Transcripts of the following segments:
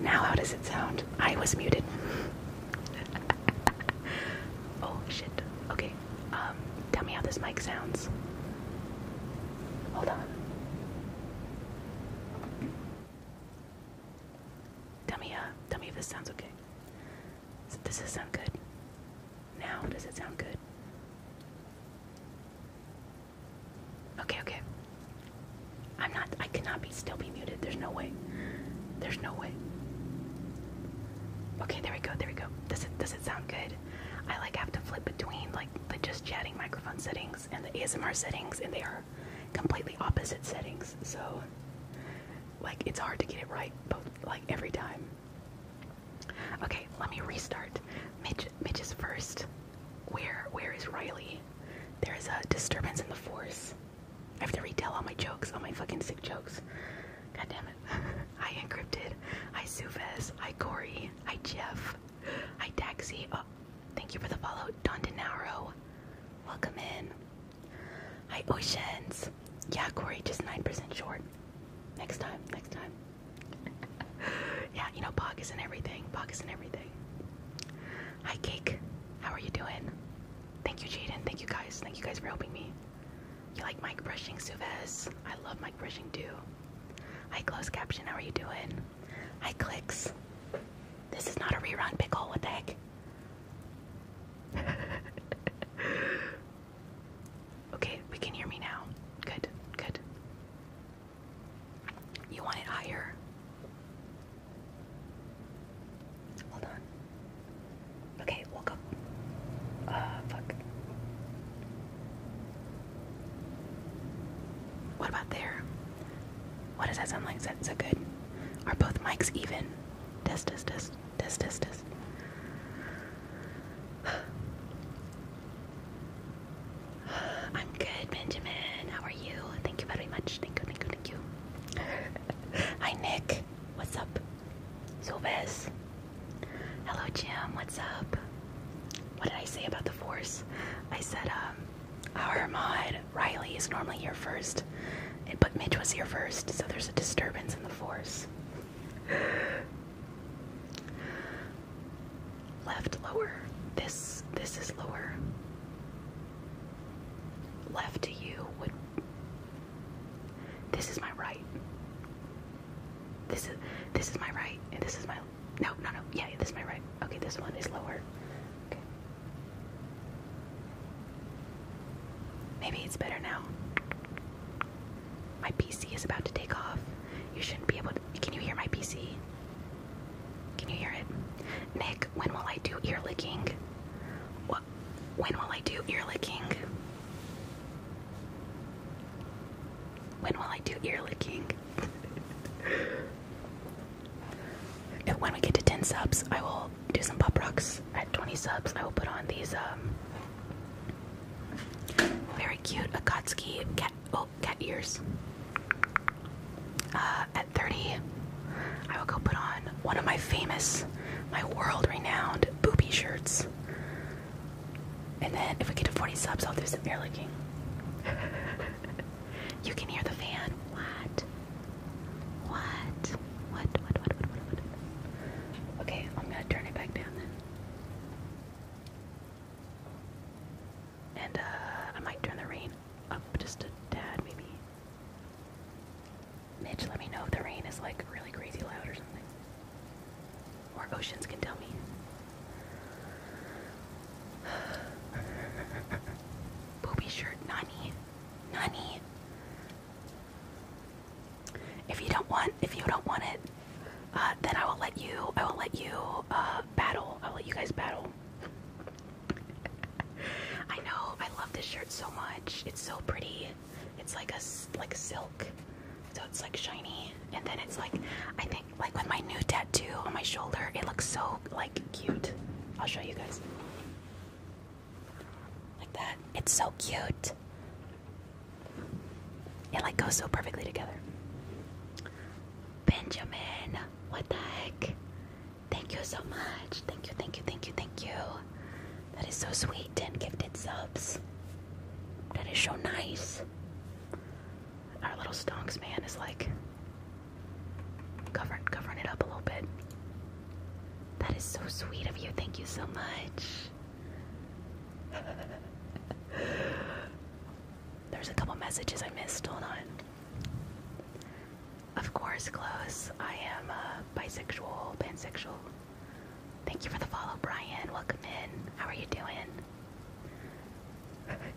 Now, how does it sound? I was muted. oh shit. Okay. Um, tell me how this mic sounds. Hold on. Tell me, uh, tell me if this sounds okay. Does this sound good? Now, does it sound good? Okay, okay. I'm not, I cannot be, still be muted. There's no way. There's no way. Okay, there we go, there we go. Does it, does it sound good? I like have to flip between like the just chatting microphone settings and the ASMR settings, and they are completely opposite settings. So, like, it's hard to get it right, both like every time. Okay, let me restart. Mitch, Mitch is first. Where, where is Riley? There is a disturbance in the force. I have to retell all my jokes, all my fucking sick jokes. God damn it. I Encrypted. I Sufez. I Corey. Hi, Jeff. Hi, Taxi. Oh, thank you for the follow. Don DeNaro. Welcome in. Hi, Oceans. Yeah, Corey, just 9% short. Next time, next time. yeah, you know, pockets and everything. Pockets and everything. Hi, Cake. How are you doing? Thank you, Jaden. Thank you guys. Thank you guys for helping me. You like Mike brushing, Suves? I love Mike brushing too. I close caption. How are you doing? I clicks. This is not a rerun, pickle. What the heck? okay, we can hear me now. Good, good. You want it higher? Hold on. Okay, we'll go. Uh, ah, fuck. What about there? What does that sound like? Is that, is good? Are both mics even? Test, test, test, test, test, test. I'm good, Benjamin. How are you? Thank you very much. Thank you, thank you, thank you. Hi, Nick. What's up? Sylves. Hello, Jim. What's up? What did I say about the force? I said, um, our mod Riley is normally here first, but Mitch was here first, so there's a disturbance in the force. Left lower. This this is lower. Left to you would. This is my right. This is this is my right, and this is my no, no, no. Yeah, this is my right. Okay, this one is lower. Maybe it's better now. My PC is about to take off. You shouldn't be able to. Can you hear my PC? Can you hear it? Nick, when will I do ear licking? What? When will I do ear licking? When will I do ear licking? when we get to 10 subs, I will do some pop rocks. At 20 subs, I will put on these um, very cute Akatsuki cat, oh, cat ears. Uh, at 30, I will go put on one of my famous, my world renowned booby shirts. And then if we get to 40 subs, I'll do some air licking. you can hear the fan. What? What? What? What? What? What? Okay, I'm gonna turn it back down then. And uh, I might turn the rain up just a tad, maybe. Mitch, let me know if the rain is like really crazy loud or something. Or oceans can tell me. Booby shirt, Nani. Nani. If you don't want if you don't want it, uh, then I will let you I will let you uh, battle. I'll let you guys battle. I know, I love this shirt so much. It's so pretty. It's like a like silk so it's like shiny. And then it's like, I think, like with my new tattoo on my shoulder, it looks so like cute. I'll show you guys. Like that. It's so cute. It like goes so perfectly together. Benjamin, what the heck? Thank you so much. Thank you, thank you, thank you, thank you. That is so sweet. 10 gifted subs. That is so nice our little stonks man is like covering covering it up a little bit. That is so sweet of you. Thank you so much. There's a couple messages I missed. Hold on. Of course, close. I am uh, bisexual, pansexual. Thank you for the follow, Brian. Welcome in. How are you doing?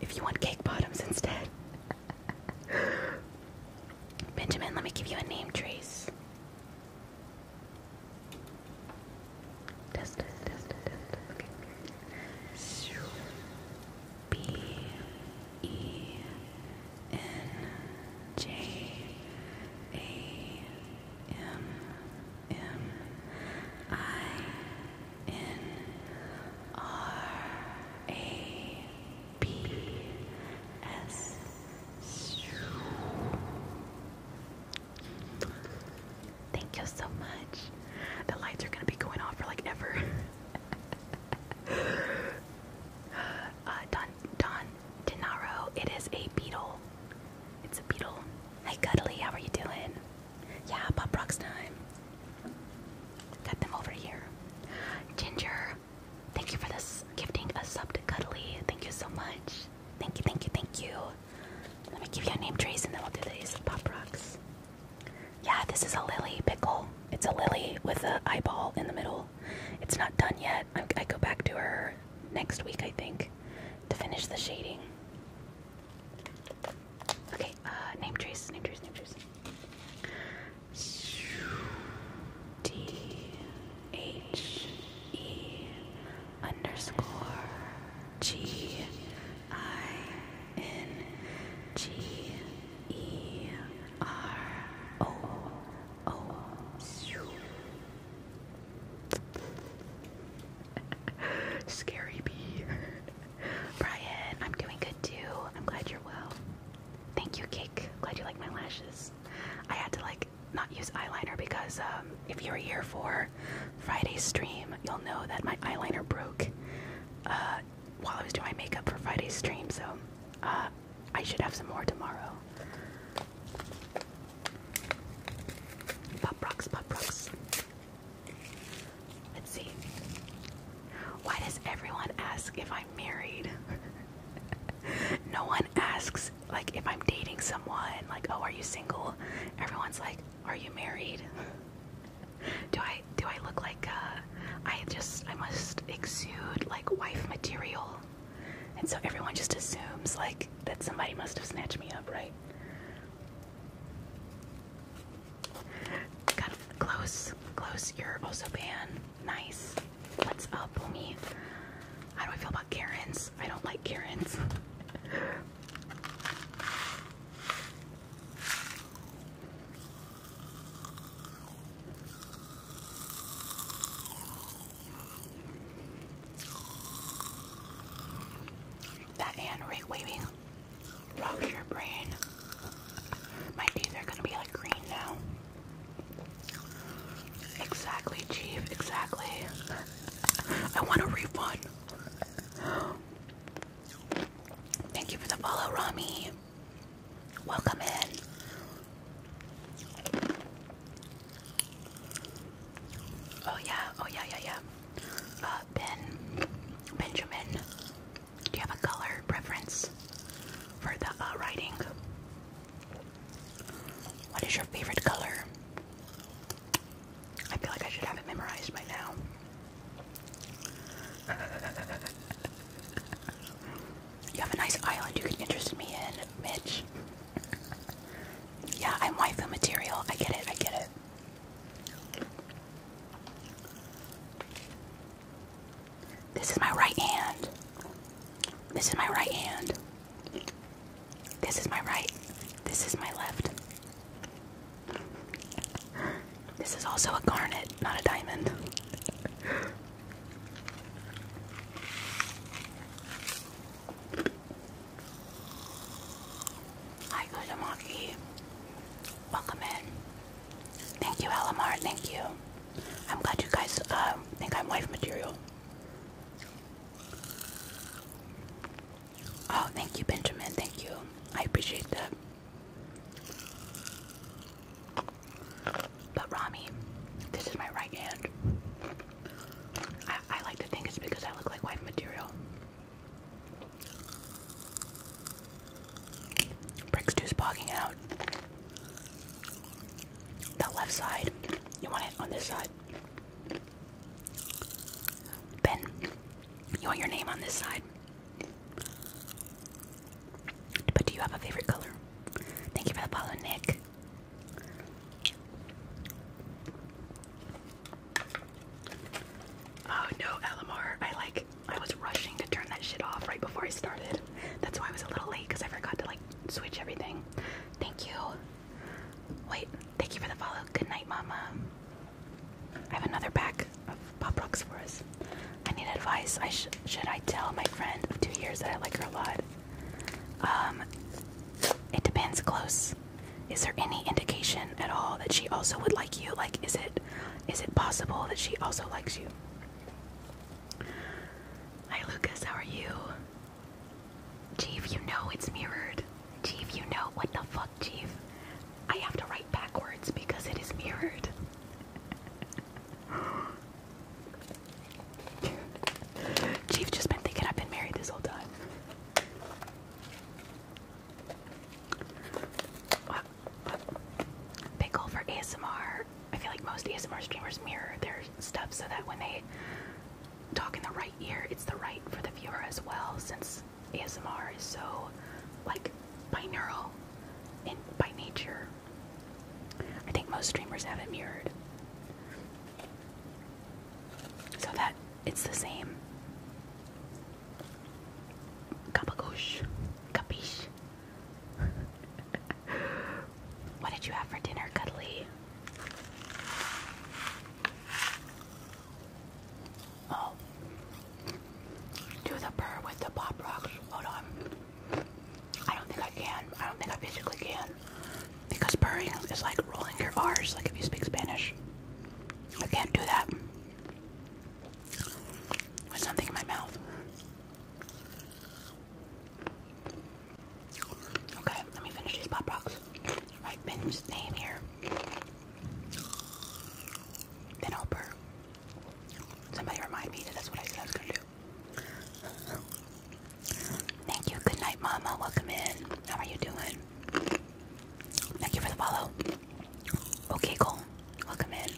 if you want cake bottoms instead. Benjamin, let me give you a name, Trace. Test M I N R A B S. Thank you so much. The lights are going to be going off for like ever. uh, Don Don it is a beetle. It's a beetle. Hi, Cuddly. How are you doing? Yeah, Pop Rocks time. Got them over here. Ginger, thank you for this gifting a sub Cuddly. Thank you so much. Thank you, thank you, thank you. Let me give you a name trace and then we'll do these Pop Rocks. Yeah, this is a lily pickle. It's a lily with an eyeball in the middle. It's not done yet. I go back to her next week, I think, to finish the shading. Okay, uh, name trees, name trees, name trees. D H E underscore G I N G E R O O. Scary bee. Brian, I'm doing good too. I'm glad you're well. Thank you, Cake. Glad you like my lashes. I had to like not use eyeliner because um, if you were here for Friday's stream, you'll know that my eyeliner broke uh, while I was doing my makeup for Friday's stream. So uh, I should have some more tomorrow. Pop rocks, pop rocks. Let's see. Why does everyone ask if I'm married? no one asks, like, if I'm dating someone, like, oh, are you single? Everyone's like, are you married? do I do I look like uh I just I must exude like wife material. And so everyone just assumes like that somebody must have snatched me up, right? Got close, close. You're also banned. Nice. What's up, homie? How do I feel about Karens? I don't like Karens. that hand right waving rocks your brain. My teeth are gonna be like green now. Exactly, Chief, exactly. I want a refund. Thank you for the follow, Rami. Welcome in. Oh yeah, oh yeah, yeah, yeah. Uh, ben, Benjamin, do you have a color preference for the uh, writing? What is your favorite color? I feel like I should have it memorized by now. you have a nice island you can interest me in, Mitch. yeah, I'm waifu material. I get it, I get it. This is my right hand. This is my right hand. This is my right. This is my left. This is also a garnet, not a diamond. Hi, Kudamaki. Welcome in. Thank you, Alamar. Thank you. I'm glad you guys um, think I'm wife material. Oh, thank you, Benjamin. Thank you. I appreciate that. But Rami, this is my right hand. I like to think it's because I look like wife material. Bricks two's bogging out. The left side. You want it on this side. Ben, you want your name on this side. But do you have a favorite color? Thank you for the follow, Nick. Oh no, LMR. I like I was rushing to turn that shit off right before I started. That's why I was a little late because I forgot to like switch everything. Thank you. Wait, thank you for the follow. Good night, Mama. I have another pack of pop rocks for us. I need advice. I should I tell my friend of two years that I like her a lot? Um, it depends. Close. Is there any indication at all that she also would like you? Like, is it is it possible that she also likes you? Hi, Lucas. How are you? Chief, you know it's mirrored. Chief, you know what the fuck, Chief? I have to write backwards because it is mirrored. Chief just been thinking I've been married this whole time. Pickle for ASMR. I feel like most ASMR streamers mirror their stuff so that when they talk in the right ear, it's the right for the viewer as well, since ASMR is so, like, binaural in by nature. I think most streamers have it mirrored. So that it's the same. Capiche? Capiche? what did you have for dinner, Cuddly? Oh. Do the purr with the pop rocks. Hold on. I don't think I can. I don't think I physically can. Because purring is like rolling your R's, like if you speak Spanish. I can't do that with something in my mouth. Okay, let me finish these pop rocks. Write Ben's name here. Then Somebody remind me that's what I said I was gonna do. Thank you. Good night, Mama. Welcome in. How are you doing? Thank you for the follow. Okay, cool. Welcome in.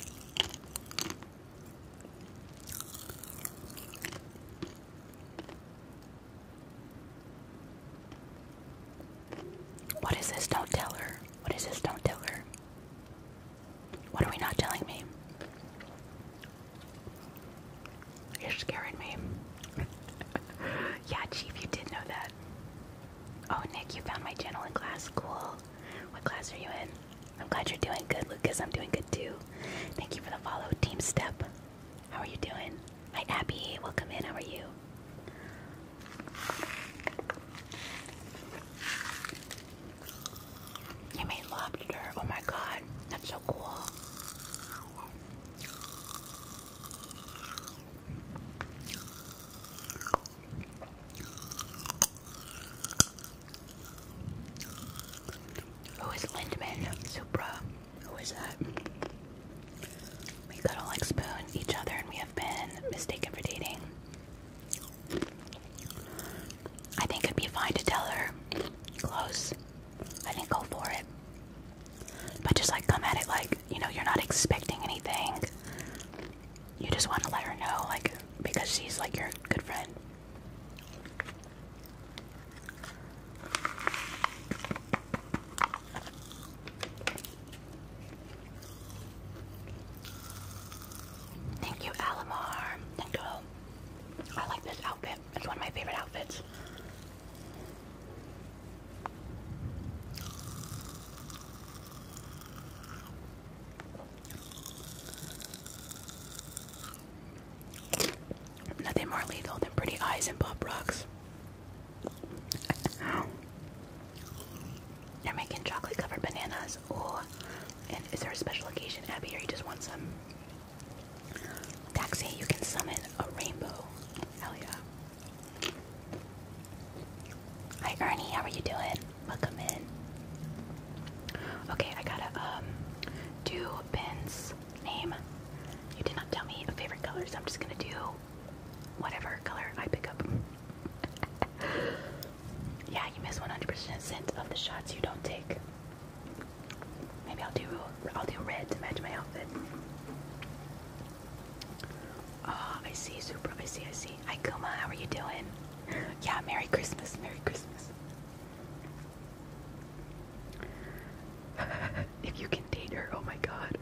What is this? Don't tell her. What is this? Don't tell her. What are we not telling me? You're scaring me. yeah, Chief, you did know that. Oh, Nick, you found my channel in class. Cool. What class are you in? I'm glad you're doing good, Lucas. I'm doing good too. Thank you for the follow, Team Step. How are you doing? Hi, Abby. Welcome in. How are you? You made lobster. Oh my god. That's so cool. Who is Lindman? Supra. Who is that? We cuddle like spoon each other and we have been mistaken for dating. I think it'd be fine to tell her. Close. I think go for it. But just like come at it like, you know, you're not expecting anything you just want to let her know, like, because she's like your good friend. Thank you, Alamar. Thank you. I like this outfit. It's one of my favorite outfits. Nothing more lethal than pretty eyes and pop rocks. They're making chocolate covered bananas. Oh, and is there a special occasion, Abby, or you just want some? Taxi, you can summon a rainbow. Hell yeah. Hi Garnie, how are you doing? Welcome in. Okay, I gotta um do Ben's name. You did not tell me a favorite color, so I'm just gonna do whatever color I pick up. yeah, you miss 100% of the shots you don't take. Maybe I'll do I'll do red to match my outfit. Oh, I see, Supra. I see, I see. Hi, How are you doing? Yeah, Merry Christmas. Merry Christmas. if you can date her, oh my god.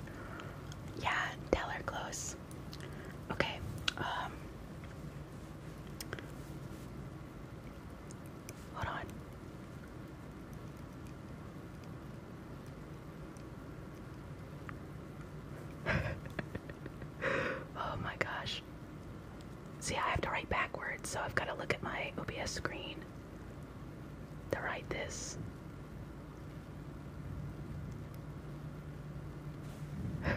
Yeah, tell her close. Okay, um, Hold on. oh my gosh. See, I have to write backwards, so I've got to look at my OBS screen to write this. oh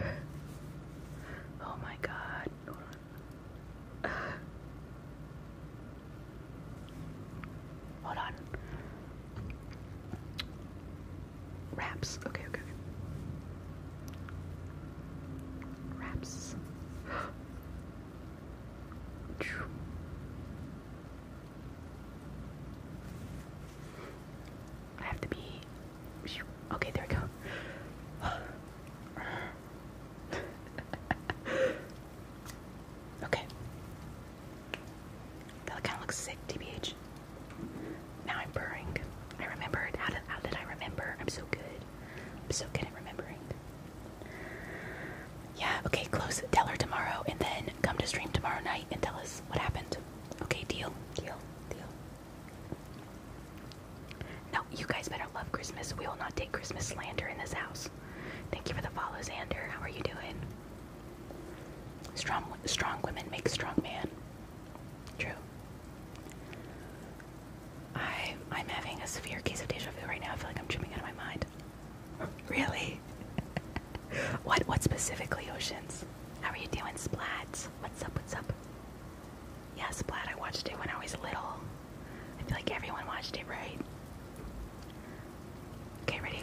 my god. Hold on. Hold on. Wraps. Okay, okay. Wraps. I have to be. Okay, there we go. okay. That kind of looks sick, TBH. Now I'm purring. I remembered. How did, how did I remember? I'm so good. I'm so good at remembering. Yeah, okay, close. Tell her tomorrow and then come to stream tomorrow night and tell us what happened. Okay, deal. Deal. Deal. No, you guys better love Christmas. We will not take Christmas slander in this house. Thank you for the follow, Xander. How are you doing? Strong, strong women make strong men. True. I I'm having a severe case of deja vu right now. I feel like I'm tripping out of my mind. Really? what what specifically, Oceans? How are you doing, splats? What's up, what's up? Yeah, Splat, I watched it when I was little. I feel like everyone watched it, right? Okay, ready?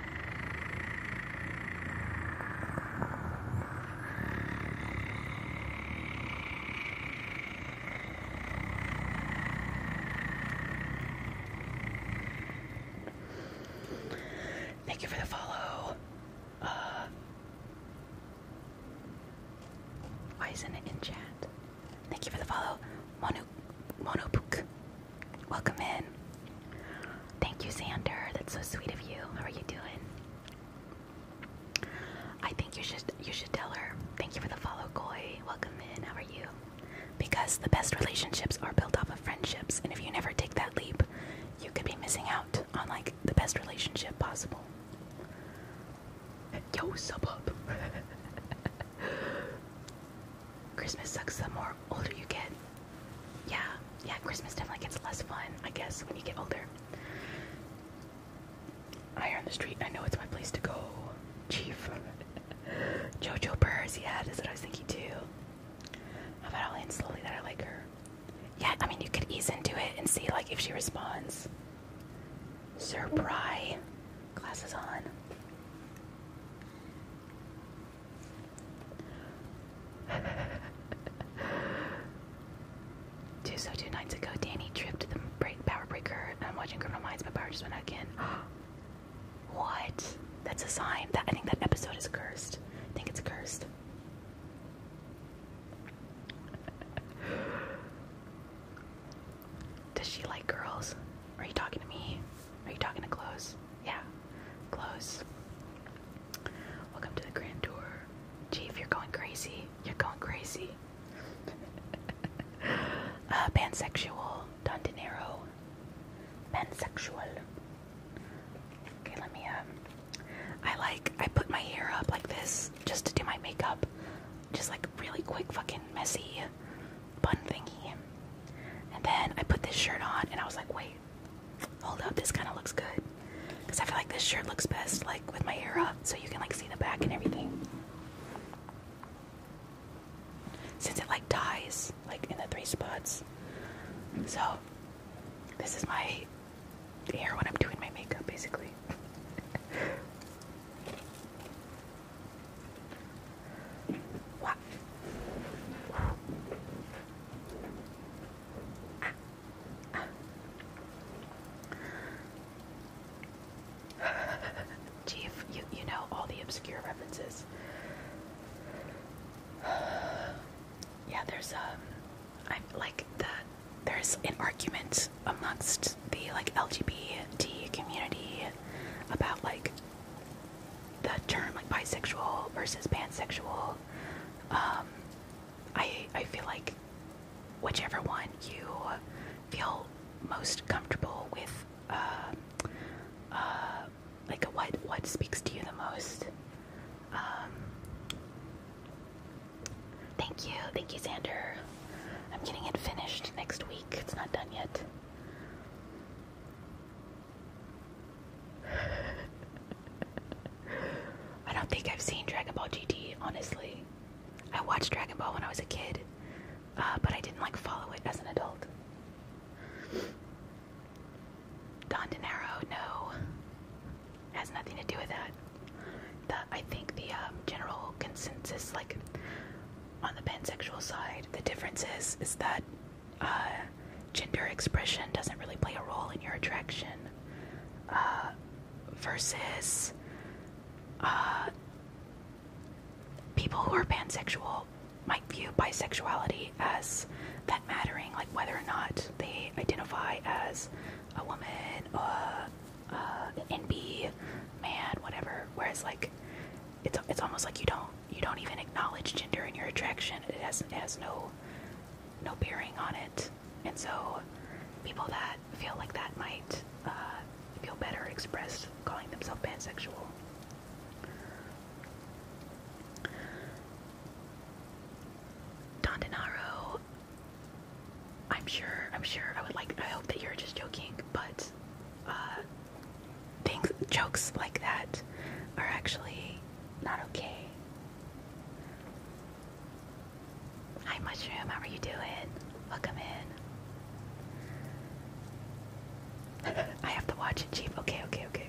Thank you for the follow. Uh, why isn't it in chat? Thank you for the follow. Monu Monopuk. Welcome in. Thank you, Xander. That's so sweet of you. How are you doing? I think you should you should tell her. Thank you for the follow, Koi. Welcome in. How are you? Because the best relationships are built off of friendships, and if you never take that leap, you could be missing out on like the best relationship possible. Yo, sub up. Christmas sucks the more older you get yeah, yeah, Christmas definitely gets less fun, I guess, when you get older. I hear on the street, I know it's my place to go. Chief. Jojo Burrs, yeah, that's what I was thinking too. How about I'll slowly that I like her? Yeah, I mean, you could ease into it and see, like, if she responds. Sir Pry. Glasses on. Two so two nights ago, Danny tripped the power breaker. I'm watching Criminal Minds, but power just went again. what? That's a sign. I think that episode is cursed. I think it's cursed. Does she like girls? Are you talking to me? Are you talking to clothes? Yeah, close. Welcome to the Grand Tour. Chief, you're going crazy. You're going crazy. Uh, pansexual. Don De Niro. Pansexual. Okay, let me, um, I like, I put my hair up like this just to do my makeup. Just like really quick, fucking messy bun thingy. And then I put this shirt on and I was like, wait, Hold up, this kind of looks good. Because I feel like this shirt looks best, like with my hair up, so you can like see the back and everything. Since it like ties, like in the three spots. So, this is my hair when I'm doing my makeup, basically. wow. Chief, you, you know all the obscure references. yeah, there's um, am like the there's an argument amongst the like LGBT community about like the term like bisexual versus pansexual um, I I feel like whichever one you feel most comfortable with, uh, uh, like what what speaks to you the most. Um, thank you, thank you, Xander. I'm getting it finished next week. It's not done yet. I don't think I've seen Dragon Ball GT, honestly. I watched Dragon Ball when I was a kid, uh, but I didn't like follow it as an adult. Don DeNiro, no, has nothing to do with that. I think the um, general consensus, like on the pansexual side, the difference is is that uh, gender expression doesn't really play a role in your attraction uh, versus uh, people who are pansexual might view bisexuality as that mattering, like whether or not they identify as a woman, uh, uh, an NB, man, whatever. Whereas, like, it's it's almost like you don't you don't even acknowledge gender in your attraction. It has it has no no bearing on it. And so people that feel like that might uh, feel better express calling themselves pansexual. Don Denaro, I'm sure, I'm sure, I would like, I hope that you're just joking, but uh, things, jokes like that are actually not okay. Hi, Mushroom. How are you doing? Welcome in. I have to watch it, Chief. Okay, okay, okay.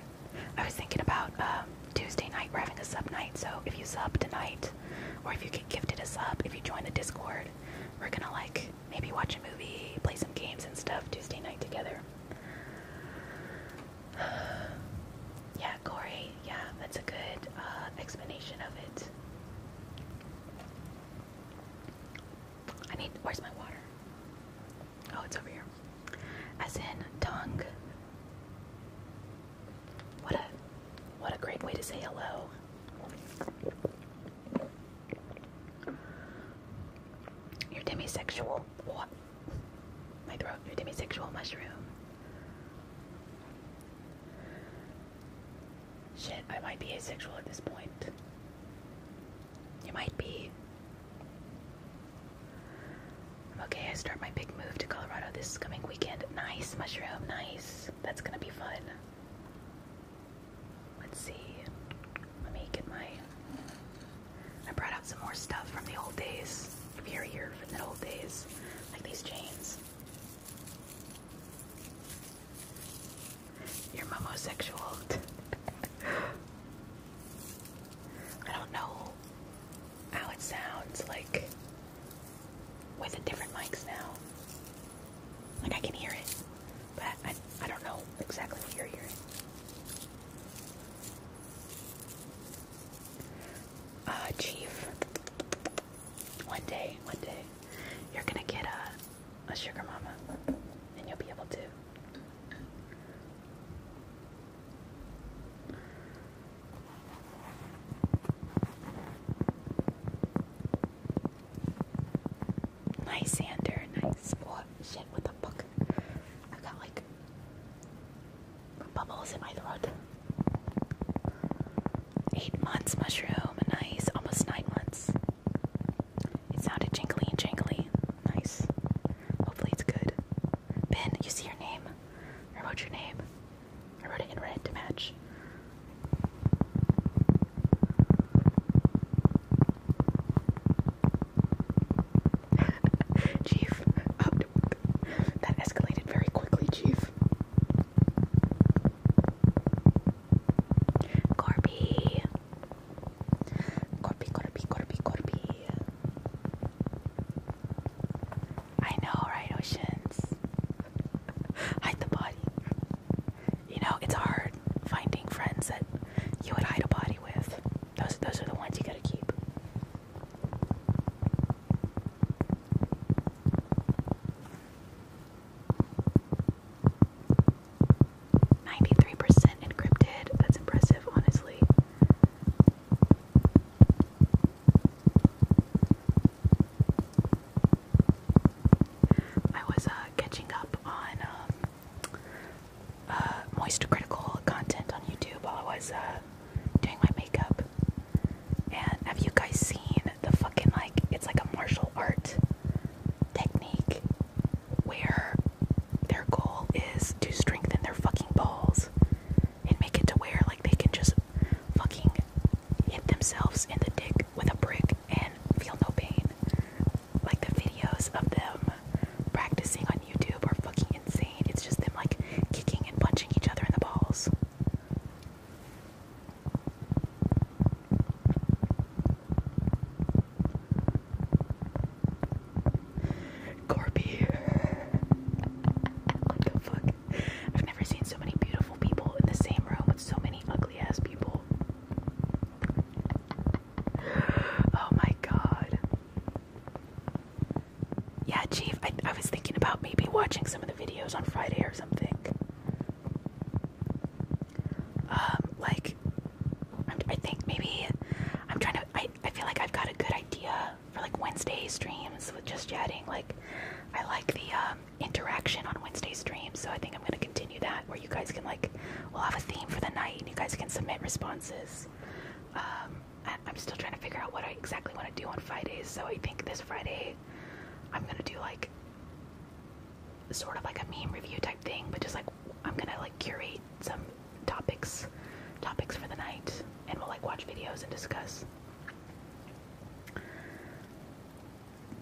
I was thinking about um, Tuesday night. We're having a sub night, so if you sub tonight, or if you get gifted a sub, if you join the Discord, we're gonna like maybe watch a movie, play some games and stuff Tuesday night together. yeah, Corey, yeah, that's a good uh, explanation of it. I need, where's my water? Oh, it's over here. As in tongue. What a, what a great way to say hello. You're demisexual. What? my throat, your demisexual mushroom. Shit, I might be asexual at this point. You might be. okay, I start my big move to Colorado this coming weekend. Nice, mushroom, nice. That's gonna be fun. Let's see. Let me get my I brought out some more stuff from the old days. If you Here, here, from the old days. Like these chains. You're homosexual. I don't know how it sounds like with the different mics now. Like I can hear it, but I don't know exactly what you're hearing. Uh, Chief, one day, one day, you're gonna get a, a sugar mama, and you'll be able to. Nice, Sander. Nice. Oh, shit, what the fuck? I got like bubbles in my throat. Eight months mushroom, nice. Almost nine months. It sounded jingly and jingly. Nice. Hopefully it's good. Ben, you see your name? I wrote your name. I wrote it in red to match. Chief, oh, that escalated very quickly, Chief. Corby, Corby, Corby, Corby. I know, right, Oceans? hide the body. You know, it's hard finding friends that you would hide a body with. Those, those are the ones you gotta keep. Ninety-three percent encrypted. That's impressive, honestly. I was uh, catching up on um, uh, critical content on YouTube while I was uh, doing my makeup. And have you guys seen the fucking like it's like a martial art technique where their goal is to strengthen their fucking balls and make it to where like they can just fucking hit themselves in the dick with a brick and feel no pain. Like the videos of them practicing on YouTube are fucking insane. It's just them like kicking and punching each other in the balls. Corby. what the fuck? I've never seen so many beautiful people in the same room with so many ugly ass people. oh my god. Yeah, Chief, I, I was thinking about maybe watching some of the videos on Friday or something. Um, like, i I think maybe I'm trying to. I, I feel like I've got a good idea for like Wednesday streams with just chatting. Like, I like the um, interaction on Wednesday streams, so I think I'm gonna continue that where you guys can like, we'll have a theme for the night and you guys can submit responses. Um, I, am still trying to figure out what I exactly want to do on Fridays. So I think this Friday, I'm gonna do like sort of like a meme review type thing, but just like I'm gonna like curate some topics, topics for the night, and we'll like watch videos and discuss.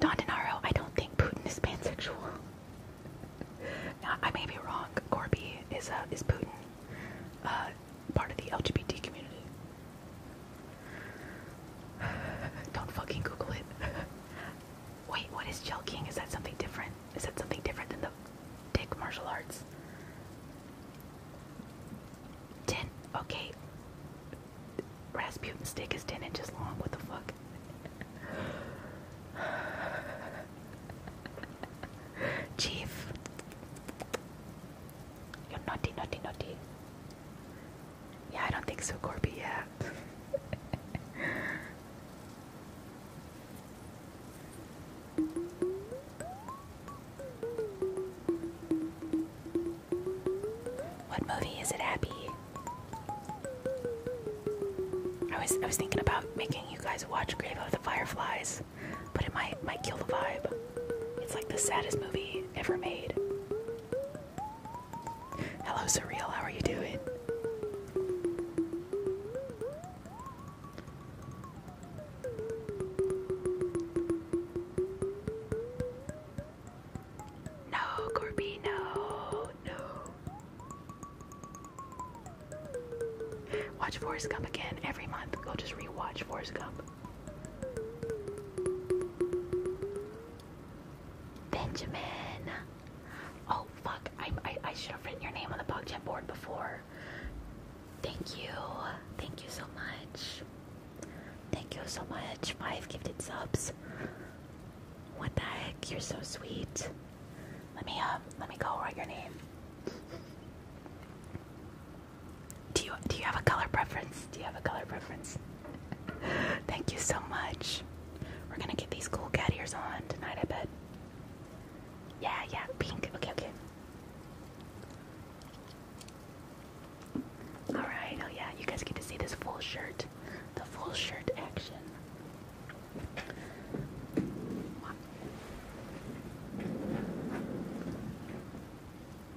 Don DeNaro, I don't think Putin is pansexual. I may be wrong. Corby is uh, is Putin. Uh, part of the LGBT community. Don't fucking Google it. Wait, what is Gel Is that something different? Is that something different than the dick martial arts? Ten. Okay. Rasputin dick is 10 inches long. What the fuck? Chief. You're naughty, naughty, naughty. Yeah, I don't think so, Corby. Yeah. what movie is it, Abby? I was I was thinking about making you guys watch Grave of the Fireflies but it might might kill the vibe. It's like the saddest movie ever made. Hello, surreal. How are you doing? No, Corby, no, no. Watch Forrest Gump again every month. Go just rewatch Forrest Gump. Benjamin. Oh fuck! I I, I should have written your name on the PogChamp board before. Thank you. Thank you so much. Thank you so much. Five gifted subs. What the heck? You're so sweet. Let me um. Let me go write your name. Do you do you have a color preference? Do you have a color preference? Thank you so much. We're gonna get these cool cat ears on tonight, I bet. Yeah, yeah, pink. Okay, okay. Alright, oh yeah, you guys get to see this full shirt. The full shirt action.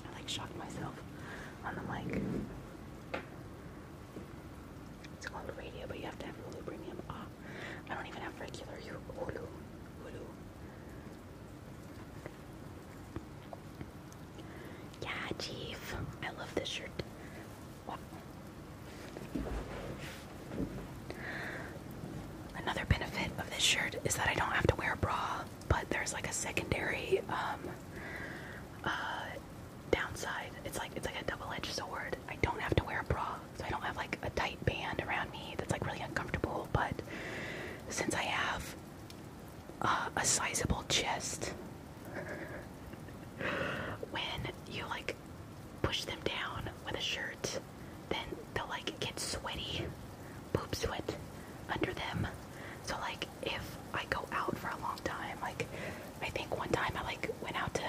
I like shocked myself on the mic. It's called radio, but you have to have Hulu Premium. Ah, I don't even have regular Hulu. Hulu. Yeah, Chief. I love this shirt. Another benefit of this shirt is that I don't have to wear a bra, but there's like a secondary um, uh, downside. It's like it's like a double-edged sword. I don't have to wear a bra, so I don't have like a tight band around me that's like really uncomfortable. But since I have a sizable chest. when you like push them down with a shirt, then they'll like get sweaty, poop sweat under them. So like if I go out for a long time, like I think one time I like went out to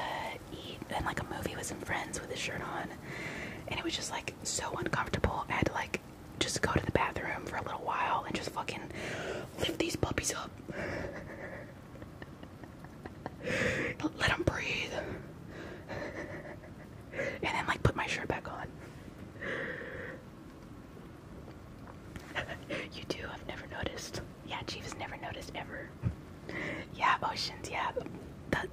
eat and like a movie with some friends with a shirt on, and it was just like so uncomfortable. and like just go to the bathroom for a little while and just fucking lift these puppies up. Let them breathe. And then, like, put my shirt back on. you do? I've never noticed. Yeah, Jeeves never noticed ever. Yeah, oceans. Yeah, the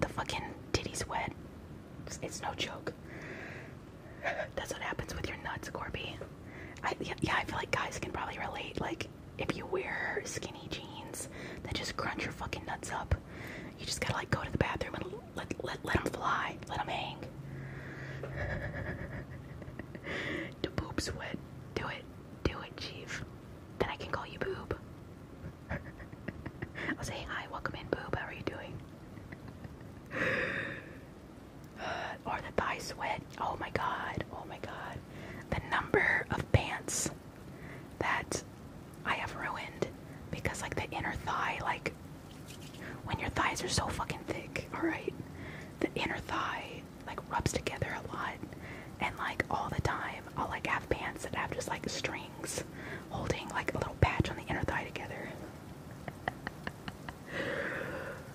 the fucking titties wet. it's no joke. That's what happens with your nuts, Corby. yeah, I feel like guys can probably relate. Like, if you wear skinny jeans that just crunch your fucking nuts up, you just gotta like go to the bathroom and let let them fly, let them hang. the boob's sweat. Do it, do it, chief. Then I can call you boob. I'll say hi, welcome in, boob. How are you doing? or the thigh sweat. Oh my god. Oh my god. The number of pants that I have ruined because like the inner thigh like when your thighs are so fucking thick, all right? The inner thigh like rubs together a lot and like all the time I'll like have pants that have just like strings holding like a little patch on the inner thigh together.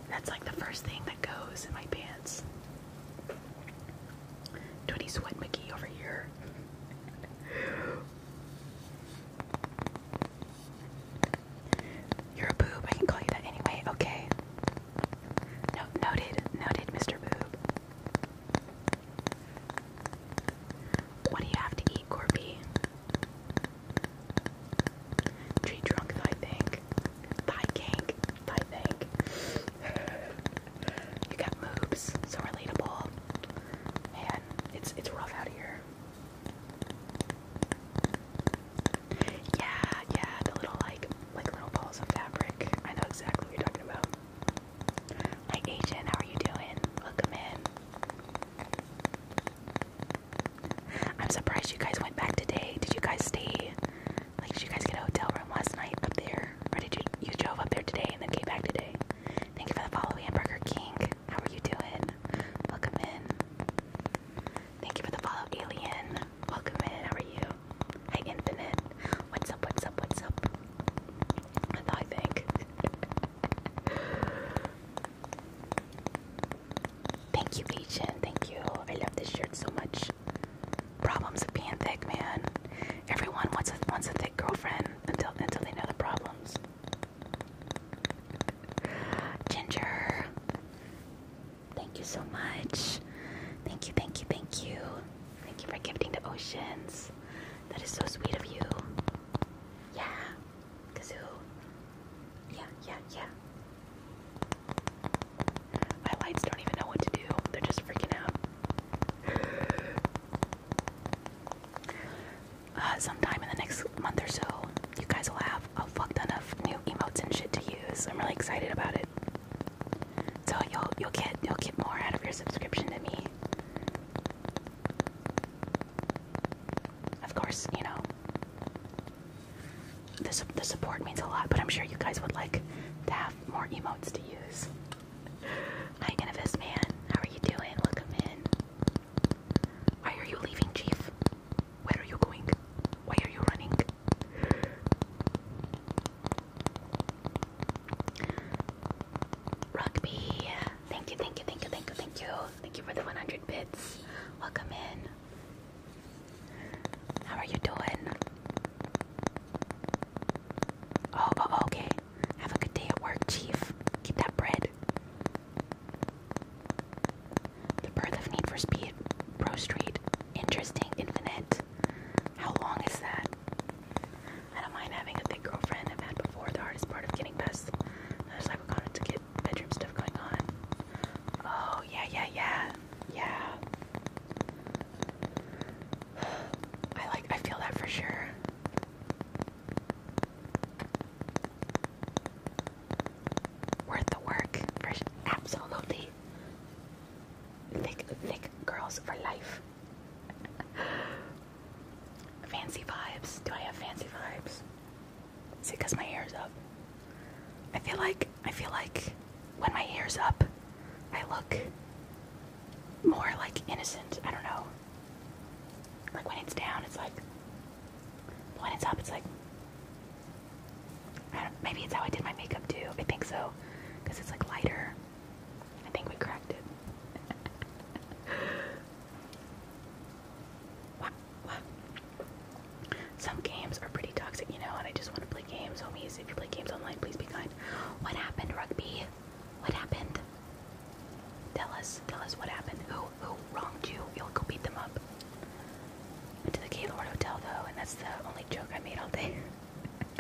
That's like the first thing that goes in my pants. Twenty sweat McGee over here. You're a boob. I can call you that anyway. Okay. noted, noted, Mr. Boob. What do you have to eat? Corby. Tree trunk, I think. Thigh kink, I think. You got moves, so relatable. Man, it's it's rough out here. Yeah, yeah, the little like like little balls of fabric. I know exactly what you're talking about. Hi Agent, how are you doing? Welcome in. I'm surprised you guys went back today. Did you guys stay? Like, did you guys get a hotel room last night up there, or did you you drove up there today and then came back today? Thank you for the follow, Hamburger King. How are you doing? Welcome in. Thank you for the follow, Alien. Welcome in. How are you? Hi, Infinite. What's up? What's up? What's up? I think. Thank you, Legion. Thank you. I love this shirt so much. Problems of being thick, man. Everyone wants a wants a thick girlfriend until until they know the problems. Ginger, thank you so much. Thank you, thank you, thank you. Thank you for gifting the Oceans. That is so sweet of you. Yeah. Kazoo. Yeah, yeah, yeah. My lights don't even know what to do. They're just freaking out. Uh, sometime in the next month or so, you guys will have a fuck ton of new emotes and shit to use. I'm really excited about it. So you'll you'll get you'll get more out of your subscription to me. Of course, you know, this the support means a lot, but I'm sure you guys would like to have more emotes to use. Hi, Innovis Man. How are you doing? Welcome in. Why are you leaving, Chief? Where are you going? Why are you running? Rugby. Thank you, thank you, thank you, thank you, thank you. Thank you for the 100 bits. Welcome in. How are you doing? Oh, oh, oh, okay. Have a good day at work, Chief. Get that bread. The birth of Need for Speed, Pro interesting, infinite. How long is that? I don't mind having a thick girlfriend. I've had before. The hardest part of getting past the other side of bedroom stuff going on. Oh yeah, yeah, yeah, yeah. I like. I feel that for sure. Worth the work, for absolutely. Thick, thick girls for life. fancy vibes. Do I have fancy vibes? Is because my hair's up? I feel like I feel like when my hair's up, I look more like innocent. I don't know. Like when it's down, it's like. When it's up, it's like. maybe it's how I did my makeup too. I think so, because it's like lighter. I think we cracked it. Some games are pretty toxic, you know, and I just want to play games, homies. If you play games online, please be kind. What happened, Rugby? What happened? Tell us. Tell us what happened. Who who wronged you? You'll go beat them up. Went to the Gaylord Hotel though, and that's the only joke I made all day.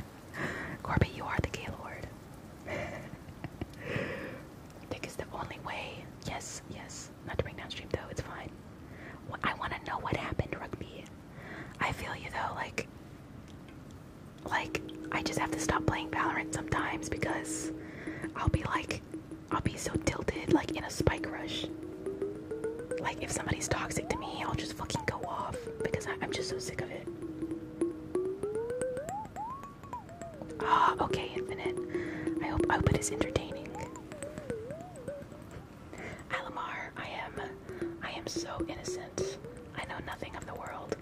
Corby, you are the Gaylord. Dick is the only way. Yes, yes not to bring down though. It's fine. I want to know what happened, rugby. I feel you though. Like, like I just have to stop playing Valorant sometimes because I'll be like, I'll be so tilted, like in a spike rush. Like if somebody's toxic to me, I'll just fucking go off because I'm just so sick of it. Ah, okay, Infinite. I hope I hope it is entertaining. Alamar, I am I am so innocent. I know nothing of the world.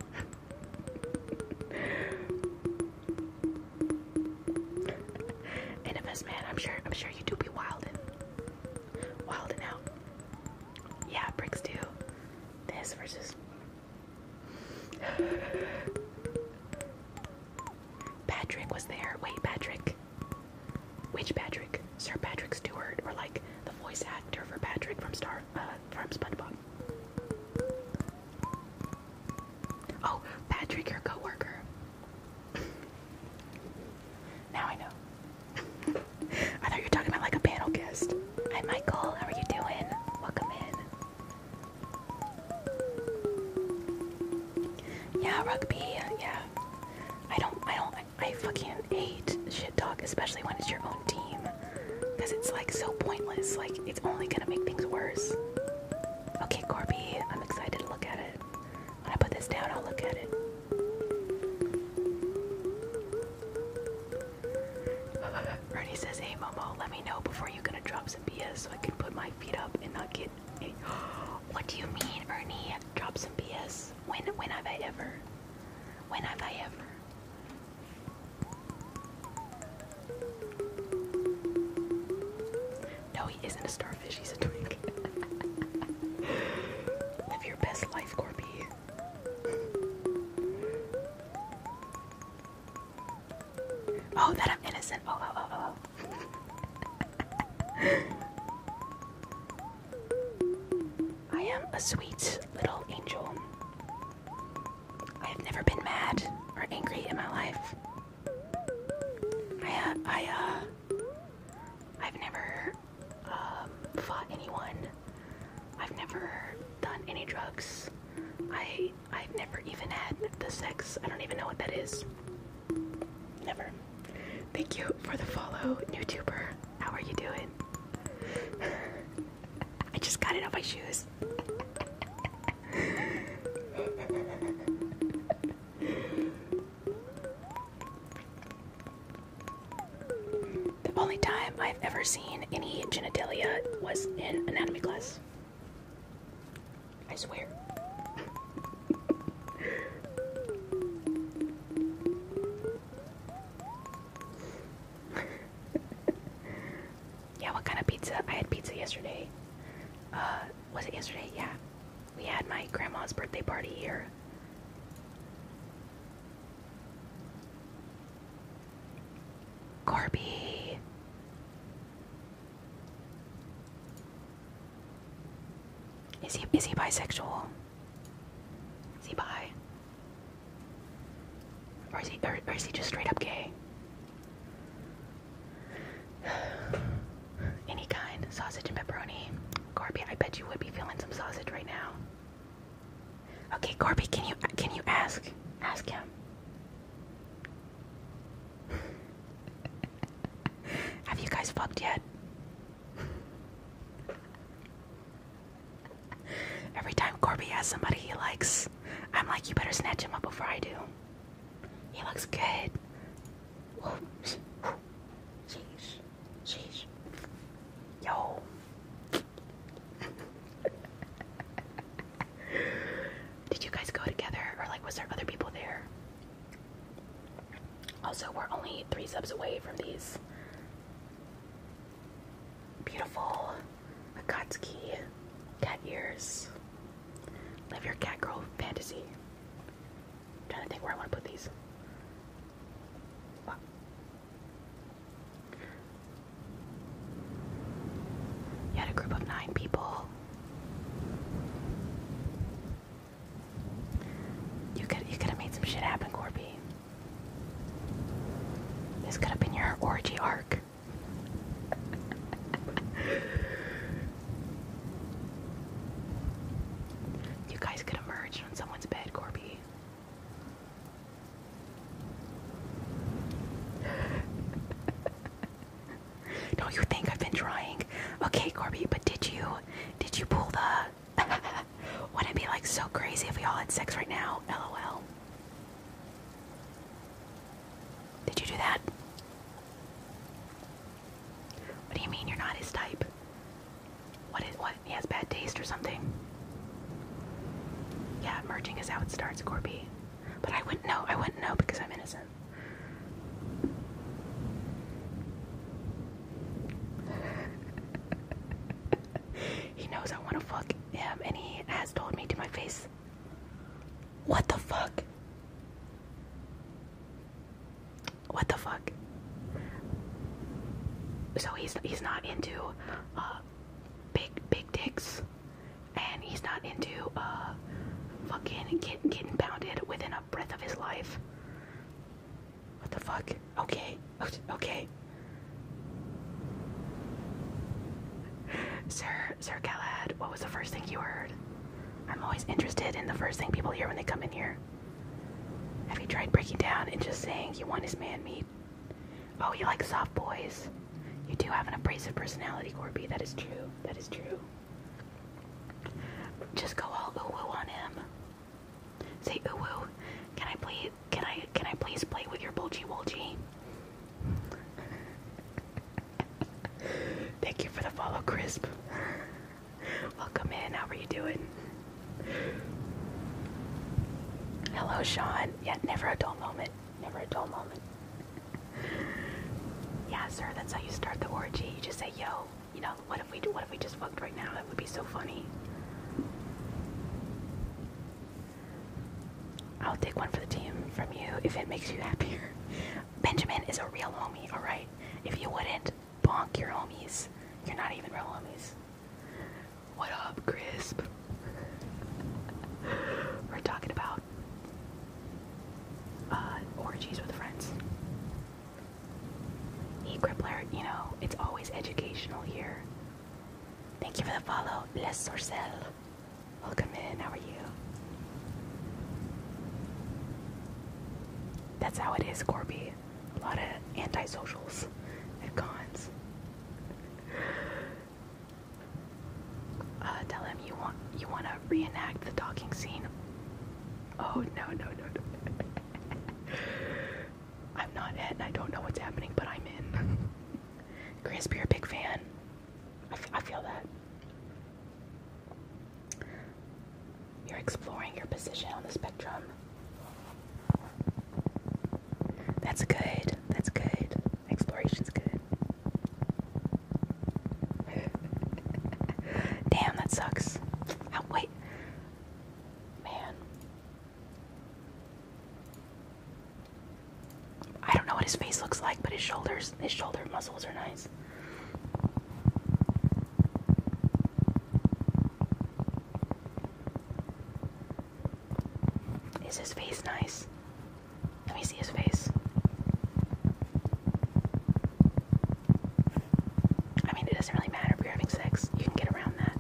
Innimus man, I'm sure I'm sure you do be wildin'. Wildin' out. Yeah, bricks do. This versus Patrick was there. Wait, Patrick. Which Patrick? Sir Patrick Stewart, or like the voice actor for Patrick from Star uh, from SpongeBob? Oh, Patrick, your coworker. now I know. I thought you were talking about like a panel guest. Hi, Michael. How are you doing? Welcome in. Yeah, rugby. Yeah, I don't. I don't. I fucking hate shit talk, especially when it's your own team, because it's like so pointless. Like it's only gonna make things worse. Okay, Corby, I'm excited to look at it. When I put this down, I'll look at it. Ernie says, "Hey, Momo, let me know before you're gonna drop some BS so I can put my What do you mean, Ernie? Drop some PS. When when have I ever? When have I ever? No, he isn't a starfish. He's a twig. Live your best life, Corby. Oh, that I'm innocent. Oh, oh, oh, oh. oh. I am a sweet little angel. I have never been mad or angry in my life. I, uh, I, uh, I've never, um, fought anyone. I've never done any drugs. I I have never even had the sex. I don't even know what that is. Never. Thank you for the follow, YouTuber. How are you doing? I just got it off my shoes. the only time I've ever seen any genitalia was in anatomy class. I swear. yeah, what kind of pizza? I had pizza yesterday. Uh, was it yesterday? Yeah. We had my grandma's birthday party here. Corby. Is he is he bisexual? Is he bi? Or is he is he just straight up gay? Any kind, sausage and pepperoni. Corby, I bet you would be feeling some sausage right now. Okay, Corby, can you can you ask ask him? Have you guys fucked yet? Every time Corby has somebody he likes, I'm like, you better snatch him up before I do. He looks good. Whoa. Sheesh. Yo. Did you guys go together or like was there other people there? Also, we're only three subs away from these beautiful Akatsuki cat ears. Live your cat girl fantasy. trying to think where I want to put these. Wow. a group of nine people. You could you could have made some shit happen, Corby. This could have been your orgy arc. you guys could have emerge on someone's bed, Corby. Don't you think I've been trying? Okay, Corby, but did you did you pull the Wouldn't it be like so crazy if we all had sex right now? LOL. Did you do that? What do you mean you're not his type? What is what? He has bad taste or something. Yeah, merging is how it starts, Corby. But I wouldn't know. I wouldn't know because I'm innocent he knows I want to fuck him, and he has told me to my face. What the fuck? What the fuck? So he's he's not into uh, big big dicks and he's not into uh, fucking getting getting pounded within a breath of his life. What the fuck? Okay, okay. Sir, Sir Galahad, what was the first thing you heard? I'm always interested in the first thing people hear when they come in here. Have you tried breaking down and just saying you want his man meat? Oh, you like soft boys. You do have an abrasive personality, Corby. That is true. That is true. Just go all ooh on him. Say ooh woo. Can I please? Can I? Can I please play with your bulgy bulgy? Thank you for the follow, Crisp. Welcome in. How are you doing? Hello, Sean. Yet never a dull moment. Never a dull moment yeah, sir, that's how you start the orgy. You just say, yo, you know, what if we do what if we just fucked right now? That would be so funny. I'll take one for the team from you if it makes you happier. Benjamin is a real homie, alright? If you wouldn't, bonk your homies. You're not even real homies. What up, Crisp? We're talking about uh, orgies with friends. Hey, Crippler, you know, it's always educational here. Thank you for the follow, Bless Sorcel. Welcome in, how are you? That's how it is, Corby. A lot of antisocials at cons. Uh, tell him you want you want to reenact the docking scene Oh no no no no! I'm not it, and I don't know what's happening, but I'm in. Grisby, you're a big fan. I feel that. You're exploring your position on the spectrum. That's good. That's good. Exploration's good. Damn, that sucks. Oh, wait. Man. I don't know what his face looks like, but his shoulders, his shoulder muscles are nice. Is his face nice? Let me see his face. I mean, it doesn't really matter if you're having sex, you can get around that.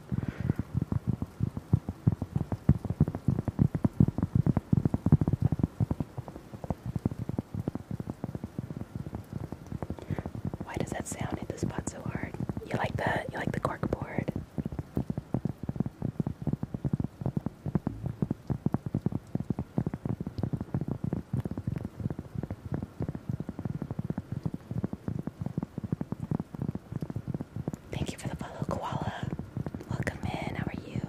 Why does that sound hit the spot so hard? You like the you like the cork board? Thank you for the follow, Koala. Welcome in. How are you?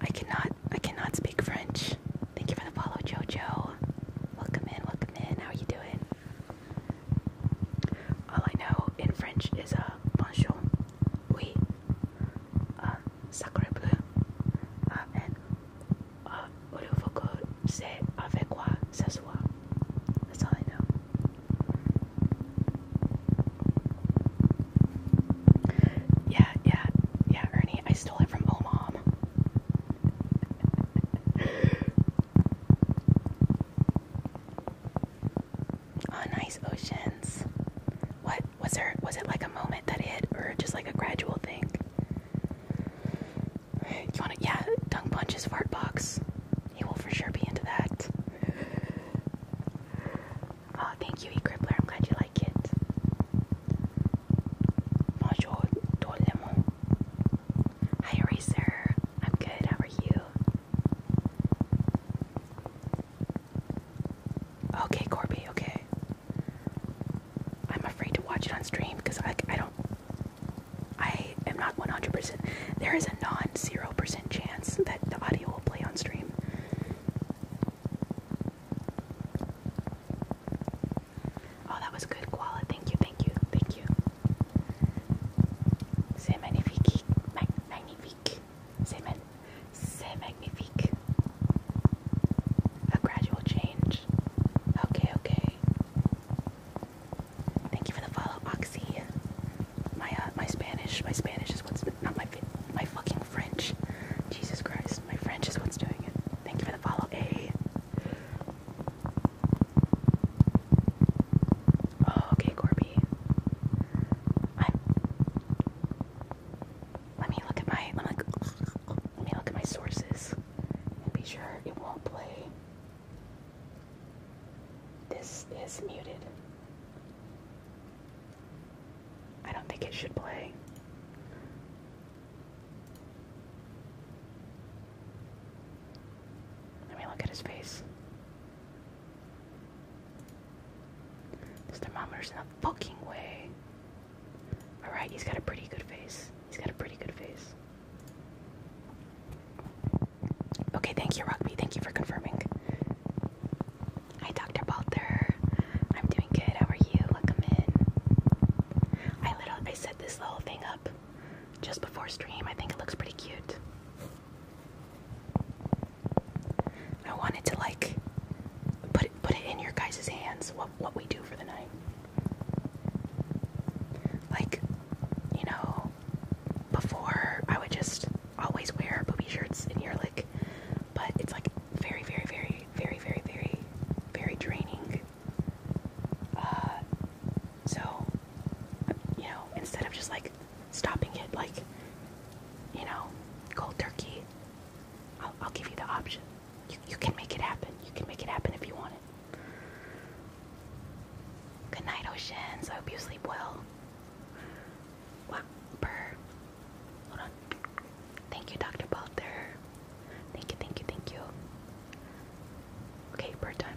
I cannot I cannot speak French. Thank you for the follow, Jojo. Welcome in, welcome in. How are you doing? All I know in French is a uh, bonjour, oui, uh, Sacre Bleu uh, uh, Yeah, yeah, yeah, Ernie, I stole it from old oh, nice oceans. What was there? Was it like a moment that hit, or just like a gradual thing? You want to? Yeah, tongue punches, fart box. He will for sure be into that. Oh, thank you, E. eCrippler. I'm glad you like it. Bonjour, tout le monde. Hi, Eraser. I'm good. How are you? Okay, Corby, okay. I'm afraid to watch it on stream because I, I don't. I am not 100%. There is a non 0% chance that the audio will play on stream. Oh, that was good, Koala. Thank you, thank you, thank you. C'est magnifique, magnifique. C'est C'est magnifique. A gradual change. Okay, okay. Thank you for the follow, Oxy. My uh, my Spanish, my Spanish is what's not my my fucking French. Jesus Christ, my French is what's doing it. Thank you for the follow, A. Oh, okay, Corby. Let me look at my. Let me look, at my sources and be sure it won't play. This is muted. I don't think it should play. Let me look at his face. This thermometer's in a fucking way. Alright, he's got a pretty good face. He's got a pretty good face. Okay, thank you, Rugby. Thank you for confirming. Hi, Dr. Balter. I'm doing good. How are you? Welcome in. I literally I set this little thing up just before stream. I think it looks pretty cute. I wanted to like put it put it in your guys' hands what what we do for the night. Like, you know, before I would just always wear boobie shirts in your like but it's like very, very, very, very, very, very, very draining. Uh, so, you know, instead of just like stopping it, like, you know, cold turkey, I'll give you the option. You, can make it happen. You can make it happen if you want it. Good night, Ocean. I hope you sleep well. Wow, Hold on. Thank you, Dr. Balter. Thank you, thank you, thank you. Okay, bird time.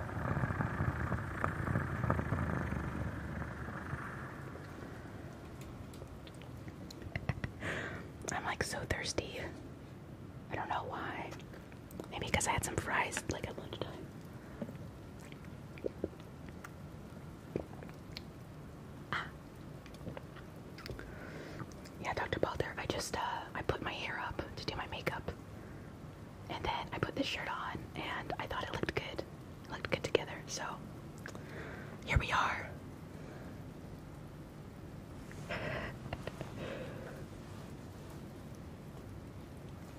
I'm like so thirsty. I don't know why. Maybe because I had some fries like at lunchtime. Ah. Yeah, Dr. Balder, I just uh I put my hair up to do my makeup and then I put this shirt on and I thought it looked good. It looked good together. So here we are.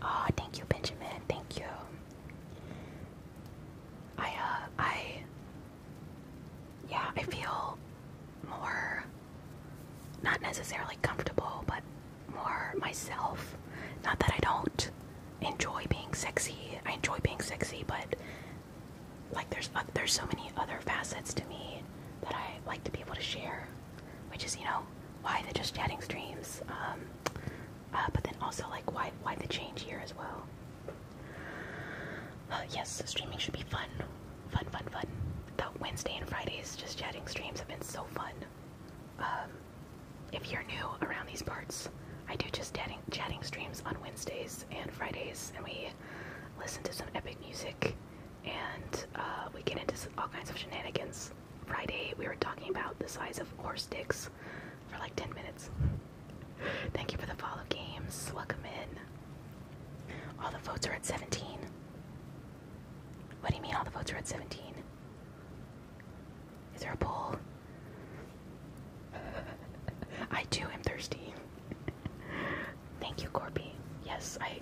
oh, thank you, Benjamin. Thank you. I uh I yeah, I feel more not necessarily comfortable, but more myself. Not that I don't enjoy being sexy. I enjoy being sexy, but like there's uh, there's so many other facets to me that I like to be able to share, which is you know why the just chatting streams, um, uh, but then also like why why the change here as well. Uh, yes, streaming should be fun, fun, fun, fun. The Wednesday and Fridays just chatting streams have been so fun. Um, if you're new around these parts, I do just chatting, streams on Wednesdays and Fridays, and we listen to some epic music and uh, we get into all kinds of shenanigans. Friday, we were talking about the size of horse dicks for like 10 minutes. Thank you for the follow games. Welcome in. All the votes are at 17. What do you mean all the votes are at 17? Is there a poll? I too am thirsty. Thank you, Corby. Yes, I.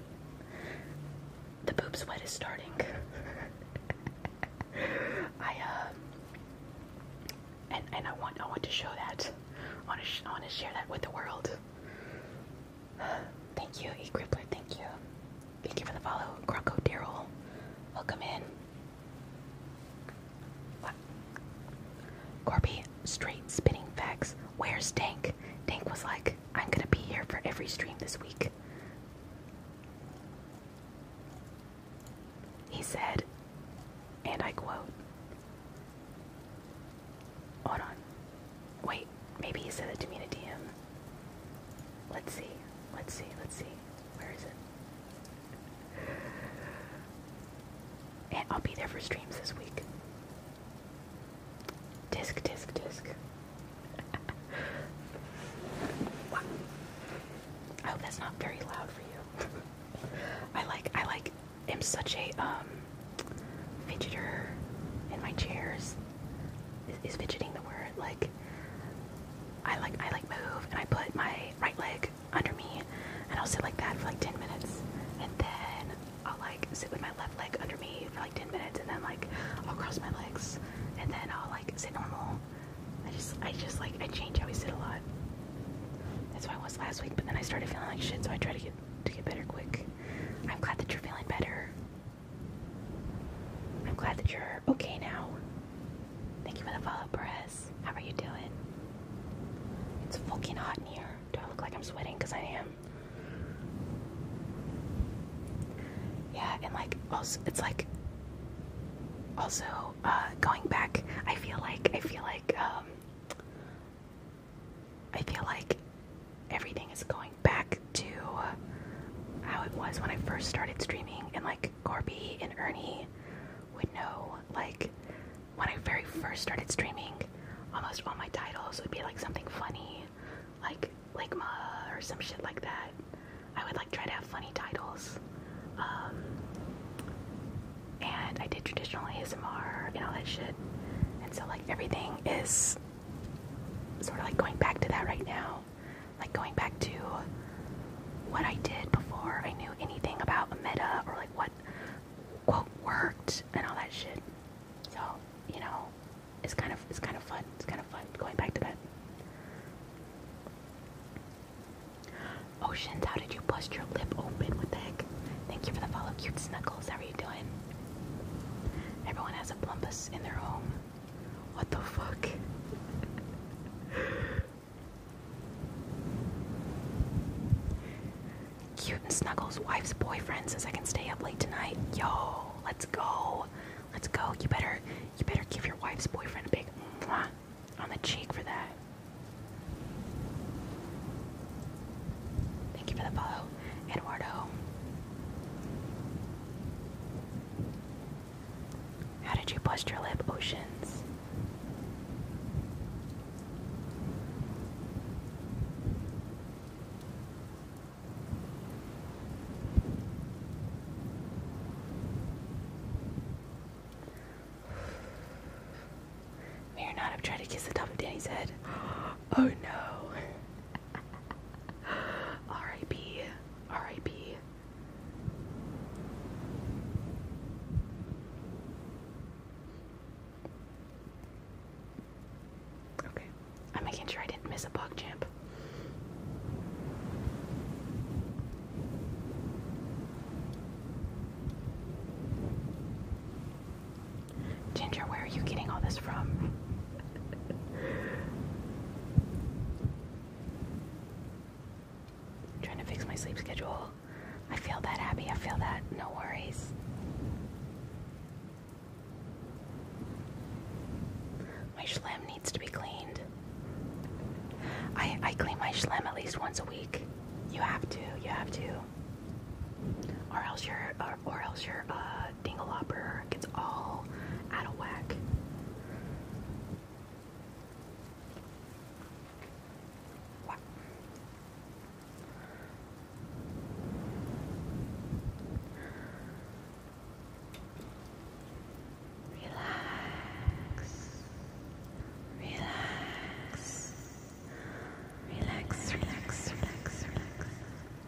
The boobs wet is starting. I uh, and and I want I want to show that. I want to I want to share that with the world. Thank you, E eCrippler. Thank you. Thank you for the follow, Croco Daryl. Welcome in. Corby, straight spinning facts. Where's Dank? Dank was like, I'm gonna be here for every stream this week. He said, and I quote, Hold on. Wait, maybe he said it to me in a DM. Let's see. Let's see. Let's see. Where is it? I'll be there for streams this week. Disc, disc, disc. wow. I hope that's not very loud for you. I like, I like, am such a um, fidgeter in my chairs is, fidgeting the word? Like I like I like move and I put my right leg under me and I'll sit like that for like 10 minutes and then I'll like sit with my left leg under me for like 10 minutes and then like I'll cross my legs and then I'll like sit normal. I just I just like I change how we sit a lot. That's why I was last week, but then I started feeling like shit, so I try to get to get better quick. I'm glad that you're feeling better. I'm glad that you're okay now. Thank you for the follow, up Perez. How are you doing? It's fucking hot in here. Do I look like I'm sweating? Because I am. Yeah, and like also, it's like also uh, going back. I feel like I feel like um, I feel like everything is going back to how it was when I first started streaming, and like Corby and Ernie would know, like when I very first started streaming, almost all my titles would be like something funny, like Ligma or some shit like that. I would like try to have funny titles. Um, and I did traditional ASMR and all that shit. And so like everything is sort of like going back to that right now. Like going back to what I did before I knew anything about a meta or like what quote worked and all that shit. So, you know, it's kind of it's kind of fun. It's kind of fun going back to that. Oceans, how did you bust your lip open? What the heck? Thank you for the follow, cute snuggles. How are you doing? Everyone has a plumpus in their home. What the fuck? Cute Snuggles' wife's boyfriend says I can stay up late tonight. Yo, let's go. Let's go. You better you better give your wife's boyfriend a big on the cheek for that. Thank you for the follow, Eduardo. How did you bust your lip, Oceans? May or not have tried to kiss the top of Danny's head. Oh no. R.I.P. R.I.P. Okay, I'm making sure I didn't miss a bug jump. Ginger, where are you getting all this from? i trying to fix my sleep schedule. I feel that, Abby. I feel that. No worries. My schlim needs to be cleaned. I, I clean my schlim at least once a week. You have to. You have to. Or else you're. or else your uh, dingalopper gets all out of whack. Relax. Relax, relax, relax, relax.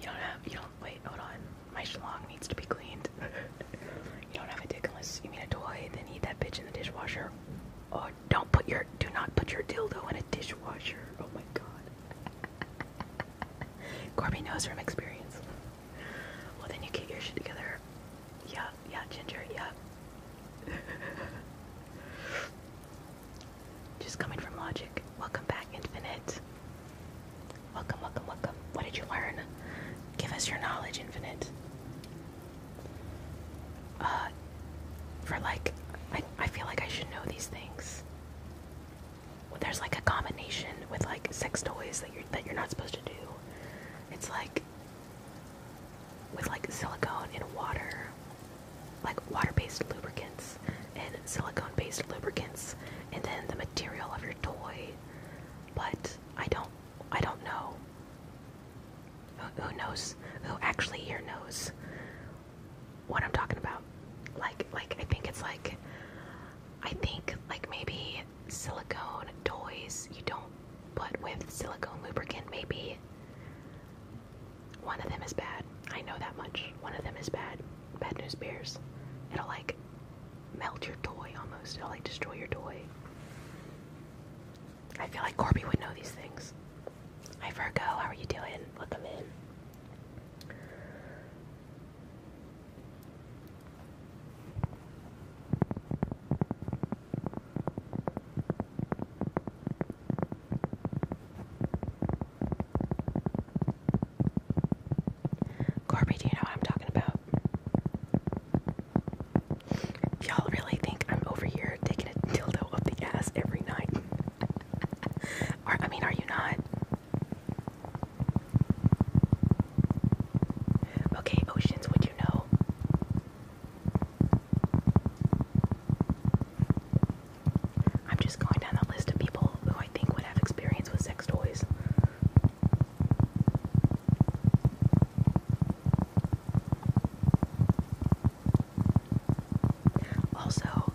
You don't have, you don't, wait, hold on. My schlong needs to be cleaned. you don't have a dick unless you mean a toy, then eat that bitch in the dishwasher. Oh, don't put your, do not put your dildo in a dishwasher. Oh my god. Corby knows from experience. Well, then you get your shit together. Yeah, yeah, Ginger, yeah. Just coming from Logic. Welcome back, Infinite. Welcome, welcome, welcome. What did you learn? Give us your knowledge, Infinite. Uh, for like, I, I feel like I should know these things. there's like a combination with like sex toys that you're that you're not supposed to do. It's like with like silicone and water, like water-based lubricants and silicone-based lubricants, and then the material of your toy. But I don't, I don't know. Who, who knows? Who actually here knows what I'm talking about? Like, like I think it's like, I think like maybe silicone toys you don't put with silicone lubricant, maybe. One of them is bad. I know that much. One of them is bad. Bad news bears. It'll like melt your toy almost. It'll like destroy your toy. I feel like Corby would know these things. Hi Virgo, how are you doing? Welcome in. Corby, do you know what I'm talking about? Y'all really think I'm over here taking a dildo up the ass every night? or, I mean, are you not? Okay, oceans, What do you know? I'm just going down the list of people who I think would have experience with sex toys. Also,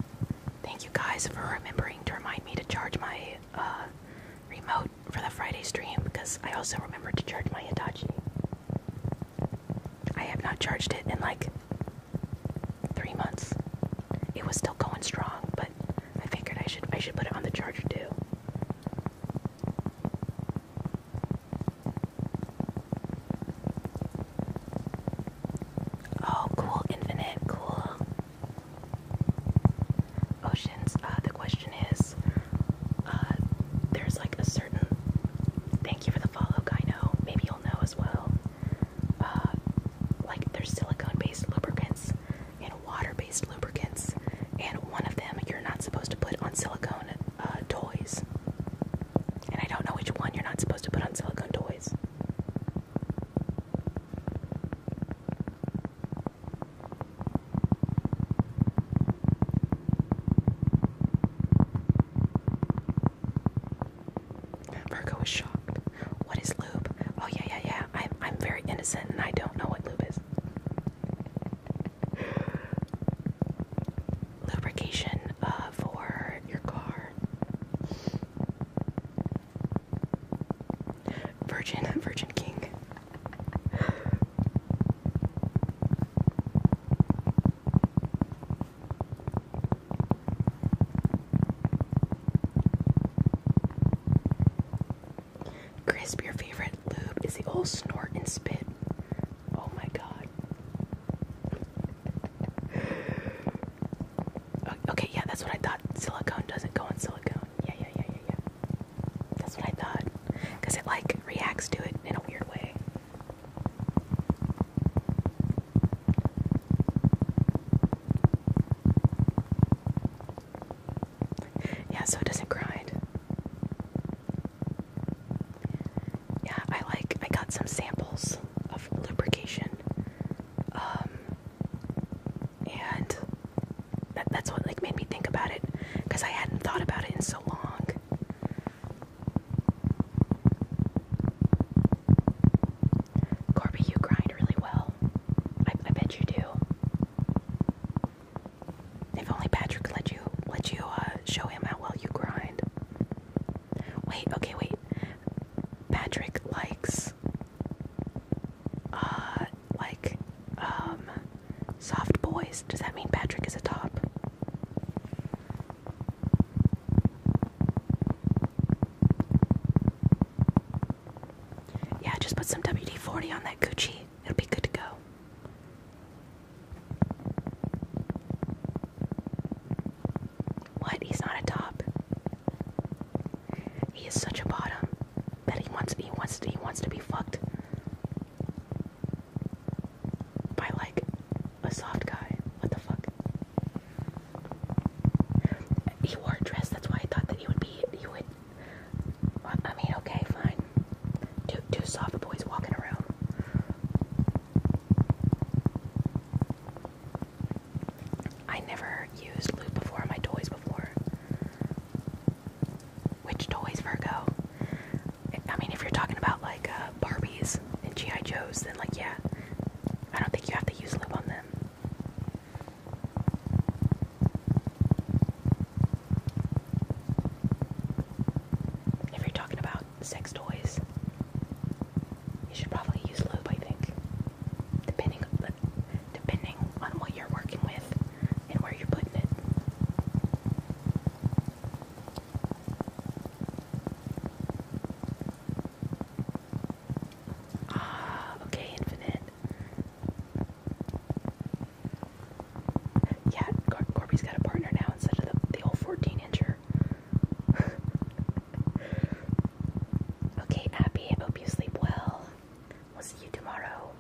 thank you guys for remembering to remind me to charge my uh, remote for the Friday stream because I also remember to charge my Hitachi. I have not charged it in like three months. It was still going strong, but I figured I should I should put it on the charger too. Oh, cool, infinite, cool oceans. Uh, the question is, uh, there's like a certain. Thank you for the follow, Know Maybe you'll know as well. Uh, like there's silicone-based lubricants and water-based lubricants, and one of them you're not supposed to put on silicone uh, toys. And I don't know which one you're not supposed to put on silicone toys. Virgo is shocked. What is lube? Oh yeah, yeah, yeah. I'm I'm very innocent and I don't know what lube is. Lubrication uh, for your car. Virgin, Virgin King. Crisp, your favorite lube is the old snort and spit. Oh my god. Okay, yeah, that's what I thought. Silicone doesn't go on silicone. Yeah, yeah, yeah, yeah, that's what I thought. Because it like reacts to it in a weird way. Yeah, so it doesn't grind. Yeah, I like, I got some samples of lubrication um, and that, that's what like made me think about it because I hadn't thought about it in so long. Corby, you grind really well. I, I bet you do. If only Patrick let you let you uh, show him how well you grind. Wait, okay, wait. Patrick likes uh, like, um, soft boys. Does that mean Patrick is a top? Yeah, just put some WD 40 on that Gucci. It'll be good to go. What? He's not a top. He is such a bottom that he wants he wants he wants to be fucked by like a soft guy. What the fuck? He wore a dress. That's why I thought that he would be. He would. I mean, okay, fine. Two two soft boys walking around. I never used loot before. on My toys before. Which toys, Virgo? I mean, if you're talking about like uh, Barbies and GI Joes, then like yeah, I don't think you have to use lube on them. If you're talking about sex toys, you should probably use lube. I think, depending depending on what you're working with and where you're putting. Ah, okay, infinite. Yeah, Corby's got a partner now instead of the old 14 incher. okay, Abby, I hope you sleep well. We'll see you tomorrow.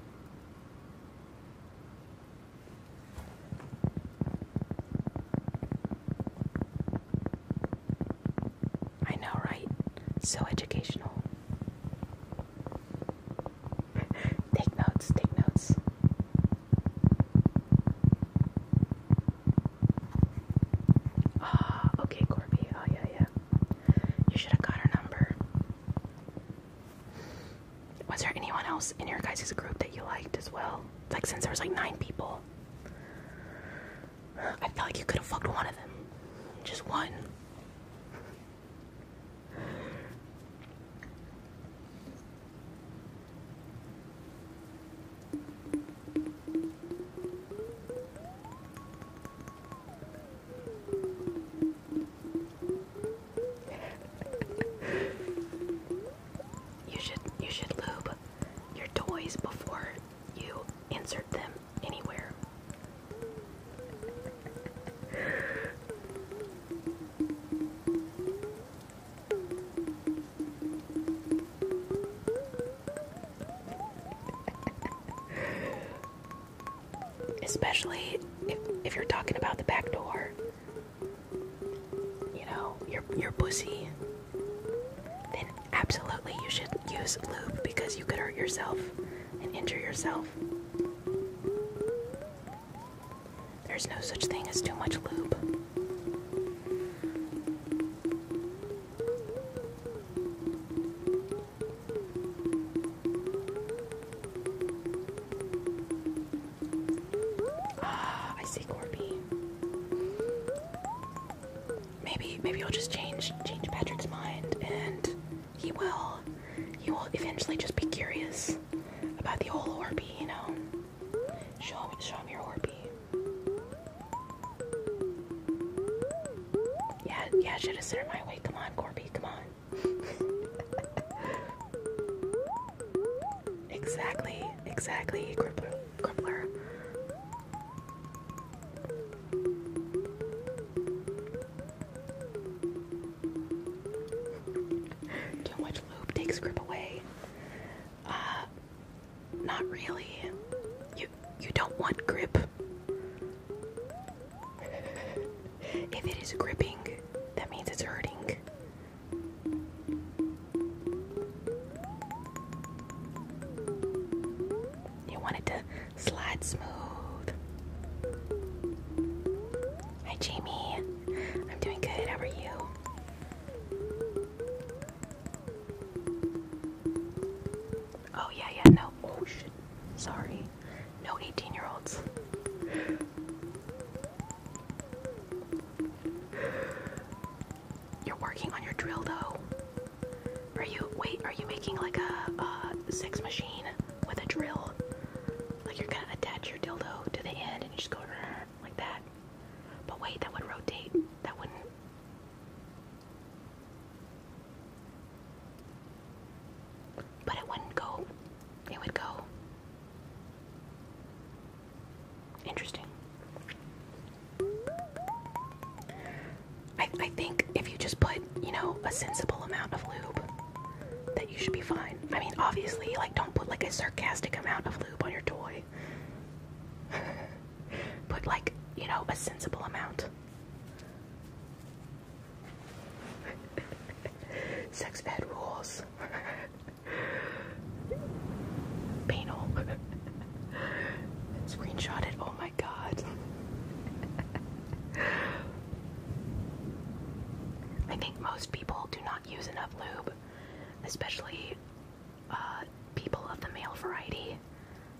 I know, right? So educational. take notes, take notes. Ah, okay, Corby. Oh, yeah, yeah. You should have got her number. Was there anyone else in your guys' group that you liked as well? Like, since there was like nine people, I felt like you could have fucked one of them. Just one you should you should lube your toys before you insert them anywhere. especially if you're talking about the back door. You know, your your pussy. Then absolutely you should use lube because you could hurt yourself and injure yourself. There's no such thing as too much lube. Ah, I see Corby. Maybe maybe I'll just change change Patrick's mind and he will he will eventually just be curious about the whole Orpy. you know. Show him show him your Orpy. Yeah, yeah, should have sent her my way. Come on, Corpy, come on. exactly, exactly, Crippler. Too much lube takes grip away. Uh, not really. You you don't want grip. If it is gripping, that means it's hurting. You want it to slide smooth. Hi, Jamie. I'm doing good. How are you? Oh, yeah, yeah, no. Oh, shit. Sorry. No 18 year olds. You're working on your drill though. Are you, wait, are you making like a, a six machine with a drill? Like you're gonna attach your dildo to the end and you just go like that. But wait, that would rotate. That wouldn't. But it wouldn't go. It would go. Interesting. I, I think if you just put, you know, a sensible amount of lube, that you should be fine. I mean, obviously, like, don't put like a sarcastic amount of lube on your toy. put like, you know, a sensible amount. Sex bed rules. Penal. Screenshot Oh my god. I think most people do not use enough lube, especially uh, people of the male variety.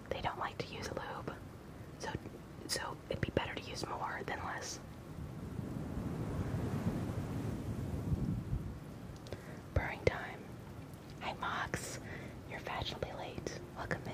They don't like to use a lube. So, so it'd be better to use more than less. Purring time. Hi Mox, you're fashionably late. Welcome in.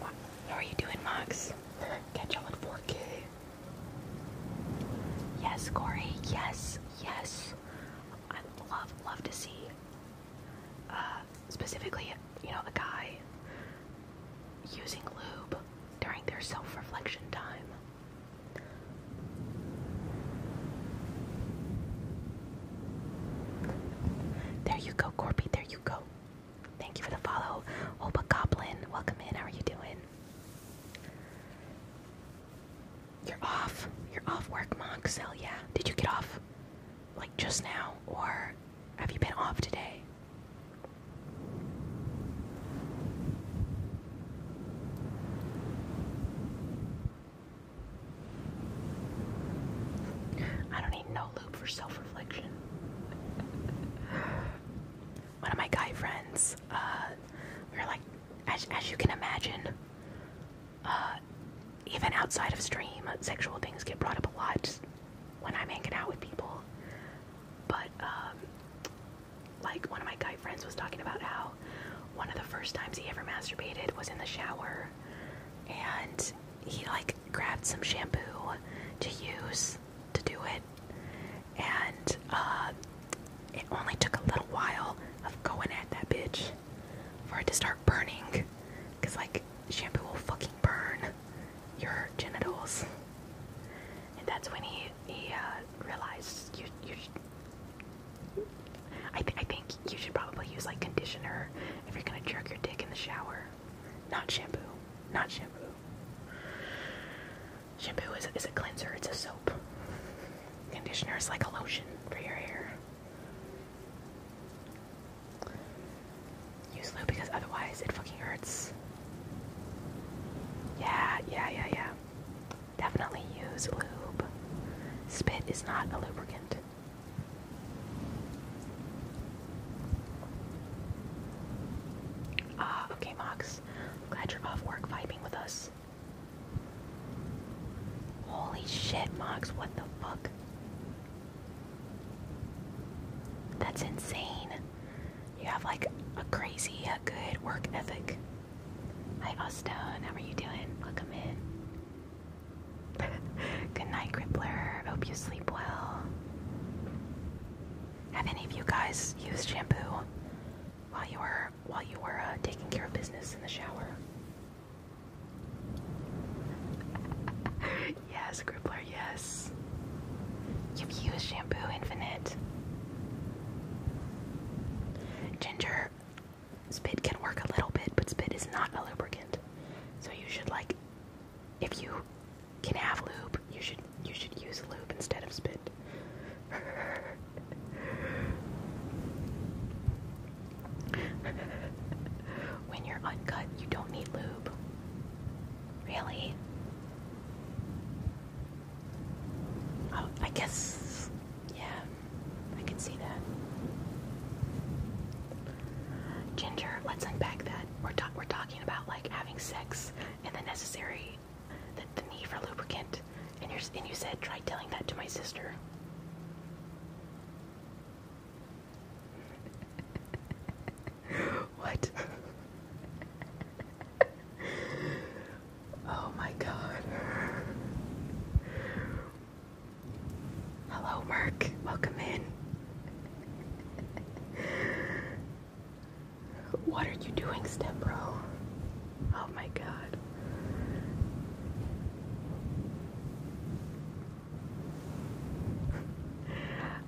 Wow. How are you doing, Max? Catch y'all on 4K. Yes, Corey. Yes, yes. I love, love to see. Uh, specifically, you know, a guy using lube during their self-reflection time. There you go, Corby. There you go. Thank you for the follow. Opa Goblin, welcome in. How are you doing? You're off. You're off work, Moxel. Yeah. Did you get off like just now, or have you been off today? I don't need no loop for self reflection. One of my guy friends, uh, we were like, as, as you can imagine, uh, even outside of stream, sexual things get brought up a lot when I'm hanging out with people. But, um, like, one of my guy friends was talking about how one of the first times he ever masturbated was in the shower, and he like grabbed some shampoo to use to do it, and uh, it only took a little while of going at that bitch for it to start burning, cause like shampoo will fucking burn your genitals, and that's when he he uh, realized you you. I th I think you should probably use like conditioner if you're gonna jerk your dick in the shower. Not shampoo. Not shampoo. Shampoo is, is a cleanser, it's a soap. Conditioner is like a lotion for your hair. Use lube because otherwise it fucking hurts. Yeah, yeah, yeah, yeah. Definitely use lube. Spit is not a lubricant. Ah, okay, Mox. glad you're off work vibing with us. Holy shit, Mox, what the fuck? That's insane. You have like a crazy, a good work ethic. Hi, Austin. How are you doing? Welcome in. Good night, Gribbler. Hope you sleep well. Have any of you guys used shampoo while you were while you were uh, taking care of business in the shower? yes, Gribbler. Yes. You've used shampoo, Infinite. Ginger, spit can work a little bit, but spit is not a lubricant. So you should like if you can have lube, you should you should use lube instead of spit. when you're uncut, you don't need lube. Really? Oh, I guess yeah, I can see that. Ginger, let's unpack that. We're talking about like having sex and the necessary, need for lubricant. And you said try telling that to my sister. what? oh my god. Hello, Merc. Welcome in what are you doing, Stepbro? Oh my god.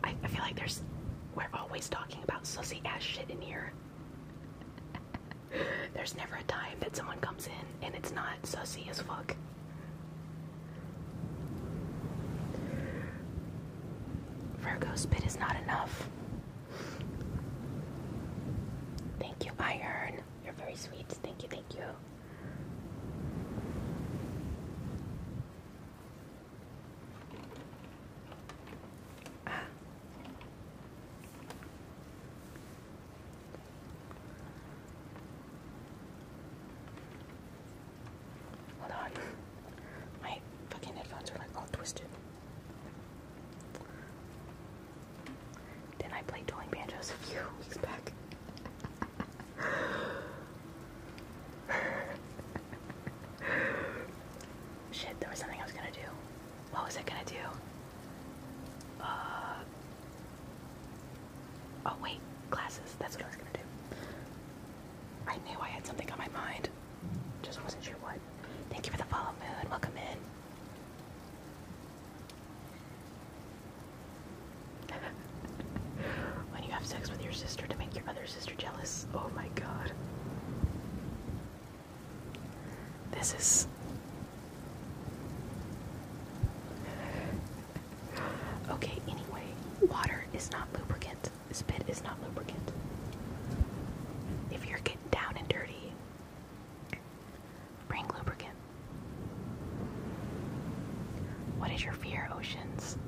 I, I feel like there's. We're always talking about sussy ass shit in here. There's never a time that someone comes in and it's not sussy as fuck. Virgo spit is not enough. Thank you, Iron. You're very sweet. Thank you, thank you. Hold on. My fucking headphones are like all twisted. Then I played dueling banjos a few weeks back. Shit, there was something I was gonna do. What was I gonna do? Uh, Oh wait, glasses. That's what I was gonna do. I knew I had something on my mind. Just wasn't sure what. Thank you for the follow, Moon. Welcome in. when you have sex with your sister to make your other sister jealous. Oh my god. This is okay, anyway, water is not lubricant. Spit is not lubricant. If you're getting down and dirty, bring lubricant. What is your fear, oceans?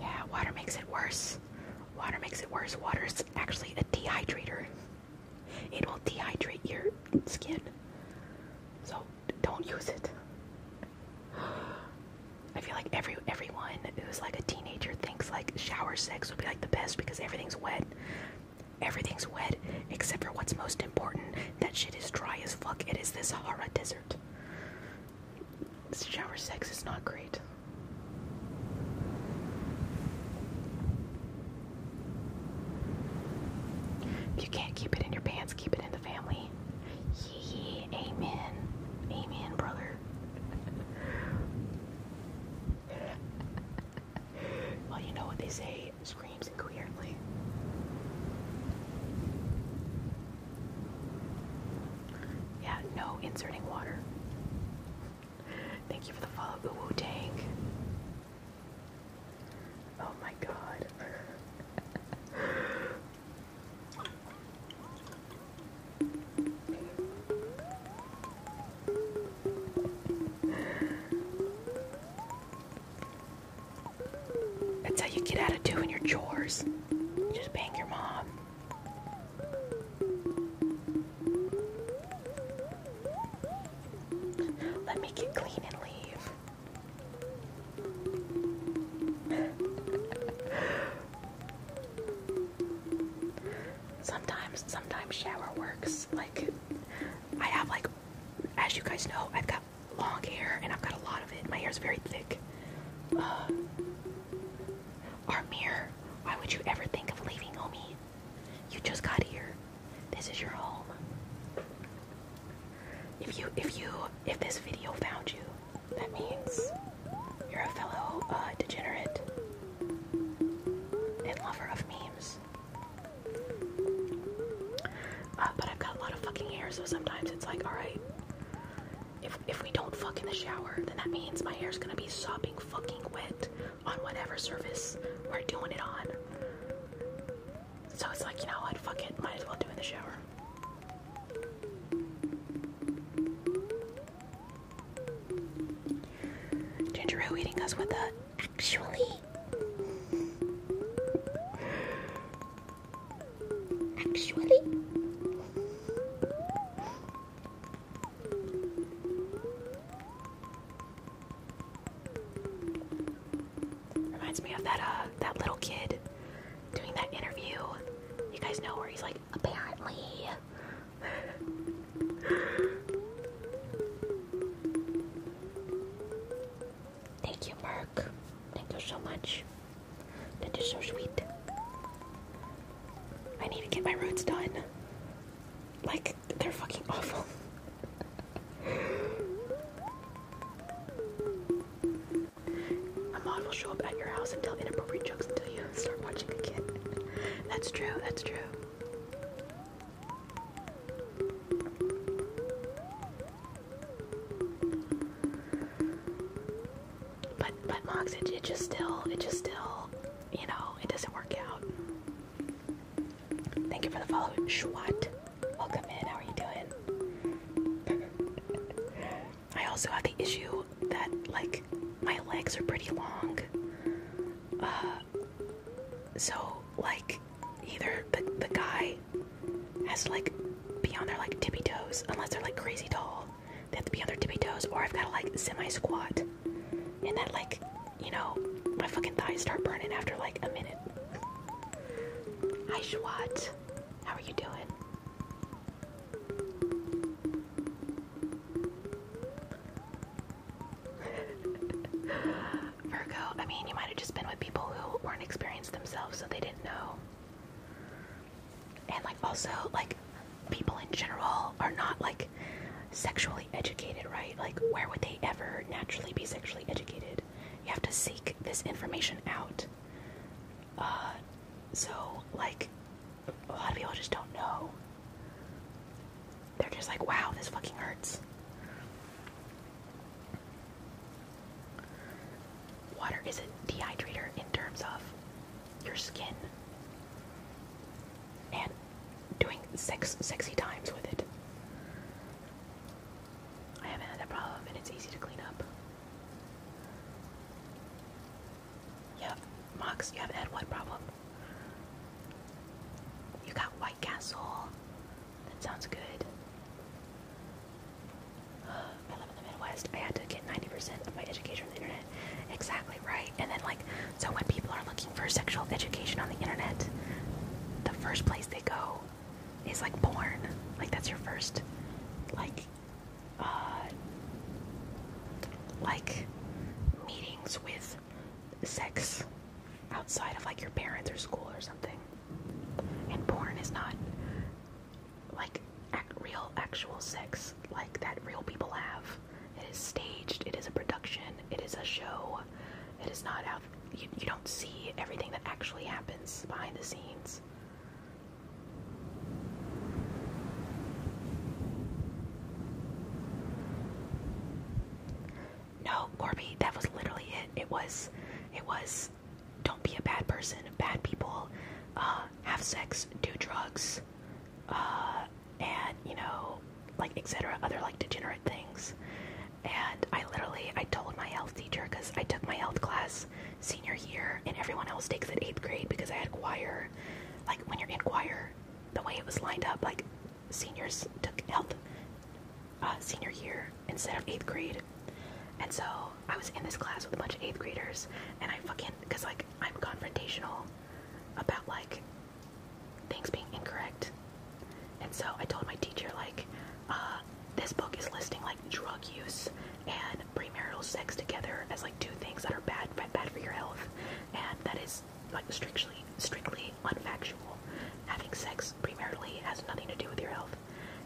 Yeah, water makes it worse. Water makes it worse. Water is actually a dehydrator. It will dehydrate your skin. So don't use it. I feel like every everyone who's like a teenager thinks like shower sex would be like the best because everything's wet. Everything's wet except for what's most important. That shit is dry as fuck. It is the Sahara Desert. Shower sex is not great you can't keep it in your pants, keep it in the family. Yeah, amen. Amen, brother. well, you know what they say screams incoherently. Yeah, no inserting water. Thank you for the follow, Uwu Tank. Oh my god. That's how you get out of doing your chores. just bang your mom. Let me get clean and leave sometimes, sometimes shower works. Like, I have like, as you guys know, I've got long hair and I've got a lot of it. My hair is very thick. our uh, mirror. Why would you ever think of leaving, homie? You just got here. This is your home. If you, if you, if this video found you, that means you're a fellow uh, degenerate and lover of memes. Uh, but I've got a lot of fucking hair, so sometimes it's like, all right, if if we don't fuck in the shower, then that means my hair's gonna be sopping fucking wet on whatever surface we're doing it on. So it's like, you know what, fuck it, might as well do it in the shower. Ginger Ale eating us with a actually. Actually. Reminds me of that uh that little kid doing that interview. You guys know where he's like, apparently. Thank you, Mark. Thank you so much. That is so sweet. I need to get my roots done. Like, they're fucking awful. A mod will show up at your house and tell inappropriate jokes until you start watching again. That's true, that's true. But but Mox, it, it just still it just still you know, it doesn't work out. Thank you for the follow, Schwat. Welcome in. How are you doing? I also have the issue that like my legs are pretty long. Uh, so like either the the guy has like be on their like tippy toes unless they're like crazy tall. They have to be on their tippy toes or I've gotta like semi squat. And that like, you know, my fucking thighs start burning after like a minute. Hi, Schwat. How are you doing? Virgo, I mean, you might have just been with people who weren't experienced themselves, so they didn't know. And, like, also, like, people in general are not, like, sexually educated, right? Like, where would they ever naturally be sexually educated? You have to seek this information out. Uh, so, like, a lot of people just don't know. They're just like, wow, this fucking hurts. Water is a dehydrator in terms of your skin and doing sex, sexy times with it. I haven't had that problem and it's easy to clean up. Yeah, Mox, you haven't had one problem. You got White Castle. That sounds good. I live in the Midwest. I had to get 90% of my education on the internet. Exactly right. And then, like, so when people are looking for sexual education on the internet, the first place they go is like born. Like that's your first like uh like meetings with sex outside of like your parents or school or something. And porn is not like real actual sex like that real people have. It is staged, it is a production, it is a show it is not out. You, don't see everything that actually happens behind the scenes. No, Corby, that was literally it. It was, it was, don't be a bad person. Bad people uh, have sex, do drugs, uh, and you know, like etc. Other like degenerate things, and I literally I told my health teacher because I took my health class senior year and everyone else takes it eighth grade because I had choir. Like when you're in choir, the way it was lined up, like seniors took health uh, senior year instead of eighth grade. And so I was in this class with a bunch of eighth graders, and I fucking because like I'm confrontational about like things being incorrect and so I told my teacher, like, uh, this book is listing like drug use and premarital sex together as like two things that are bad, bad for your health, and that is like strictly, strictly unfactual. Having sex premaritally has nothing to do with your health.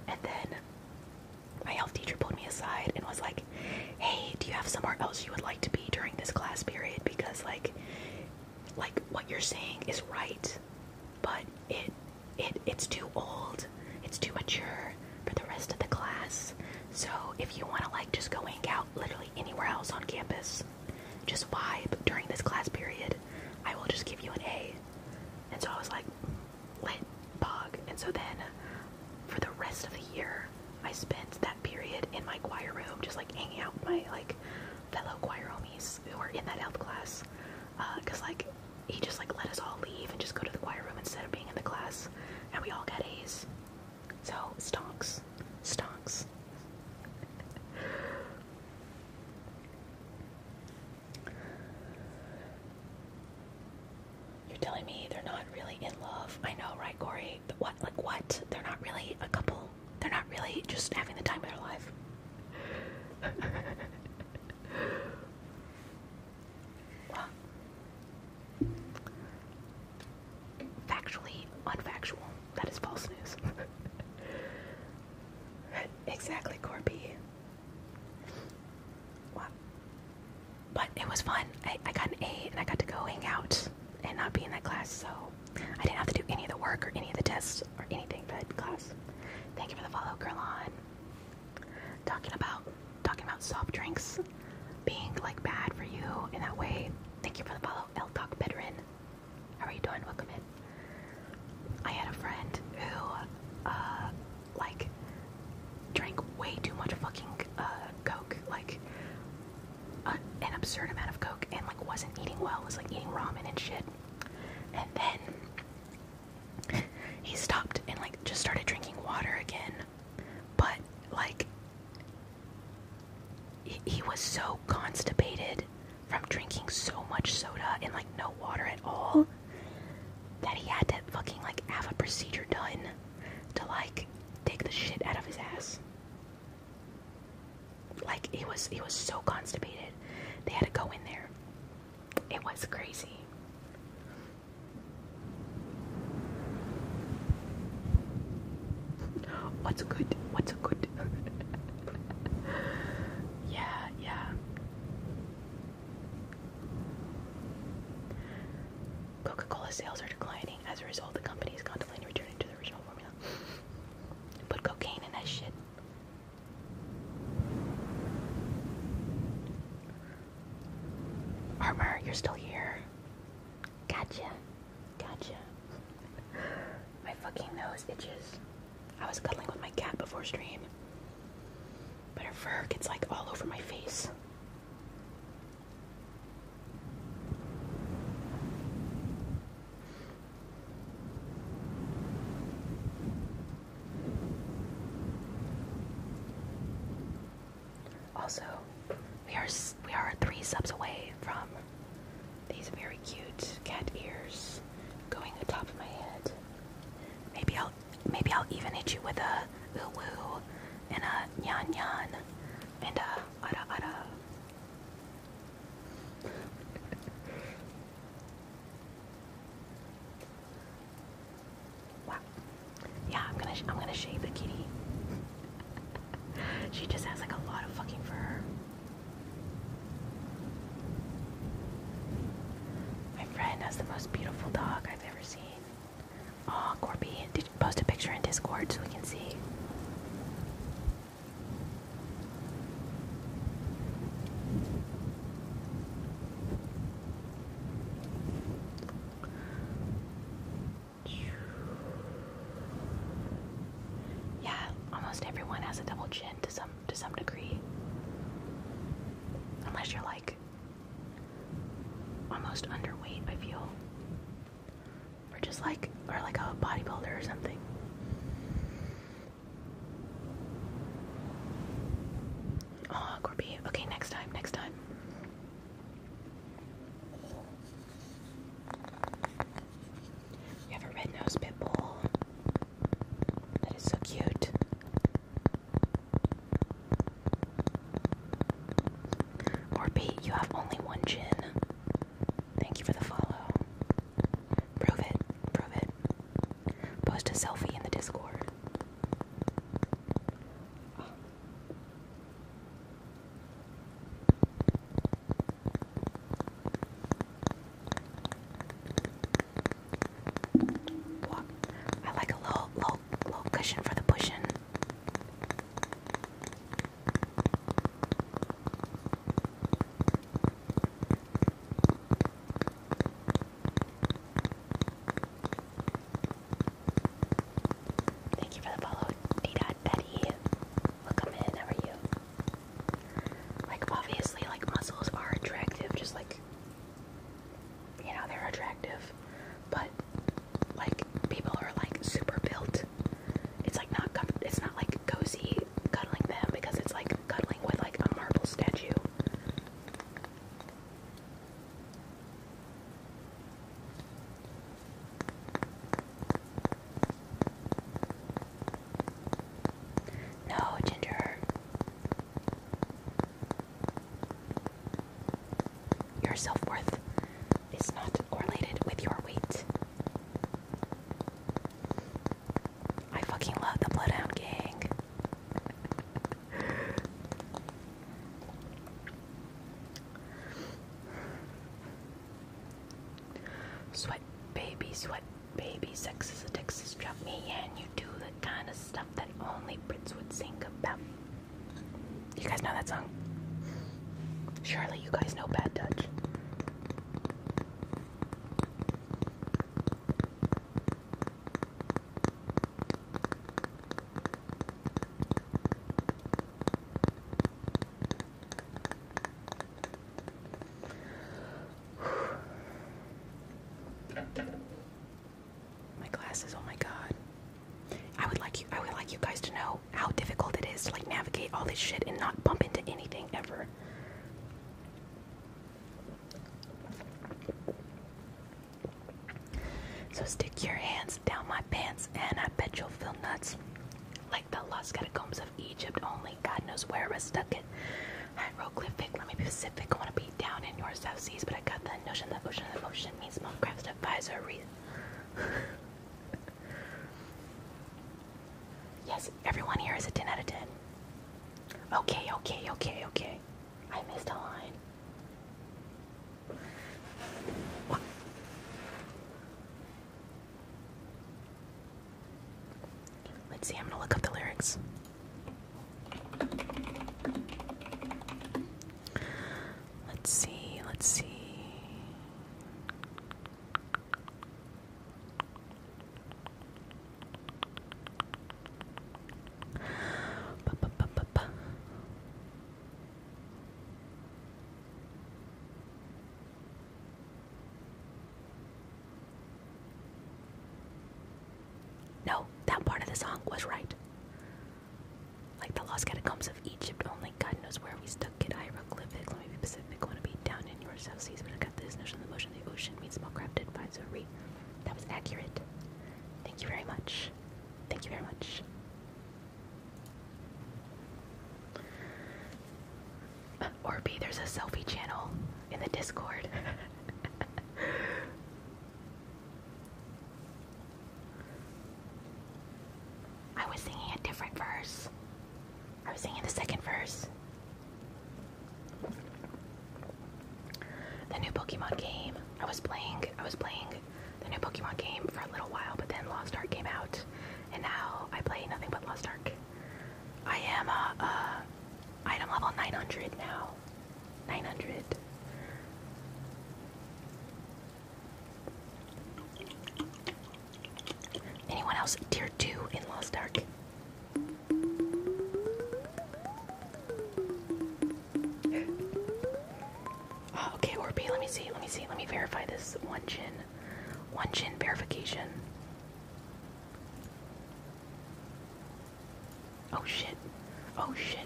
And then my health teacher pulled me aside and was like, "Hey, do you have somewhere else you would like to be during this class period? Because like, like what you're saying is right, but it it it's too old, it's too mature for the rest of the class. So if you want to like just go hang out literally anywhere else on campus, just vibe during this class period, I will just give you an A. And so I was like, lit bug. And so then for the rest of the year, I spent that period in my choir room just like hanging out with my like fellow choir homies who were in that health class. Uh, Cause like he just like let us all leave and just go to the choir room instead of being in the class, and we all get A's. So stonks, stonks. You're telling me they're not really in love? I know, right, Corey? what? Like what? They're not really a couple. They're not really just having the time of their life. well, factually unfactual. That is false news. exactly, Corby. but it was fun. I, I got an A and I got to go hang out and not be in that class, so I didn't have to do any of the work or any of the tests or anything but class. Thank you for the follow, Curlon. Talking about talking about soft drinks being like bad for you in that way. Thank you for the follow, El Talk Bedrin. How are you doing? Welcome in. I had a friend who uh like drank way too much fucking uh coke, like uh, an absurd amount of coke and like wasn't eating well, was like eating ramen and shit. And then he stopped and like just started drinking water again but like he, was so constipated from drinking so much soda and like no water at all that he had to fucking like have a procedure done to like take the shit out of his ass like he was he was so constipated they had to go in there it was crazy. What's good? What's good? yeah, yeah. Coca Cola sales are declining. As a result, the company is contemplating returning to the original formula. Put cocaine in that shit. Armor, you're still here. Gotcha. Gotcha. My fucking nose itches. I was cuddling with my cat before stream. But her fur gets like all over my face. Also, we are we are three subs away from these very cute cat ears going top of my head. Maybe I'll maybe I'll even hit you with a woo woo and a nyan nyan and a ara ara. Wow. Yeah, I'm gonna I'm gonna shave the kitty. she just has like a lot of fucking fur. My friend has the most beautiful dog I've ever seen. Oh, Corby, did you post a picture in Discord so we can see? Yeah, almost everyone has a double chin to some to some degree. Unless you're like almost underweight, I feel. Or just like or like a bodybuilder or something. Oh, Corby. Okay, next time, next time. You have a red nosed pit bull. That is so cute. Corby, you have only one chin. Thank you for the follow. Prove it. Prove it. Post a selfie in the Discord. I like a little, little, little cushion for the pushing. Thank you for the follow, D Dot Betty. Welcome in, how are you? Like obviously like muscles are attractive, just like you know, they're attractive. But like people are like super built. It's like not com it's not like cozy cuddling them because it's like cuddling with like a marble statue. No, Ginger. Your self worth is not correlated with your weight. I fucking love the Bloodhound Gang. sweat baby, sweat baby, sex is a Texas drop me and you do the kind of stuff that only Brits would sing about. You guys know that song? Surely you guys know Bad Touch. My glasses, oh my god. I would like you I would like you guys to know how difficult it is to like navigate all this shit and not bump into anything ever. So stick your hands down my pants, and I bet you'll feel nuts. Like the lost catacombs of Egypt, only God knows where we're stuck it. Hieroglyphic, let me be specific. I want to be down in your South Seas, but I got the notion that ocean of ocean means Minecraft's advisory. yes, everyone here is a 10 out of 10. Okay, okay, okay, okay. I missed a line. Let's see, I'm gonna look up the lyrics. Let's see, let's see. No, that part of the song was right. Like the lost catacombs of Egypt, only God knows where we stuck it. Hieroglyphics, let me be Pacific, want to be down in your south seas, but I got this notion of the motion of the ocean means small crafted by Zoe. That was accurate. Thank you very much. Thank you very much. Uh, there's a selfie channel in the Discord. I was singing a different verse. I was singing the second verse. The new Pokemon game. I was playing I was playing the new Pokemon game for a little while, but then Lost Ark came out, and now I play nothing but Lost Ark. I am a item level 900 now. 900. Anyone else tier 2 in Lost Ark? Oh, okay, or B, let me see, let me see, let me verify this one chin. One chin verification. Oh shit. Oh shit.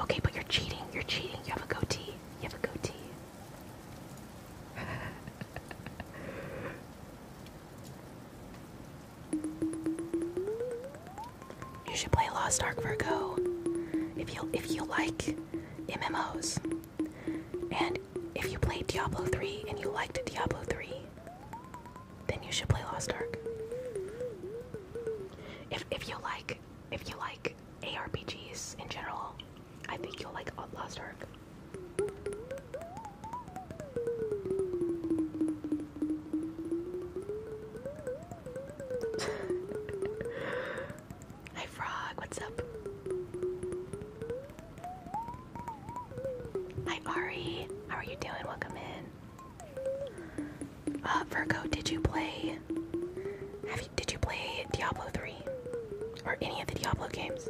Okay, but you're cheating. You're cheating. You have a goatee. You have a goatee. You should play Lost Ark Virgo if you if you like MMOs. And if you played Diablo 3 and you liked Diablo 3, then you should play Lost Ark. If if you like if you like ARPGs in general, I think you'll like Lost Ark. Hi Frog, what's up? Hi Ari, how are you doing? Welcome in. Uh, Virgo, did you play? Have you? Did you play Diablo 3 or any of the Diablo games?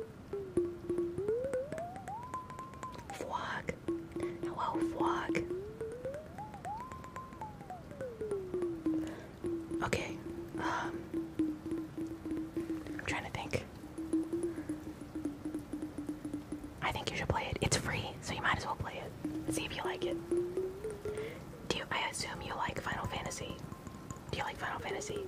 Vlog. Hello, Vlog. Okay. Um, I'm trying to think. I think you should play it. It's free, so you might as well play it. See if you like it. Do I assume you like Final Fantasy? Do you like Final Fantasy?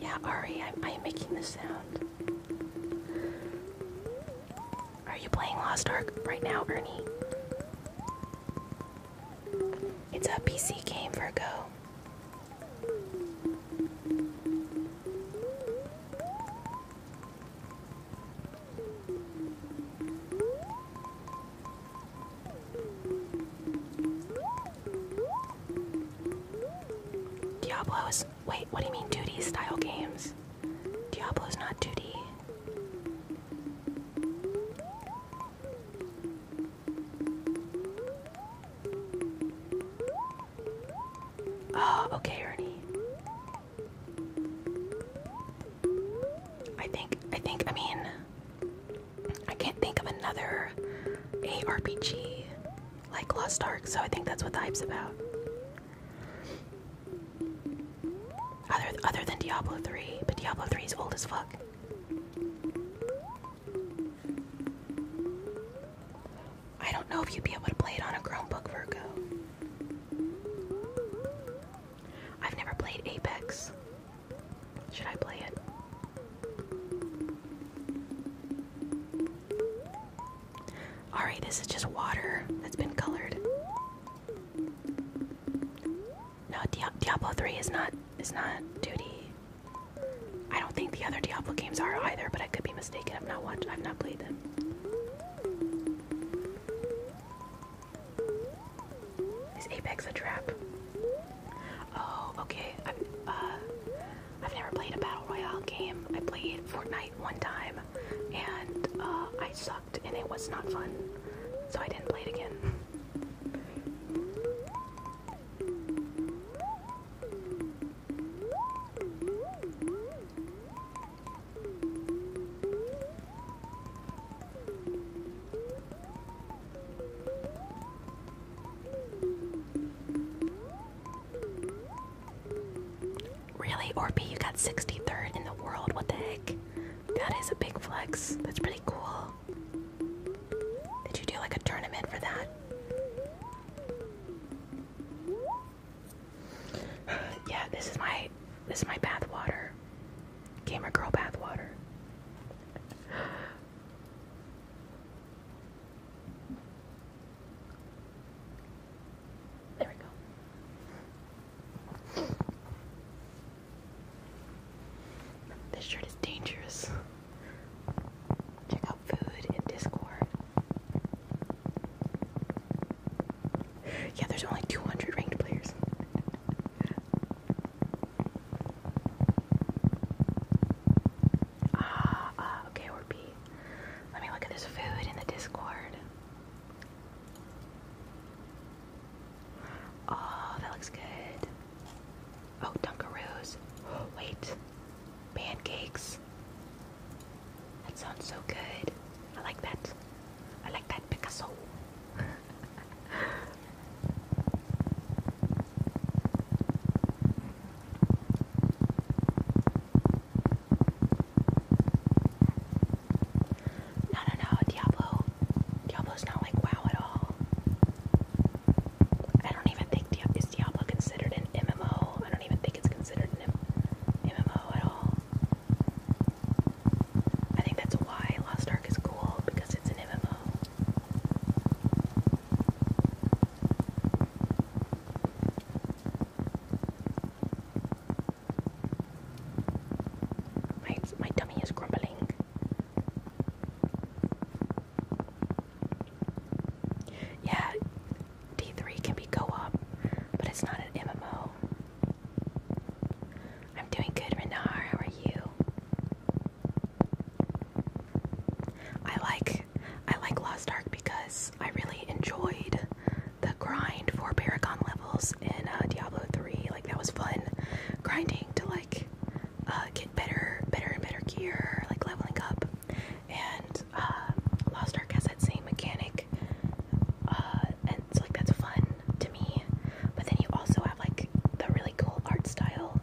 Yeah, Ari, I'm, making the sound. Are you playing Lost Ark right now, Ernie? It's a PC game, Virgo. Diablo's. Wait, what do you mean duty style games? Diablo's not duty. Oh, okay, Ernie. I think, I think, I mean, I can't think of another ARPG like Lost Ark, so I think that's what the about. Other other than Diablo 3, but Diablo 3 is old as fuck. I don't know if you'd be able to play it on a Chromebook, Virgo. I've never played Apex. Should I play it? Alright, this is just water that's been colored. No, Diablo 3 is not is not 2D. I don't think the other Diablo games are either, but I could be mistaken. I've not watched I've not played them. Is Apex a trap? Oh, okay. I've uh, never played a battle royale game. I played Fortnite one time and uh, I saw and it was not fun, so I didn't play it again. Really, Orby, you got 63rd in the world? What the heck? That is a big flex. That's pretty cool. Did you do like a tournament for that? yeah, this is my this is my bath water. Gamer girl bath water. There we go. This shirt is dangerous. Check out food in Discord. Yeah, there's only 200 ranked players. Ah, ah, okay, or Let me look at this food in the Discord. Oh, that looks good. Oh, Dunkaroos. wait. Pancakes. That sounds so good. I like that. I like that Picasso. No, no, no, Diablo. Diablo's not like WoW at all. I don't even think Diablo is Diablo considered an MMO. I don't even think it's considered an MMO at all. I think that's why Lost Ark is cool because it's an MMO. My my tummy is grumbling. Yeah, D3 can be co-op, but it's not an MMO. I'm doing good, Renard. How are you? I like I like Lost Ark because I really enjoyed the grind for Paragon levels levels in uh, Diablo 3. Like that was fun, grinding to like uh, get better, better and better gear, like leveling up. And uh, Lost Ark has that same mechanic, and it's like that's fun to me. But then you also have like the really cool art style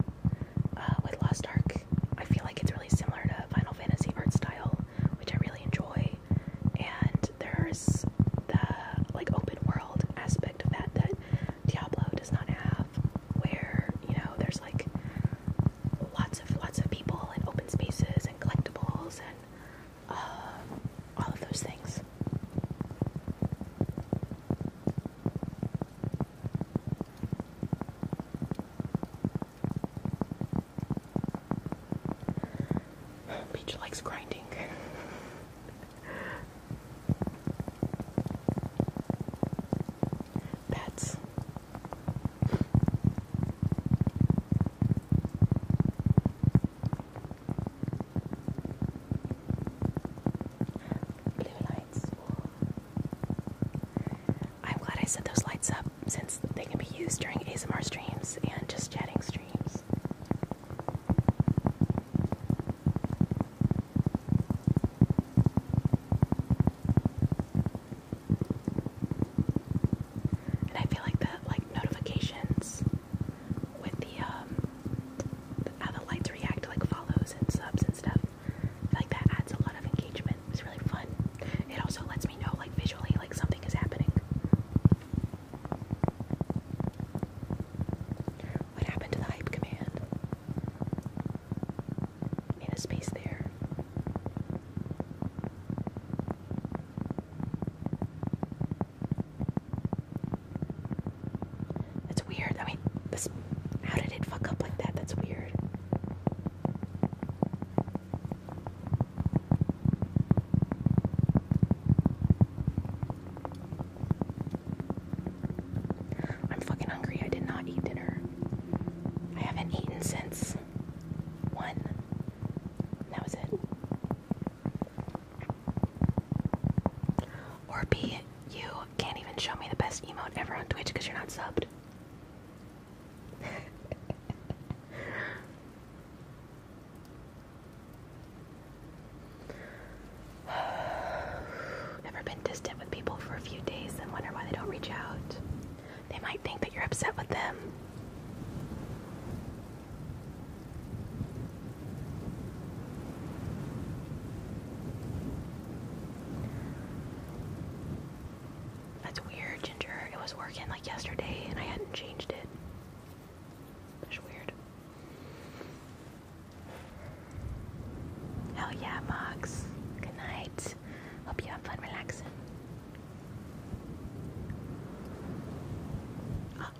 with Lost Ark. I feel like it's really similar to Final Fantasy art style, which I really enjoy. And there's the like open world aspect of that that Diablo does not have, where you know there's like lots of lots of people and open spaces and collectibles and uh, all of those things. Peach likes grinding. Pets. I'm glad I set those lights up since they can be used during ASMR streams and just chatting streams. And I feel like the like notifications with the um, how the lights react like follows and subs and stuff. like that adds a lot of engagement. It's really fun. It also lets me know like visually like something is happening. What happened to the hype command? In a space there. That's weird. I mean, how did it fuck up like that? That's weird. I'm fucking hungry. I did not eat dinner. I haven't eaten since one. That was it. Or you can't even show me the best emote ever on Twitch because you're not subbed. Ever been distant with people for a few days and wonder why they don't reach out? They might think that you're upset with them. That's weird, Ginger. It was working like yesterday and I hadn't changed it. That's weird. Hell yeah, Mox. Good night. Hope you have fun relaxing. Oh,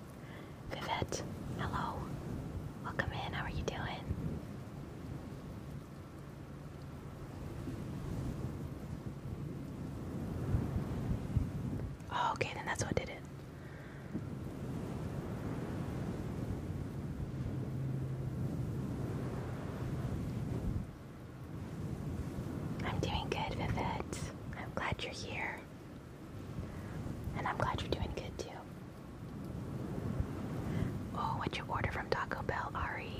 Vivette, hello. Welcome in. How are you doing? Oh, okay, then that's what did it. I'm doing good, Vivette. I'm glad you're here. And I'm glad you're doing good too. Oh, what'd you order from Taco Bell, Ari?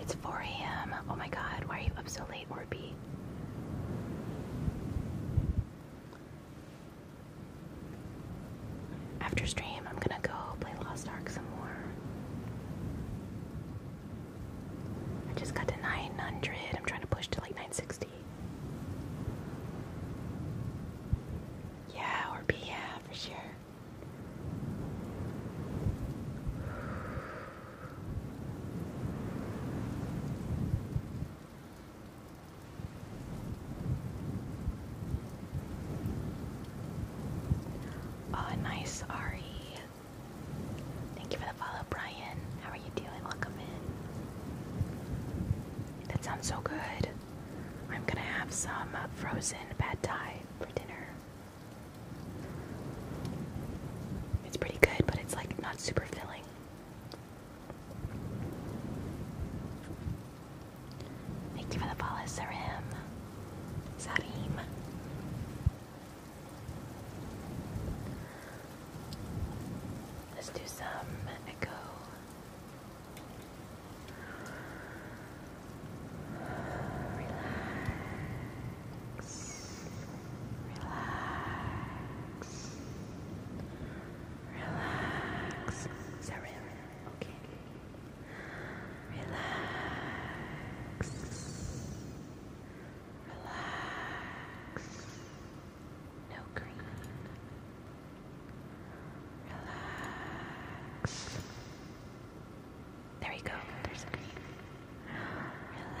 It's 4 a.m. Oh my god, why are you up so late, Orby? After stream, I'm gonna go play Lost Ark some more. I just got to 900. I'm trying to push to like 960. Yeah, or be, yeah, for sure. Oh, nice, Ari. Thank you for the follow, Brian. How are you doing? Welcome in. That sounds so good. I'm gonna have some frozen pad thai for dinner. It's pretty good, but it's like not super filling. Thank you for the follow, Sarim. Sarim. Let's do some echo. Relax. Relax. Relax. Is that really? Okay. Relax. Relax. No green. Relax. There we go. There's green. Relax.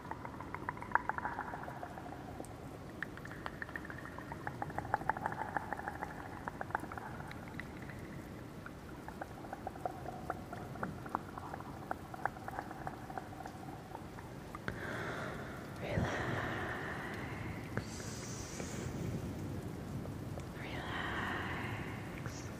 Relax. Relax. Hush.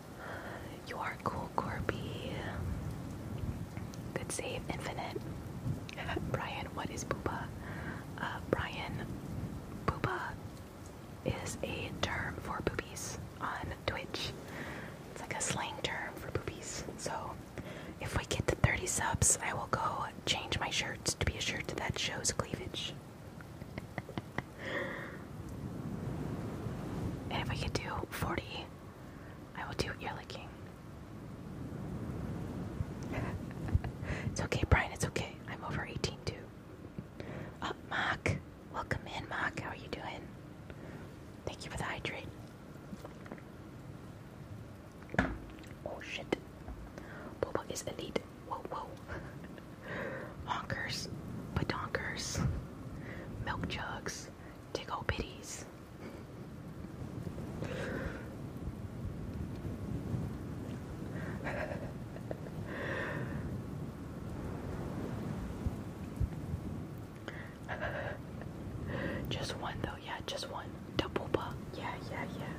You are cool, Corby. Good save, Infinite. Brian, what is Booba? Uh, Brian, Booba is a term for boobies on Twitch. It's like a slang term for boobies. So if we get to 30 subs, I will go change my shirt to be a shirt that shows cleavage if we could do 40, I will do ear licking. it's okay, Brian, it's okay. I'm over 18 too. Oh, Mark. Welcome in, Mark. How are you doing? Thank you for the hydrate. Oh shit. Boba is elite whoa, whoa. Honkers, badonkers, milk jugs, tickle bitties. just one though, yeah, just one. Double poopa. Yeah, yeah, yeah.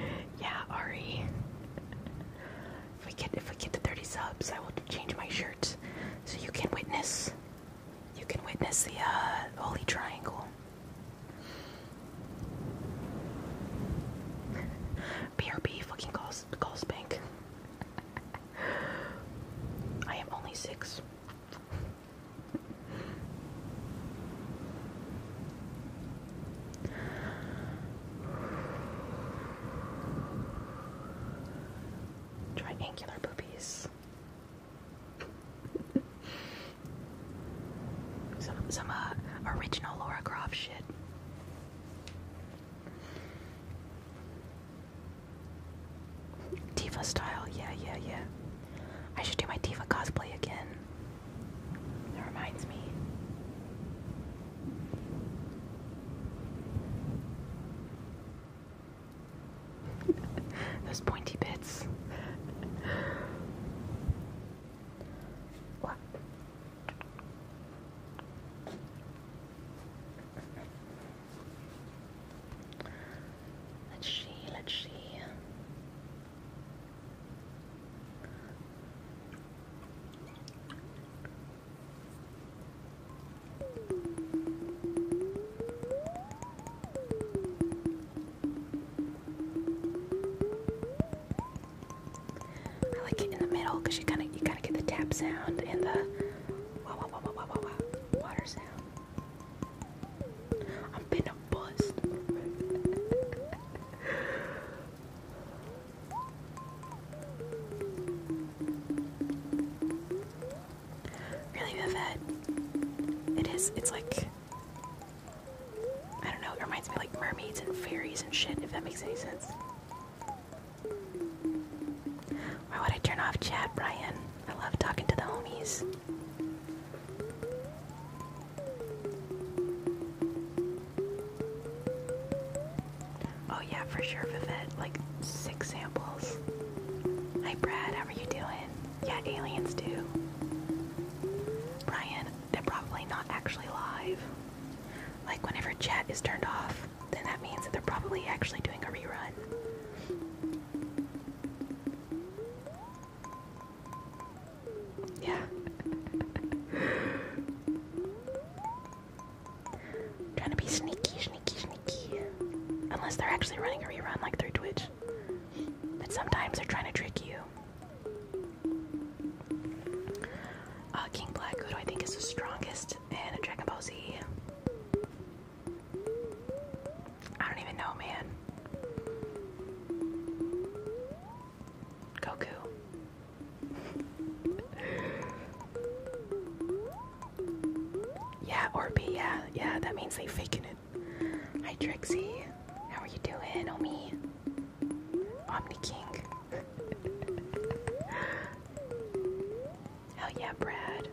Yeah, Ari. If we get if we get to 30 subs, I will change my shirt so you can witness. You can witness the uh, holy triangle. BRB fucking calls calls bank. I am only six. Triangular boobies. some some uh, original Laura Croft shit. Diva style, yeah, yeah, yeah. I should do my Diva cosplay again. That reminds me. Those pointy bits. Let's see, let's see. I like it in the middle because you kind of you kind of get the tap sound and the wah wah wah wah wah wah wah water sound. I'm been a bust. Really Vivette. It is, it's like, I don't know, it reminds me like mermaids and fairies and shit, if that makes any sense. Why would I turn off chat, Brian? I love talking to the homies. Oh yeah, for sure, Vivette. Like six samples. Hi Brad, how are you doing? Yeah, aliens do. Brian, they're probably not actually live. Like whenever chat is turned off, then that means that they're probably actually doing a rerun. Yeah. Trying to be sneaky, sneaky, sneaky. Unless they're actually running a rerun like through Twitch. But sometimes they're trying to trick you. Uh, King Black, who I think is the strongest in Dragon Ball Z? I don't even know, man. Goku yeah, Orby, yeah, yeah, that means they faking it. Hi Trixie, how are you doing, Omi? Omni King. Hell yeah, Brad.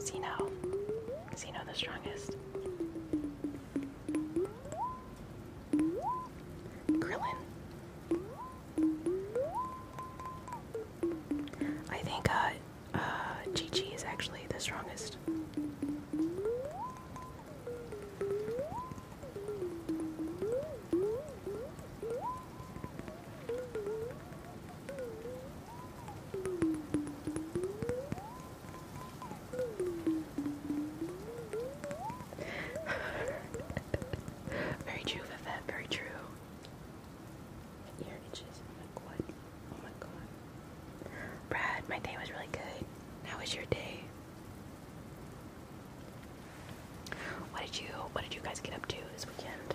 Zeno. Zeno the strongest. Krillin. I think uh, uh, Chi-Chi is actually the strongest. very true, very true. Oh oh Brad, my day was really good. How was your day? What did you what did you guys get up to this weekend?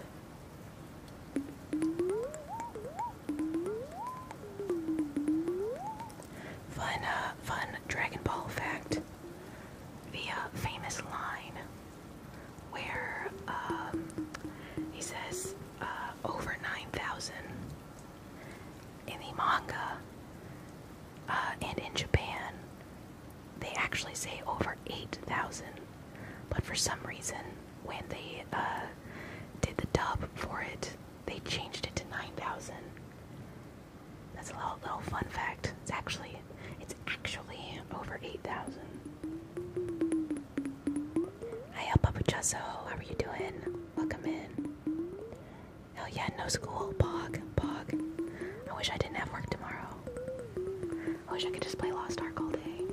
Fun uh, fun Dragon Ball fact. Via famous line where um, he says uh, over 9,000 in the manga uh, and in Japan they actually say over 8,000 but for some reason when they uh, did the dub for it they changed it to 9,000 that's a little, little fun fact. It's actually, it's actually over 8,000. Hi, El Papuchasso. How are you doing? Welcome in. Hell yeah, no school. Bog, bog. I wish I didn't have work tomorrow. I wish I could just play Lost Ark all day.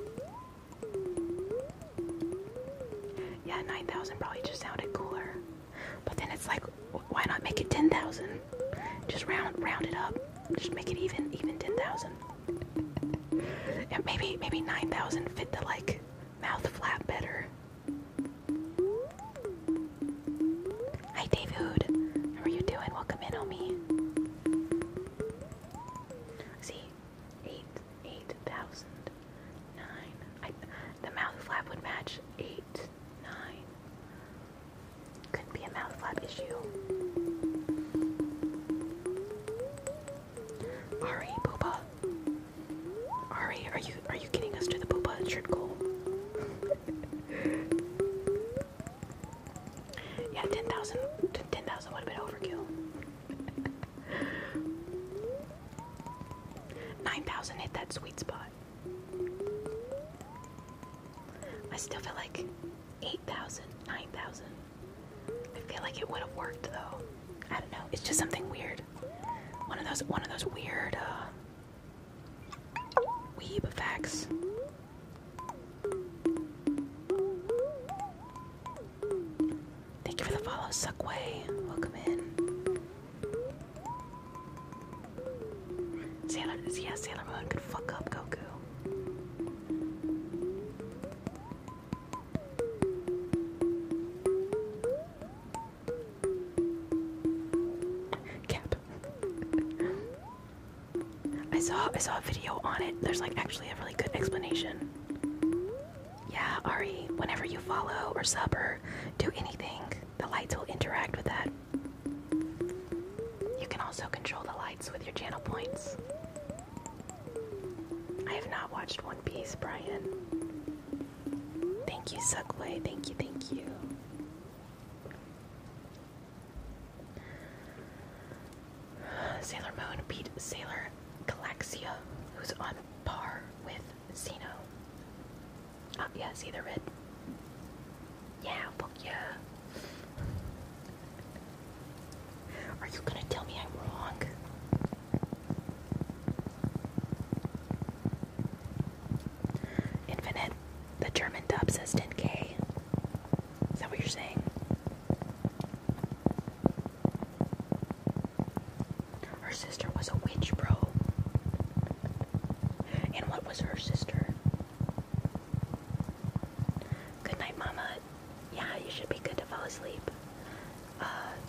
Yeah, 9,000 probably just sounded cooler. But then it's like, why not make it 10,000? Just round round it up. Just make it even, even 10,000. maybe maybe 9,000 fit the like mouth flap better. Hi David, how are you doing? Welcome in on me. See, eight, eight thousand, nine. I, the mouth flap would match eight, nine, could be a mouth flap issue. Ari, Booba. Ari, are you are you getting us to the Booba shirt goal? yeah, 10,000 would have been overkill. 9,000 hit that sweet spot. I still feel like 8,000, 9,000. I feel like it would have worked though. I don't know. It's just something weird. One of those one of those weird uh, weeb effects. Thank you for the follow, Suckway. Welcome in. Sailor, yeah, Sailor Moon could fuck up Goku. Cap. I saw I saw a video on it. There's like actually a really good explanation. Yeah, Ari, whenever you follow or sub or do anything, the lights will interact with that you can also control the lights with your channel points. I have not watched One Piece, Brian. Thank you, Suckway. Thank you, thank you. Sailor Moon beat Sailor Galaxia, who's on par with Xeno. Oh, yeah, see the red? Yeah, fuck yeah. Are you gonna tell me I'm wrong? Infinite. The German dub says 10k. Is that what you're saying? Her sister was a witch, bro. And what was her sister? Good night, Mama. Yeah, you should be good to fall asleep. Uh,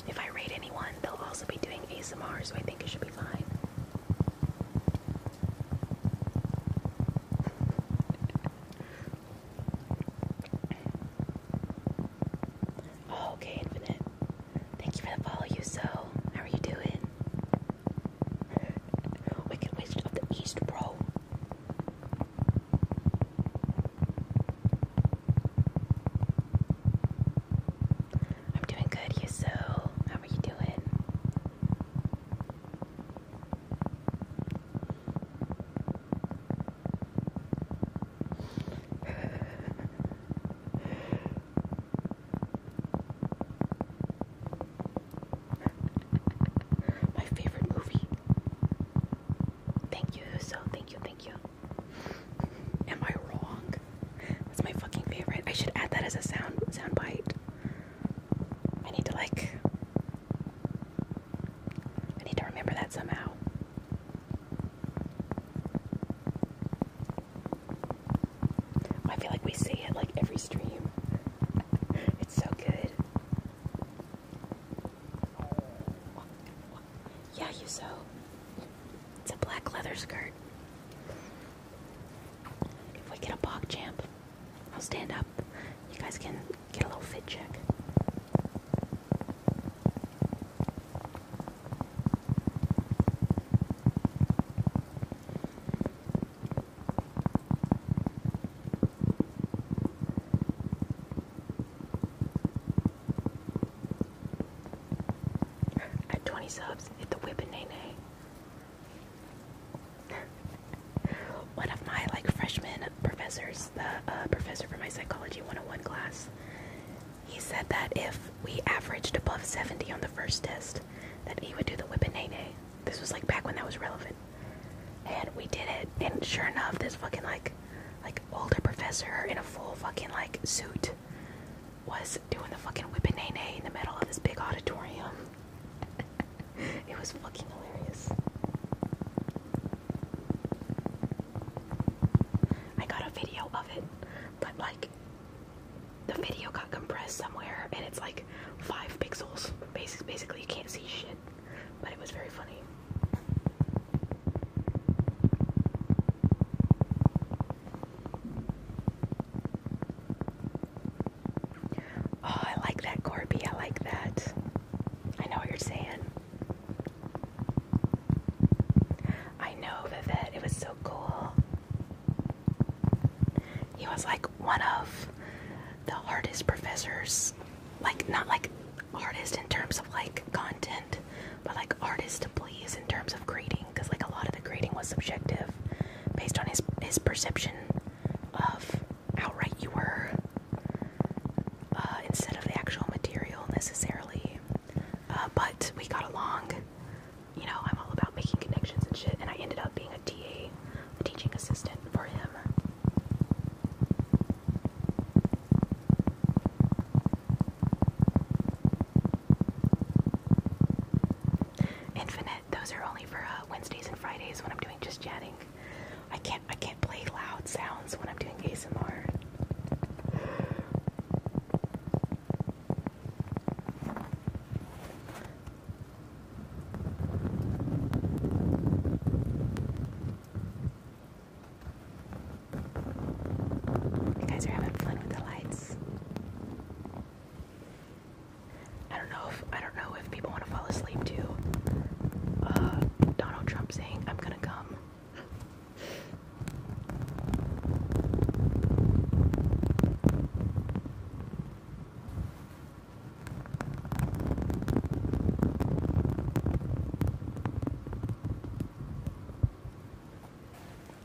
if I raid anyone, they'll also be doing ASMR, so I think it should be fine. Oh, okay, Infinite. Thank you for the you so. How are you doing? Wicked Wizard of the East, bro. I'm doing good, Yusu. How are you doing? My favorite movie. Thank you, so thank you, thank you. Am I wrong? That's my fucking favorite. I should add that as a sound sound bite. I need to like I need to remember that somehow. I feel like we see it like every stream. it's so good. Yeah, you so. It's a black leather skirt. If we get a bog champ, I'll stand up. You guys can get a little fit check. At 20 subs, hit the whip and nay nay. One of my like freshman professors, the uh, professor for my psychology 101 class, he said that if we averaged above 70 on the first test, that he would do the whip and nay nay. This was like back when that was relevant. And we did it, and sure enough, this fucking like, like older professor in a full fucking like suit was doing the fucking whipping nay nay in the middle of this big auditorium. it was fucking hilarious. I got a video of it, but like the video got compressed somewhere and it's like five pixels. Basically, basically you can't see shit. But it was very funny. Oh, I like that, Corby. I like that. I know what you're saying. I know, Vivette. It was so cool. He was like one of the hardest professors, like not like hardest in terms of like content, but like hardest to please in terms of grading, because like a lot of the grading was subjective, based on his his perception of how right you were, uh, instead of the actual material necessarily. Uh, but we got along you know, I'm all about making connections and shit, and I ended up being a TA, a teaching assistant for him. Infinite, those are only for uh, Wednesdays and Fridays when I'm doing just chatting. I can't I can't play loud sounds when I'm doing ASMR. You guys are having fun with the lights. I don't know if I don't know if people want to fall asleep to uh, Donald Trump saying I'm gonna come.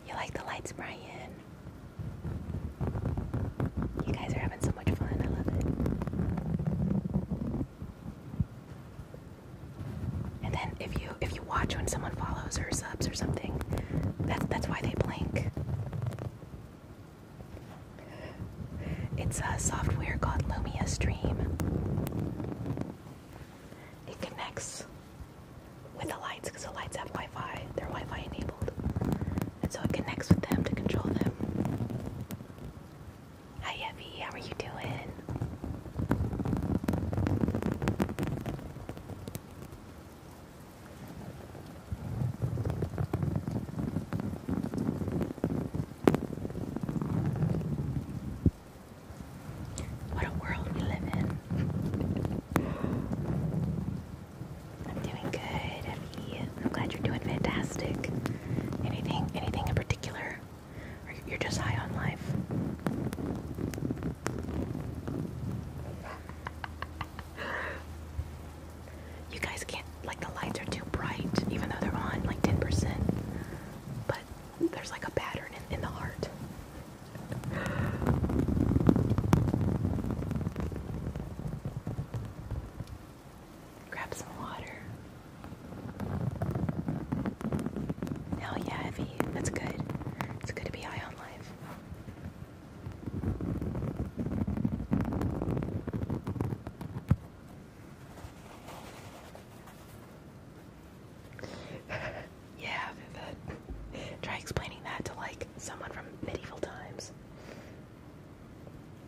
You like the lights, Brian? You guys are having so much fun. I love it. And then if you if you watch when someone follows or subs or something, that's that's why they blink. It's a software called Lumia Stream. It connects with the lights because the lights have Wi Fi, they're Wi Fi enabled. And so it connects with them to control them. Hi, Evie, how are you doing? What a world we live in. I'm doing good, Effie. I'm glad you're doing fantastic. Anything, anything in particular? Or you're just high on life? you guys can't like the lights are too bright, even though they're on like 10%. But there's like a pattern in, the heart. Grab some water. Hell yeah, Evie. That's good. It's good to be high on life. yeah, Vivid. Try explaining that to like someone from medieval times.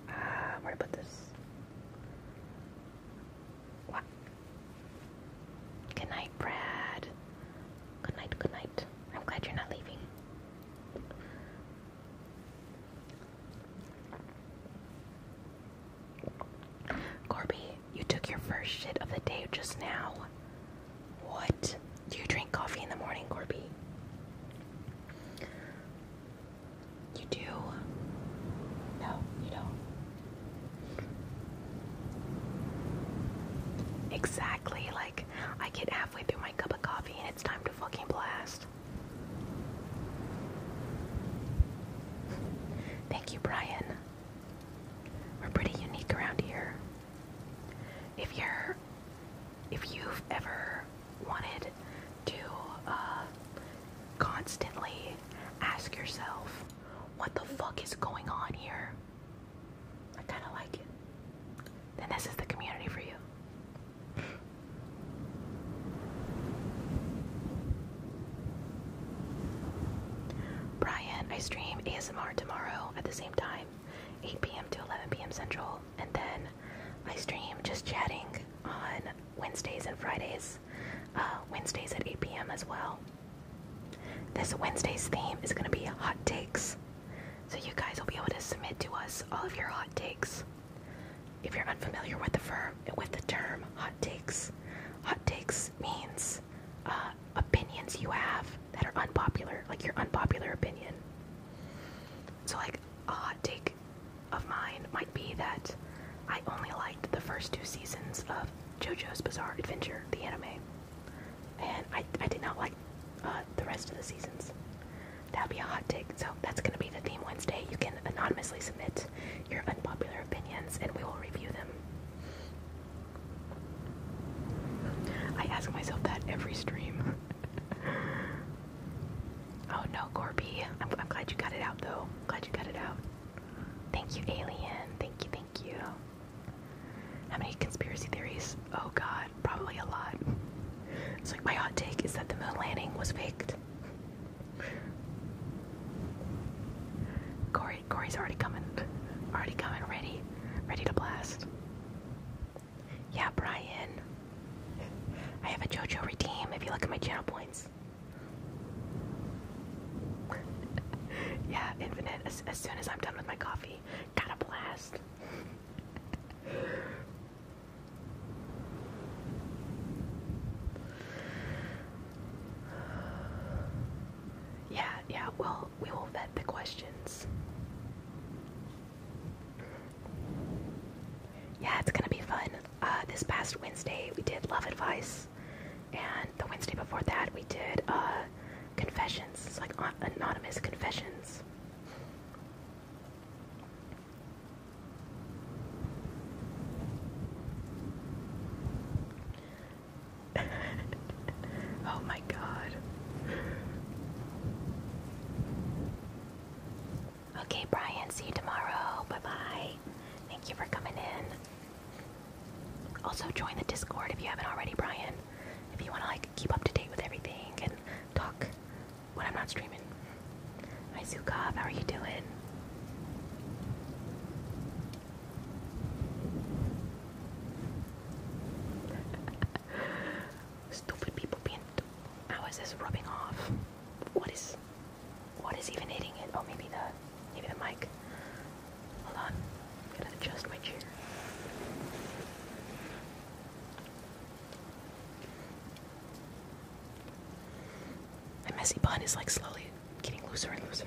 Uh, where to put this? What? Good night, Brad. Good night, good night. I'm glad you're not leaving. Corby, you took your first shit of the day just now. What? Do you drink coffee in the morning, Corby? You do? No, you don't. Exactly, like I get halfway through my cup of coffee and it's time to fucking blast. Thank you, Brian. We're pretty unique around here. If you're if you've ever wanted to uh, constantly ask yourself what the fuck is going on here? I kind of like it then this is the community for you. Brian, I stream ASMR tomorrow at the same time, 8 p.m. to 11 p.m. Central, and then I stream just chatting on Wednesdays and Fridays, uh, Wednesdays at 8 p.m. as well. This Wednesday's theme is going to be hot takes. So you guys will be able to submit to us all of your hot takes. If you're unfamiliar with the firm, with the term hot takes, hot takes means uh, opinions you have that are unpopular, like your unpopular opinion. So like a hot take of mine might be that I only liked the first two seasons of JoJo's Bizarre Adventure, the anime. And I did not like uh, the rest of the seasons. that will be a hot take. So that's gonna be the theme Wednesday. You can anonymously submit your unpopular opinions, and we will review them. I ask myself that every stream. oh no, Corby. I'm glad you got it out though. Glad you got it out. Thank you, Alien. Thank you, thank you. How many conspiracy theories Oh god, probably a lot. It's like my hot take is that the moon landing was faked. Corey, Corey's already coming. Already coming, ready. Ready to blast. Yeah, Brian. I have a JoJo redeem if you look at my channel points. yeah, infinite as, as soon as I'm done with my coffee. Gotta blast yeah, yeah, well, we will vet the questions. Yeah, it's gonna be fun. Uh, this past Wednesday, we did Love Advice, and the Wednesday before that, we did uh, Confessions. like anonymous confessions. oh my god. Okay, Brian, see you tomorrow. Bye bye. Thank you for coming in. Also, join the Discord if you haven't already, Brian. If you want to like keep up to date with everything and talk when I'm not streaming. Hi, Zukov. How are you doing? Stupid people being. How is this rubbing off? What is. What is even hitting it? Oh, maybe the. Maybe the mic. Hold on. I'm gonna adjust my chair. My messy bun is like slowly getting looser and looser.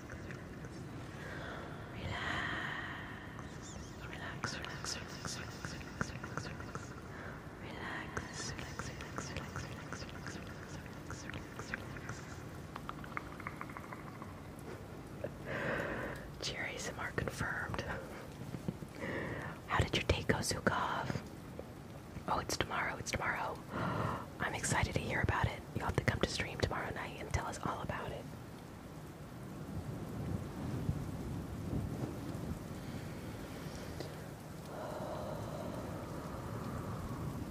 relax, relax, relax, relax, relax, relax, relax. Relax, relax, relax, relax, relax, relax, relax, relax, relax. Cheer ASMR confirmed. How did your day go, Zukov? Oh, it's tomorrow, it's tomorrow. I'm excited to hear about it. You'll have to come to stream tomorrow night and tell us all about it.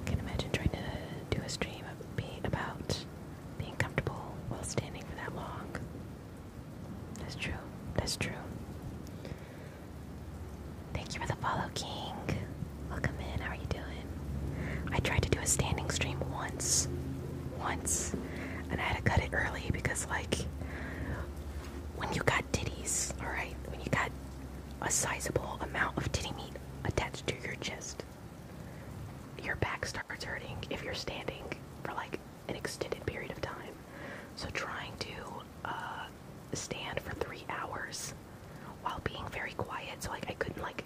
Can imagine trying to do a stream of about being comfortable while standing for that long. That's true. That's true. Thank you for the follow, King. Welcome in. How are you doing? I tried to do a standing stream once, once, and I had to cut it early because, like, when you got ditties, all right, when you got a sizable amount of titty meat attached to your chest, your back starts hurting if you're standing for like an extended period of time. So trying to uh, stand for three hours while being very quiet, so like I couldn't like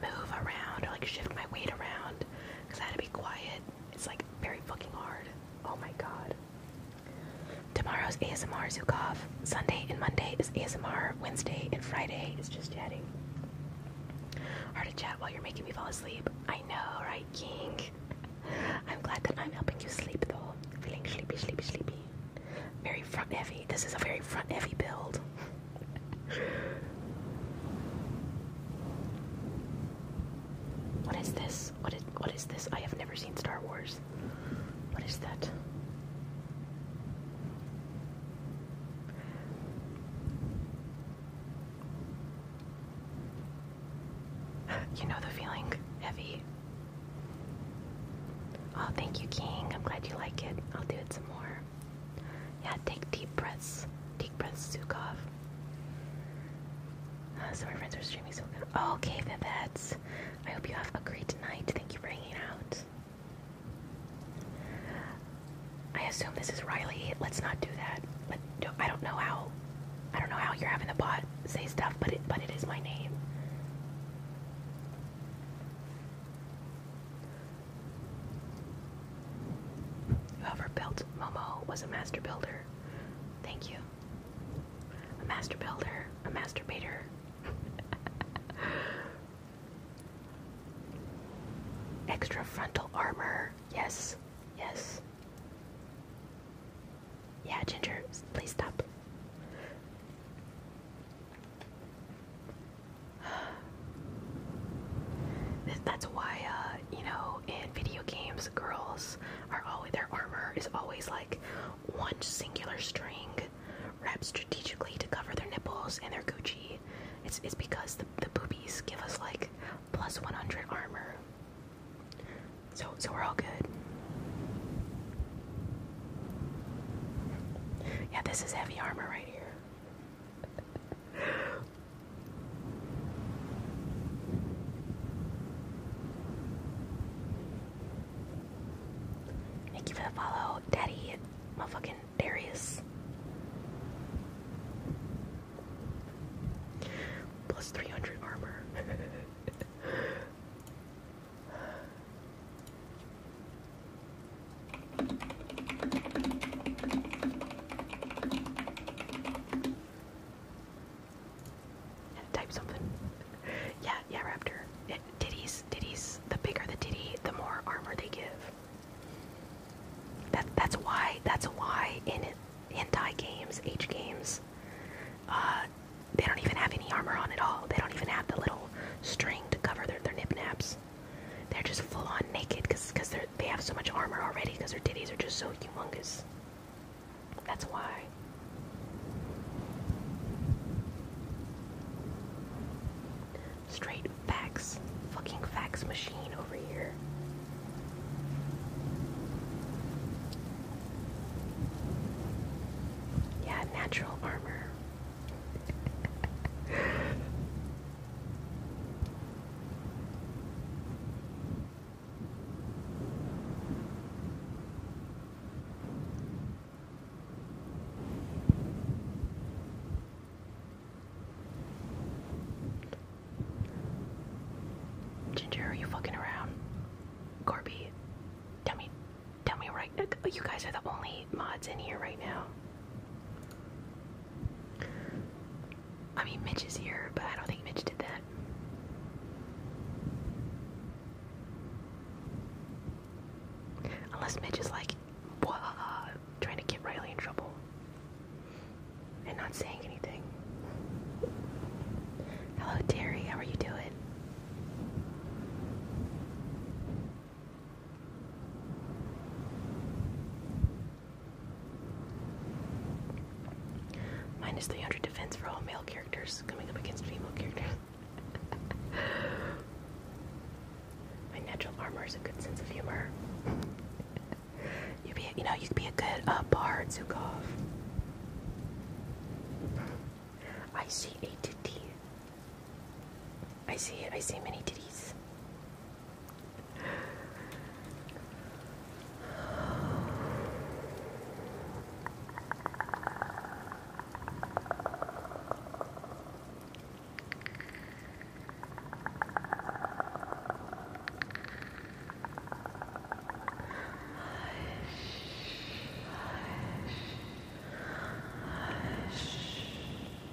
move around or like shift my weight around because I had to be quiet. It's like very fucking hard. Oh my god. Tomorrow's ASMR Zukov. Sunday and Monday is ASMR. Wednesday and Friday is just chatting. Hard to chat while you're making me fall asleep. I know, right, King? I'm glad that I'm helping you sleep though. Feeling sleepy, sleepy, sleepy. Very front heavy. This is a very front heavy build. what is this? What is what is this? I have never seen Star Wars. What is that? You know the feeling, heavy. Oh, thank you, King. I'm glad you like it. I'll do it some more. Yeah, take deep breaths. Deep breaths, Zukov. Uh, so my friends are streaming so good. Oh, okay, Vivette. I hope you have a great night. Thank you for hanging out. I assume this is Riley. Let's not do that. But I don't know how. I don't know how you're having the pot say stuff, but it but it is my name. Whoever built Momo was a master builder. Thank you. A master builder, a masturbator. Extra frontal armor. Yes, yes. Yeah, Ginger, please stop. That's why, uh, you know, in video games, girls are always, their armor is always like one singular string wrapped strategically to cover their nipples and their Gucci. It's, because the, the boobies give us like plus 100 armor. So, so we're all good. Yeah, this is heavy armor right here. Thank you for the follow, Daddy, motherfucking Darius. Plus 300 armor. Type something. yeah, yeah, Raptor. It, ditties. titties. The bigger the titty, the more armor they give. That that's why that's why in in hentai games, H games, uh, they don't even have any armor on at all. They don't even have the little string to cover their their nip naps. They're just full on naked because because they have so much armor already because their titties are just so humongous. That's why. Straight fax, fucking fax machine over here. Yeah, natural armor. Ginger, are you fucking around? Corby, tell me, tell me right You guys are the only mods in here right now. I mean, Mitch is here, but I don't think Mitch did that. Unless Mitch is like, uh, trying to get Riley in trouble and not saying anything. Hello, Terry. How are you doing? Minus 300 defense for all male characters coming up against female characters. My natural armor is a good sense of humor. you would be, you know, you could be a good uh, bard, Zukov. I see A to D. I see it. I see many titties. Hush, hush, hush,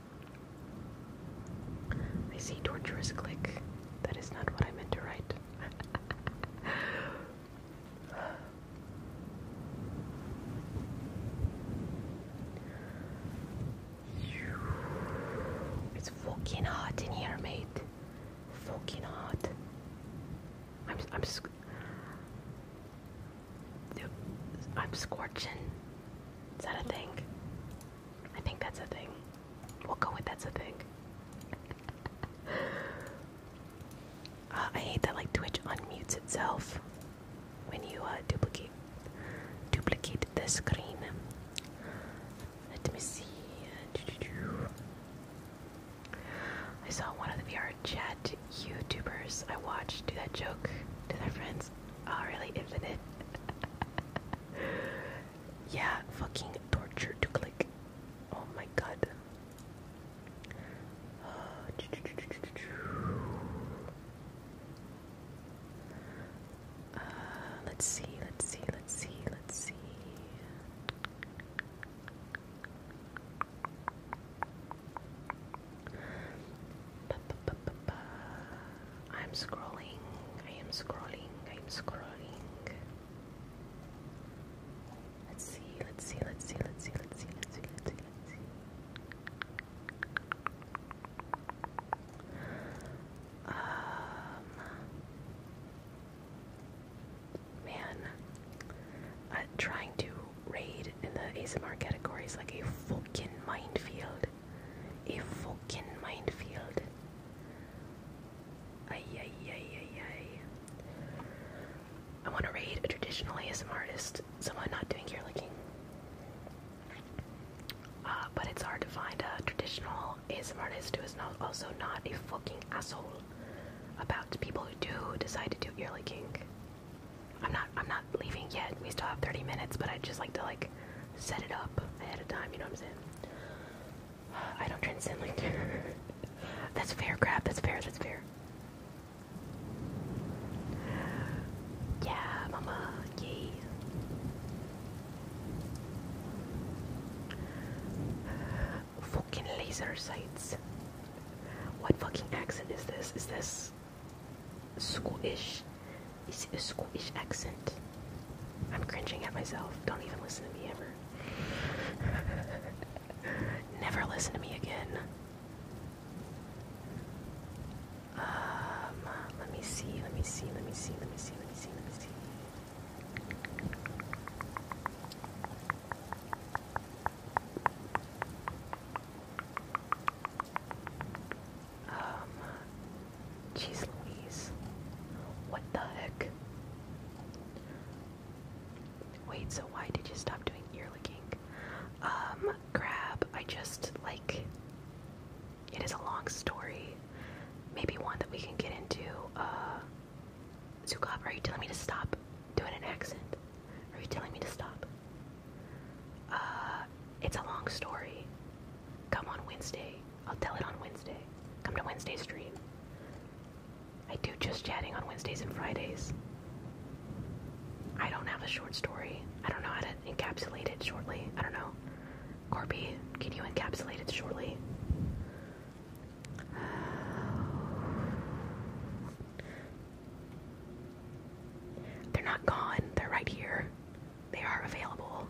I see torturous click. That is not what I meant to write. It's fucking hot in here, mate. Fucking hot. I'm I'm I'm scorching. Is that a thing? I think that's a thing. We'll go with that's a thing. Uh, I hate that like Twitch unmutes itself when you uh, duplicate duplicate the screen. Let me see. I saw one of the VR chat YouTubers I watched do that joke to their friends. Oh, really? Infinite? yeah, fucking torture to click. Oh my god. Uh, let's see, let's see, let's see, let's see. I'm scrolling. I am scrolling. I am scrolling. Let's see. Let's see. Let's see. Let's see. Let's see. Let's see. Let's see. Let's see. Um, man, uh, trying to raid in the ASMR category is like a fucking minefield. A fucking minefield. I want to raid a traditional ASM artist, someone not doing ear licking. Uh, but it's hard to find a traditional ASM artist who is not also not a fucking asshole about people who do decide to do ear licking. I'm not I'm not leaving yet. We still have 30 minutes, but I'd just like to like set it up ahead of time, you know what I'm saying? I don't transcend like That's fair, crap. That's fair. That's fair. Yeah, mama. Yay. Fucking laser sights. What fucking accent is this? Is this squish? It's a Scottish accent. I'm cringing at myself. Don't even listen to me ever. Never listen to me again. Um, let me see, let me see, let me see, let me see, let me see, let me see. Um, jeez Louise. What the heck? Wait, so why did you stop doing ear licking? Um, crab, I just, like, it is a long story. Maybe one that we can get into. Uh, Zuko, are you telling me to stop doing an accent? Are you telling me to stop? Uh, it's a long story. Come on Wednesday. I'll tell it on Wednesday. Come to Wednesday Street. I do just chatting on Wednesdays and Fridays. I don't have a short story. I don't know how to encapsulate it shortly. I don't know. Corby, can you encapsulate it shortly? They're not gone. They're right here. They are available.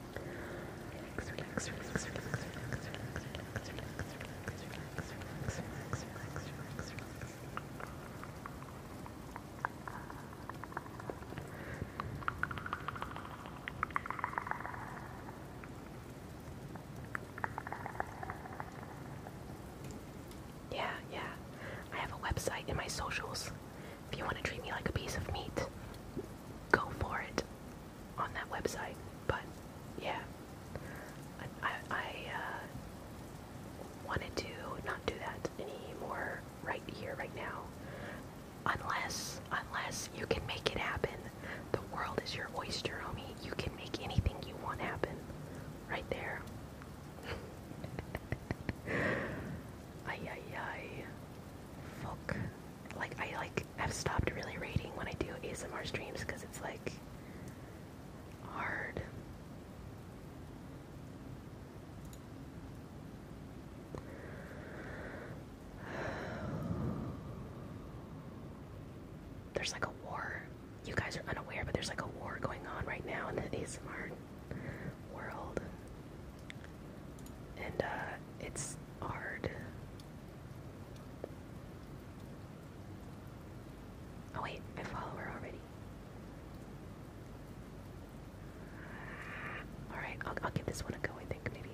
Yeah, yeah. I have a website in my socials. If you want to treat me like a piece of meat, go for it on that website. But yeah, I, I, uh, wanted to not do that anymore right here, right now. Unless, unless you can make it happen. The world is your oyster, homie. You can make anything you want happen. Right there. ay, ay, ay. Fuck like I like have stopped really rating when I do ASMR streams because it's like hard. There's like a war. You guys are unaware, but there's like a war going on right now in the ASMR world and uh, it's hard. Oh wait, I follow her already. All right, I'll, I'll give this one a go. I think maybe.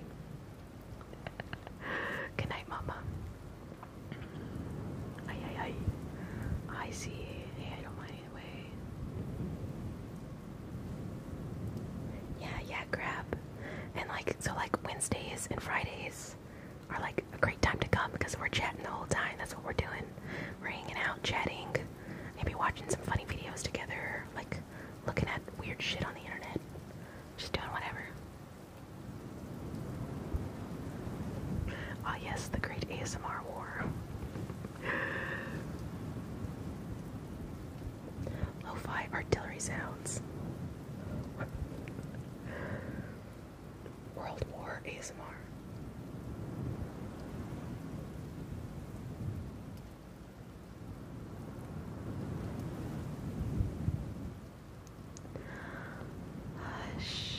Good night, Mama. Ay ay ay. I see. Hey, I don't mind anyway. Yeah, yeah, grab. And like so like Wednesdays and Fridays are like a great time to come because we're chatting the whole time. That's what we're doing. We're hanging out, chatting, maybe watching some funny videos together, like looking at weird shit on the internet. Just doing whatever. Ah yes, the great ASMR war. Lo-fi artillery sounds. World War ASMR. Hush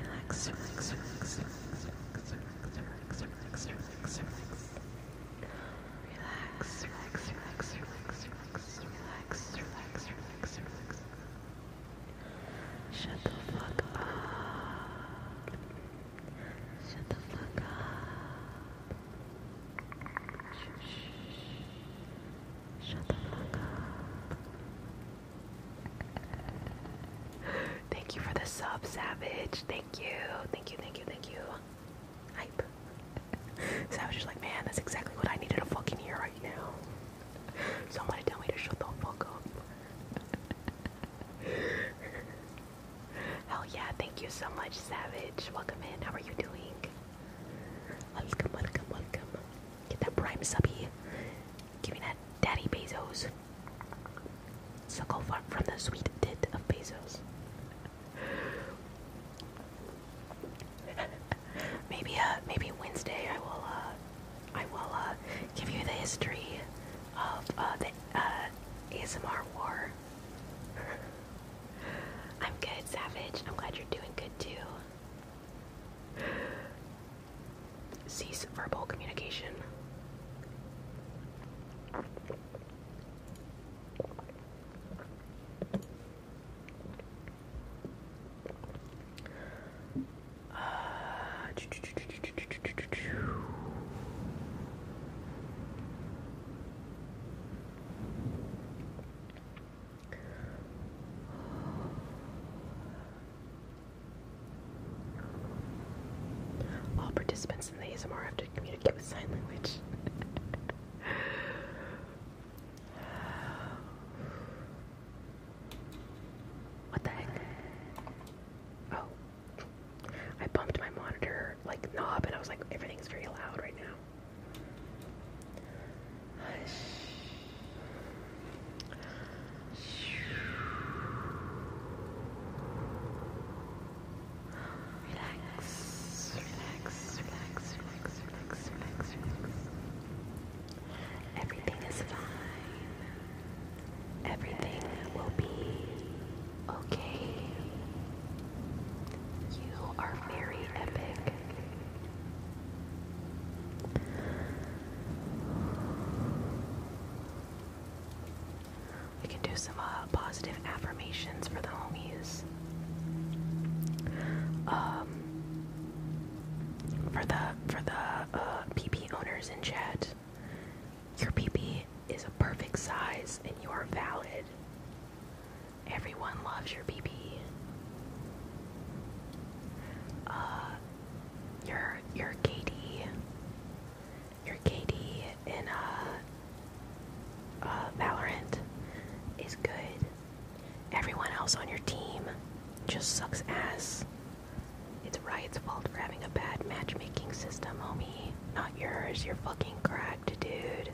Relax, relax, relax, relax, relax, relax, relax, relax, relax. Relax, relax, relax, relax, relax, relax, relax, relax, relax. Shut the fuck up. Shut the fuck up. Shh. Shut the fuck up. Thank you for the sub, Savage. Thank you. Thank you, thank you, thank you. Hype. Savage is like, man, that's exactly what I needed to fucking hear right now. Someone tell me to shut the fuck up. Hell yeah, thank you so much, Savage. Welcome in. How are you doing? Welcome, welcome, welcome. Get that prime subby. Give me that daddy Bezos. Suckle from the sweet tit of Bezos. maybe uh maybe Wednesday I will uh I will uh give you the history of uh the uh ASMR war. I'm good, Savage. I'm glad you're doing good too. Cease verbal communication. All participants in the ASMR have to communicate with sign language. what the heck? Oh. I bumped my monitor like knob and I was like everything's very loud right now. Relax, relax, relax, relax, relax, relax, relax. Everything is fine. Everything will be okay. You are very epic. We can do some uh, positive affirmations for the homies. Um, for the for the PP uh, owners in chat, your PP is a perfect size and you are valid. Everyone loves your PP your your Katie, your Katie in a. Uh, uh, Valorant is good. Everyone else on your team just sucks ass. It's Riot's fault for having a bad matchmaking system, homie. Not yours. You're fucking cracked, dude.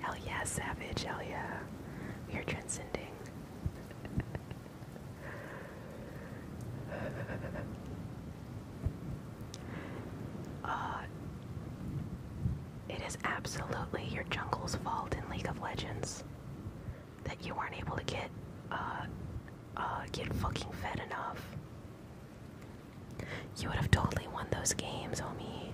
Hell yeah, savage. Hell yeah. We are transcending. Uh, it is absolutely your jungle's fault in League of Legends that you weren't able to get uh, uh, get fucking fed enough. You would have totally won those games, homie.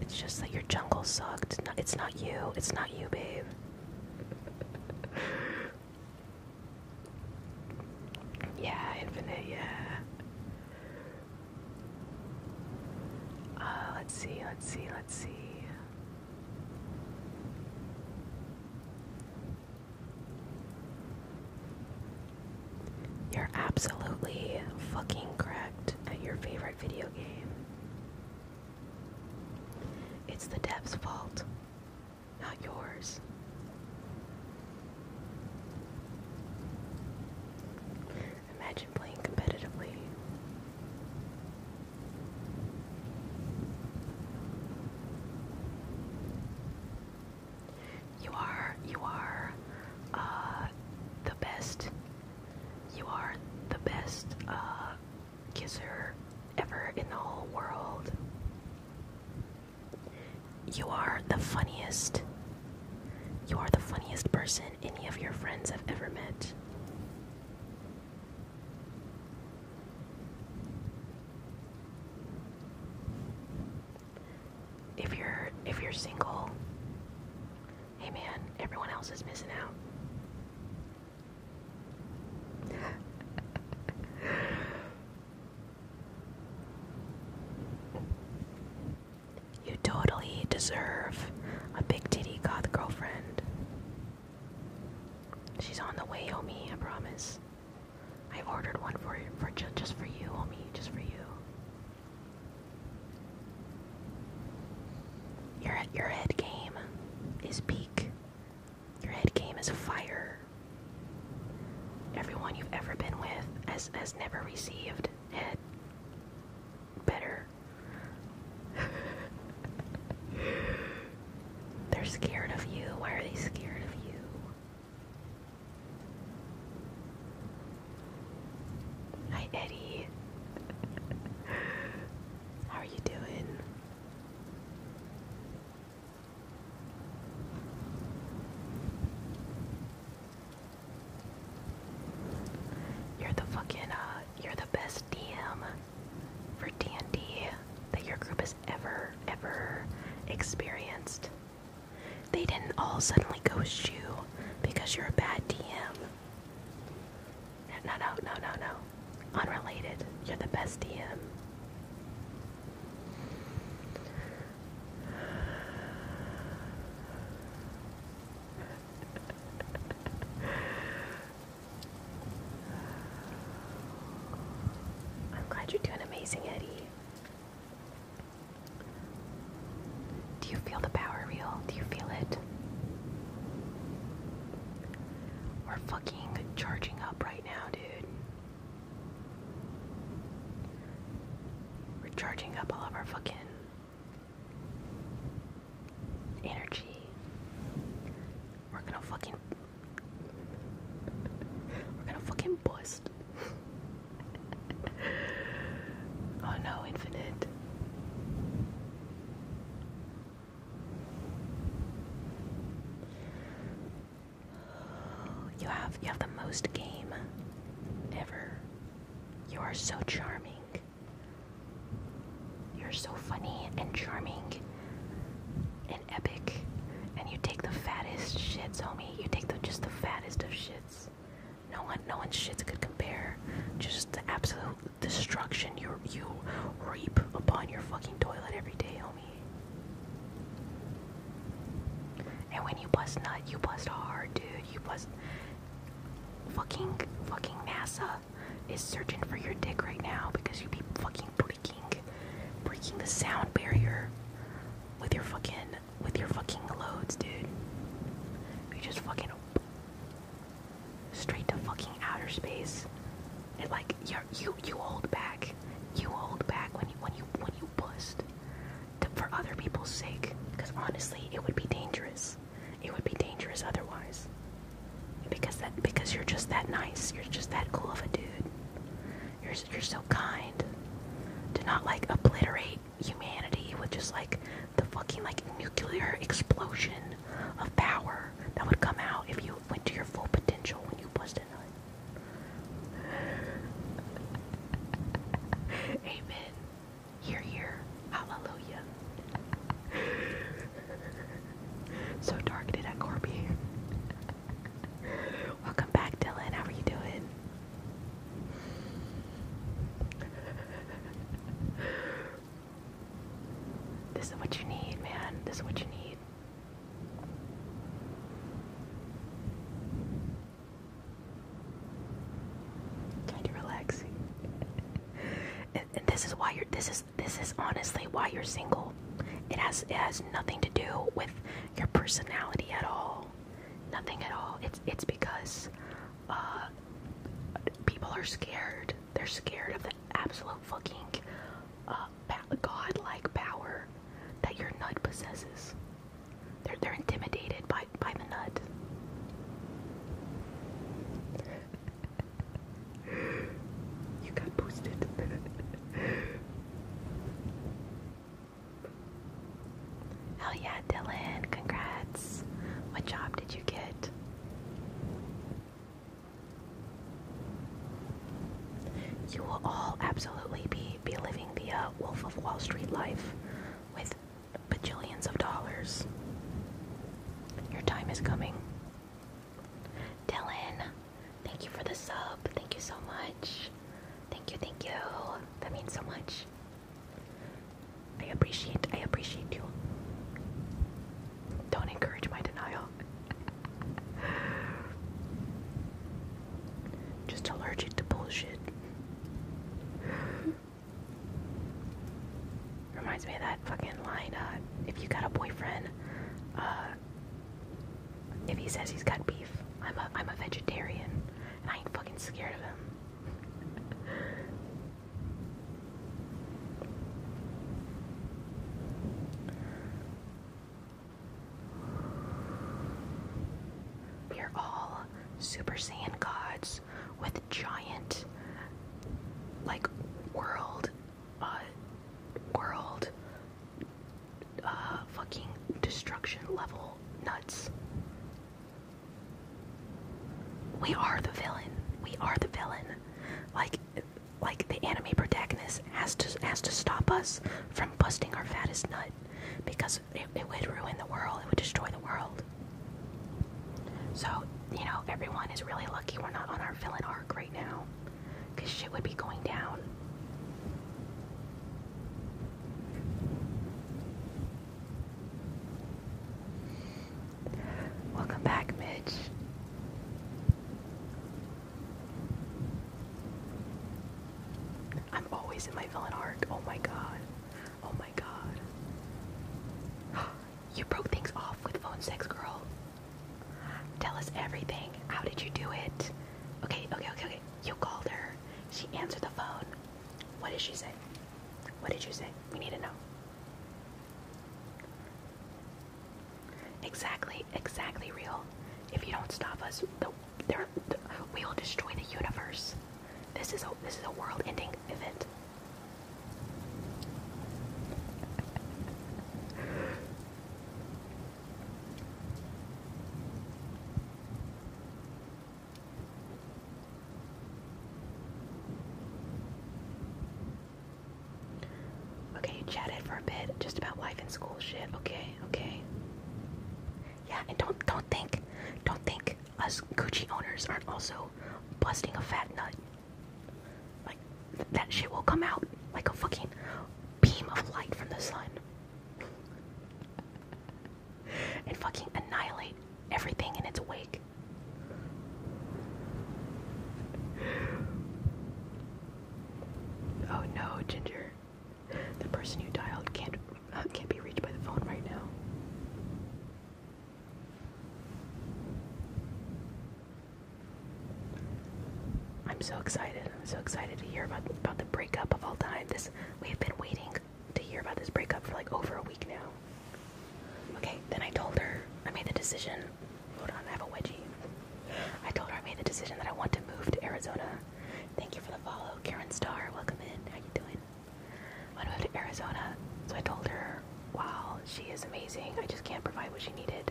It's just that your jungle sucked. It's not you. It's not you, babe. yeah, infinite, yeah. Uh, let's see, let's see, let's see. You're absolutely fucking correct at your favorite video game. It's the dev's fault, not yours. Imagine playing competitively. You are, you are, uh, the best. You are the best, uh, kisser ever in the whole world. You are the funniest. You are the funniest person any of your friends have ever met. If you're if you're single, hey man, everyone else is missing out you totally deserve a big titty goth girlfriend. She's on the way, homie, I promise. i ordered one for for just for you, homie, just for you. Your your head game is peak. Your head game is fire. Everyone you've ever been with has, has never received head better. They're scared of you. Why are they scared of you? Hi, Eddie. How are you doing? You're the fucking, uh, you're the best DM for D&D that your group has ever, ever experienced. They didn't all suddenly ghost you because you're a bad DM. No, no, no, no, no. Unrelated. You're the best DM. I'm glad you're doing amazing, Eddie. Do you feel the power reel? Do you feel it? We're fucking charging up right now, dude. We're charging up all of our fucking energy. We're gonna fucking. We're gonna fucking bust. oh no, infinite. You have you have the most game ever. You are so charming. You're so funny and charming and epic. And you take the fattest shits, homie. You take the just the fattest of shits. No one no one's shits could compare. Just the absolute destruction you you reap upon your fucking toilet every day, homie. And when you bust nut, you bust hard, dude. You bust. Fucking fucking NASA is searching for your dick right now because you be fucking breaking, breaking the sound barrier with your fucking with your fucking loads, dude. You just fucking straight to fucking outer space. And like you you you hold back. You hold back when you when you when you bust for other people's sake. Because honestly, it would be dangerous. It would be dangerous otherwise. Because that because you're just that nice. You're just that cool of a dude. You're you're so kind. To not like obliterate humanity with just like the fucking like nuclear explosion of power that would come out if you went to your full potential when you busted nut. Amen. Hear, hear. Hallelujah. so targeted at Corby. Welcome back, Dylan. How are you doing? This is what you need, man. This is what you need. Kind of relaxing. and, this is why you're. This is this is honestly why you're single. It has it has nothing to do with your personality at all. Nothing at all. It's it's because uh, people are scared. They're scared of the absolute fucking uh, God-like power that your nut possesses. They're, they're intimidated by, by the nut. you got boosted. oh yeah, Dylan, congrats. What job did you get? You will all absolutely be, be living the uh, Wolf of Wall Street life with bajillions of dollars. Your time is coming. Dylan, thank you for the sub. Thank you so much. Thank you, thank you. That means so much. I appreciate, I appreciate you. Don't encourage my denial. Just allergic to bullshit. Reminds me of that fucking line, uh, if you got a boyfriend, uh, if he says he's got beef, I'm a, I'm a vegetarian, and I ain't fucking scared of him. We are all Super Saiyan gods with giant, like, world, uh, world, uh, fucking destruction level nuts. We are the villain. We are the villain. Like, like the anime protagonist has to has to stop us from busting our fattest nut because it, it would ruin the world. It would destroy the world. So you know everyone is really lucky we're not on our villain arc right now, because shit would be going down. Welcome back, Mitch. I'm always in my villain arc. Oh my god. Oh my god. you broke things off with phone sex girl. Tell us everything. How did you do it? Okay, okay, okay, okay. You called her. She answered the phone. What did she say? What did you say? We need to know. Exactly, exactly real. If you don't stop us, the, we will destroy the universe. This is a this is a world-ending event. Okay, you chatted for a bit just about life and school shit. Okay, okay. Yeah, and don't don't think, don't think us Gucci owners aren't also busting a fat nut. Like that shit will come out like a fucking beam of light from the sun. and fucking annihilate everything in its wake. Oh no, Ginger. The person you dialed can't uh, can't be reached by the phone right now. I'm so excited. I'm so excited to hear about about the breakup of all time. This we've been waiting to hear about this breakup for like over a week now. Okay, then I told her I made the decision Hold on, I have a wedgie. I told her I made the decision that I want to move to Arizona. Thank you for the follow, Karen Starr. Welcome in. How you doing? I want to move to Arizona. So I told her, wow, she is amazing. I just can't provide what she needed.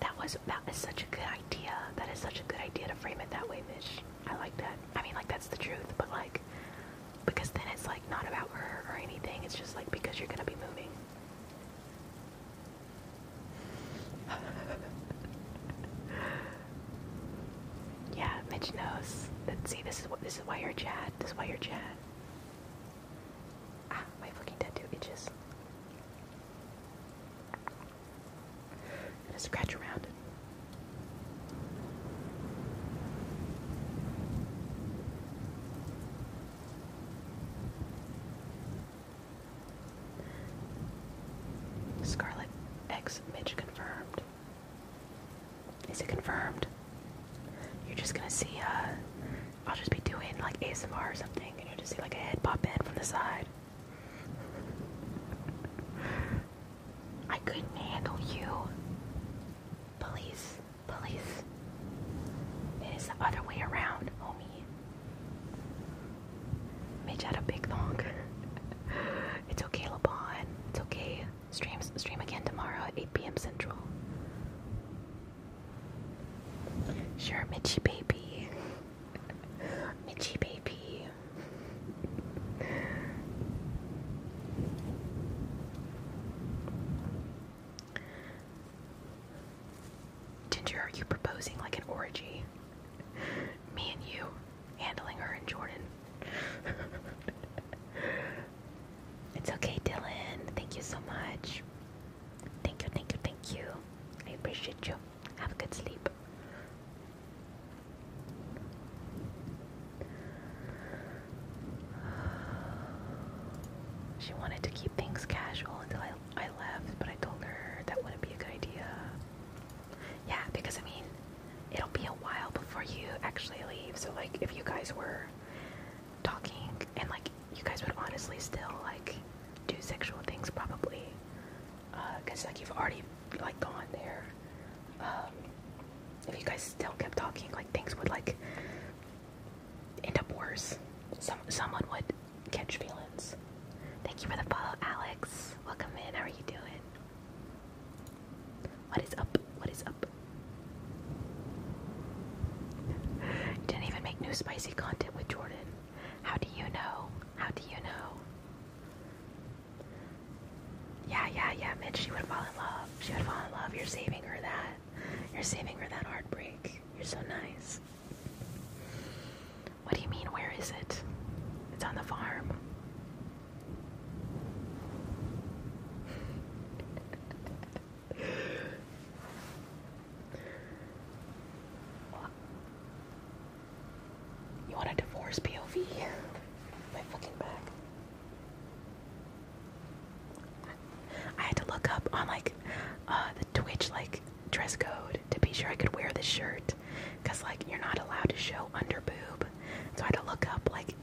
That was that is such a good idea. That is such a good idea to frame it that way, Mish. I like that. I mean, like that's the truth, but like because then it's like not about her or anything. It's just like because you're gonna be moving. yeah, Mitch knows. Let's see, this is what this is why you're Chad. This is why you're Chad. Ah, my fucking tattoo itches. Gonna scratch around. Scarlet X Mitch confirmed. Is it confirmed? You're just gonna see, uh, I'll just be doing like ASMR or something, and you'll just see like a head pop in from the side. I couldn't handle you. Police, police. It is the other way around, homie. Midge had a big thong. it's okay, LeBon. It's okay. Streams stream again tomorrow at 8 p.m. Central. Sure, Mitchy baby. Mitchy baby. Ginger, are you proposing like an orgy? Me and you, handling her and Jordan. it's okay, Dylan. Thank you so much. Thank you, thank you, thank you. I appreciate you. Have a good sleep. She wanted to keep things casual until I I left, but I told her that wouldn't be a good idea. Yeah, because I mean, it'll be a while before you actually leave. So, like, if you guys were talking, and like, you guys would honestly still like do sexual things probably, because uh, like you've already like gone there. Um, if you guys still kept talking, like things would like end up worse. Some someone would catch feelings. Thank you for the follow, Alex. Welcome in. How are you doing? What is up? What is up? didn't even make new spicy content with Jordan. How do you know? How do you know? Yeah, yeah, yeah, Mitch, she would fall in love. She would fall in love. You're saving her that. You're saving her that heartbreak. You're so nice. What do you mean, where is it? It's on the farm. You want a divorce POV? My fucking back. I had to look up on like uh, Twitch like dress code to be sure I could wear this shirt because like you're not allowed to show under boob. So I had to look up like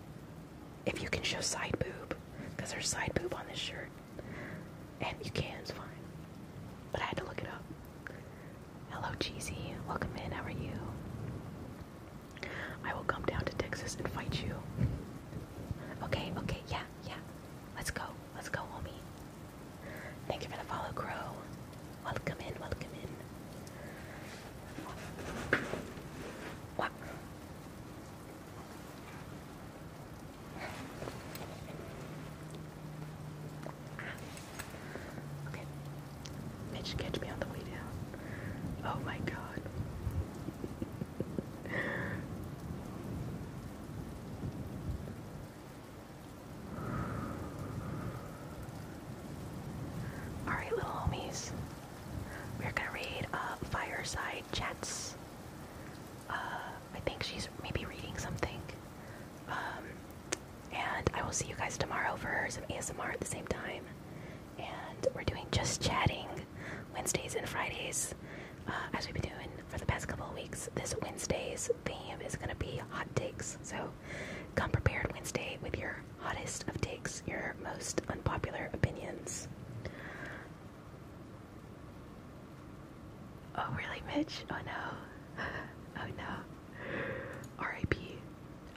if you can show side boob because there's side boob on this shirt. And you can, it's fine. But I had to look it up. Hello, Cheesy. Welcome in. How are you? I will come down to Texas and fight you. Okay, okay, yeah, yeah. Let's go. Let's go, homie. Thank you for the follow, Crow. Welcome in, welcome in. What? Okay. catch me on the way down. Oh my god. All right, little homies. We're gonna read uh, Fireside Chats. Uh, I think she's maybe reading something. Um, and I will see you guys tomorrow for some ASMR at the same time. And we're doing just chatting Wednesdays and Fridays uh, as we've been doing for the past couple of weeks, this Wednesday's theme is going to be hot takes. So come prepared Wednesday with your hottest of takes, your most unpopular opinions. Oh, really, Mitch? Oh no. Oh no. RIP.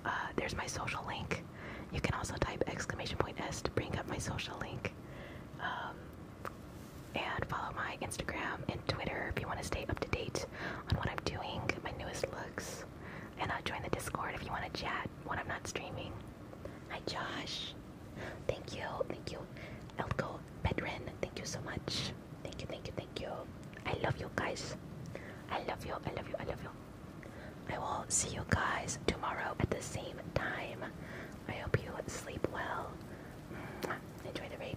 Uh, there's my social link. You can also type exclamation point S to bring up my social link. Um, and follow my Instagram and Twitter if you want to stay up to date on what I'm doing, my newest looks. And join the Discord if you want to chat when I'm not streaming. Hi, Josh. Thank you. Thank you. Elko Bedrin. Thank you so much. Thank you. Thank you. Thank you. I love you guys. I love you. I love you. I love you. I will see you guys tomorrow at the same time. I hope you sleep well. Enjoy the rain.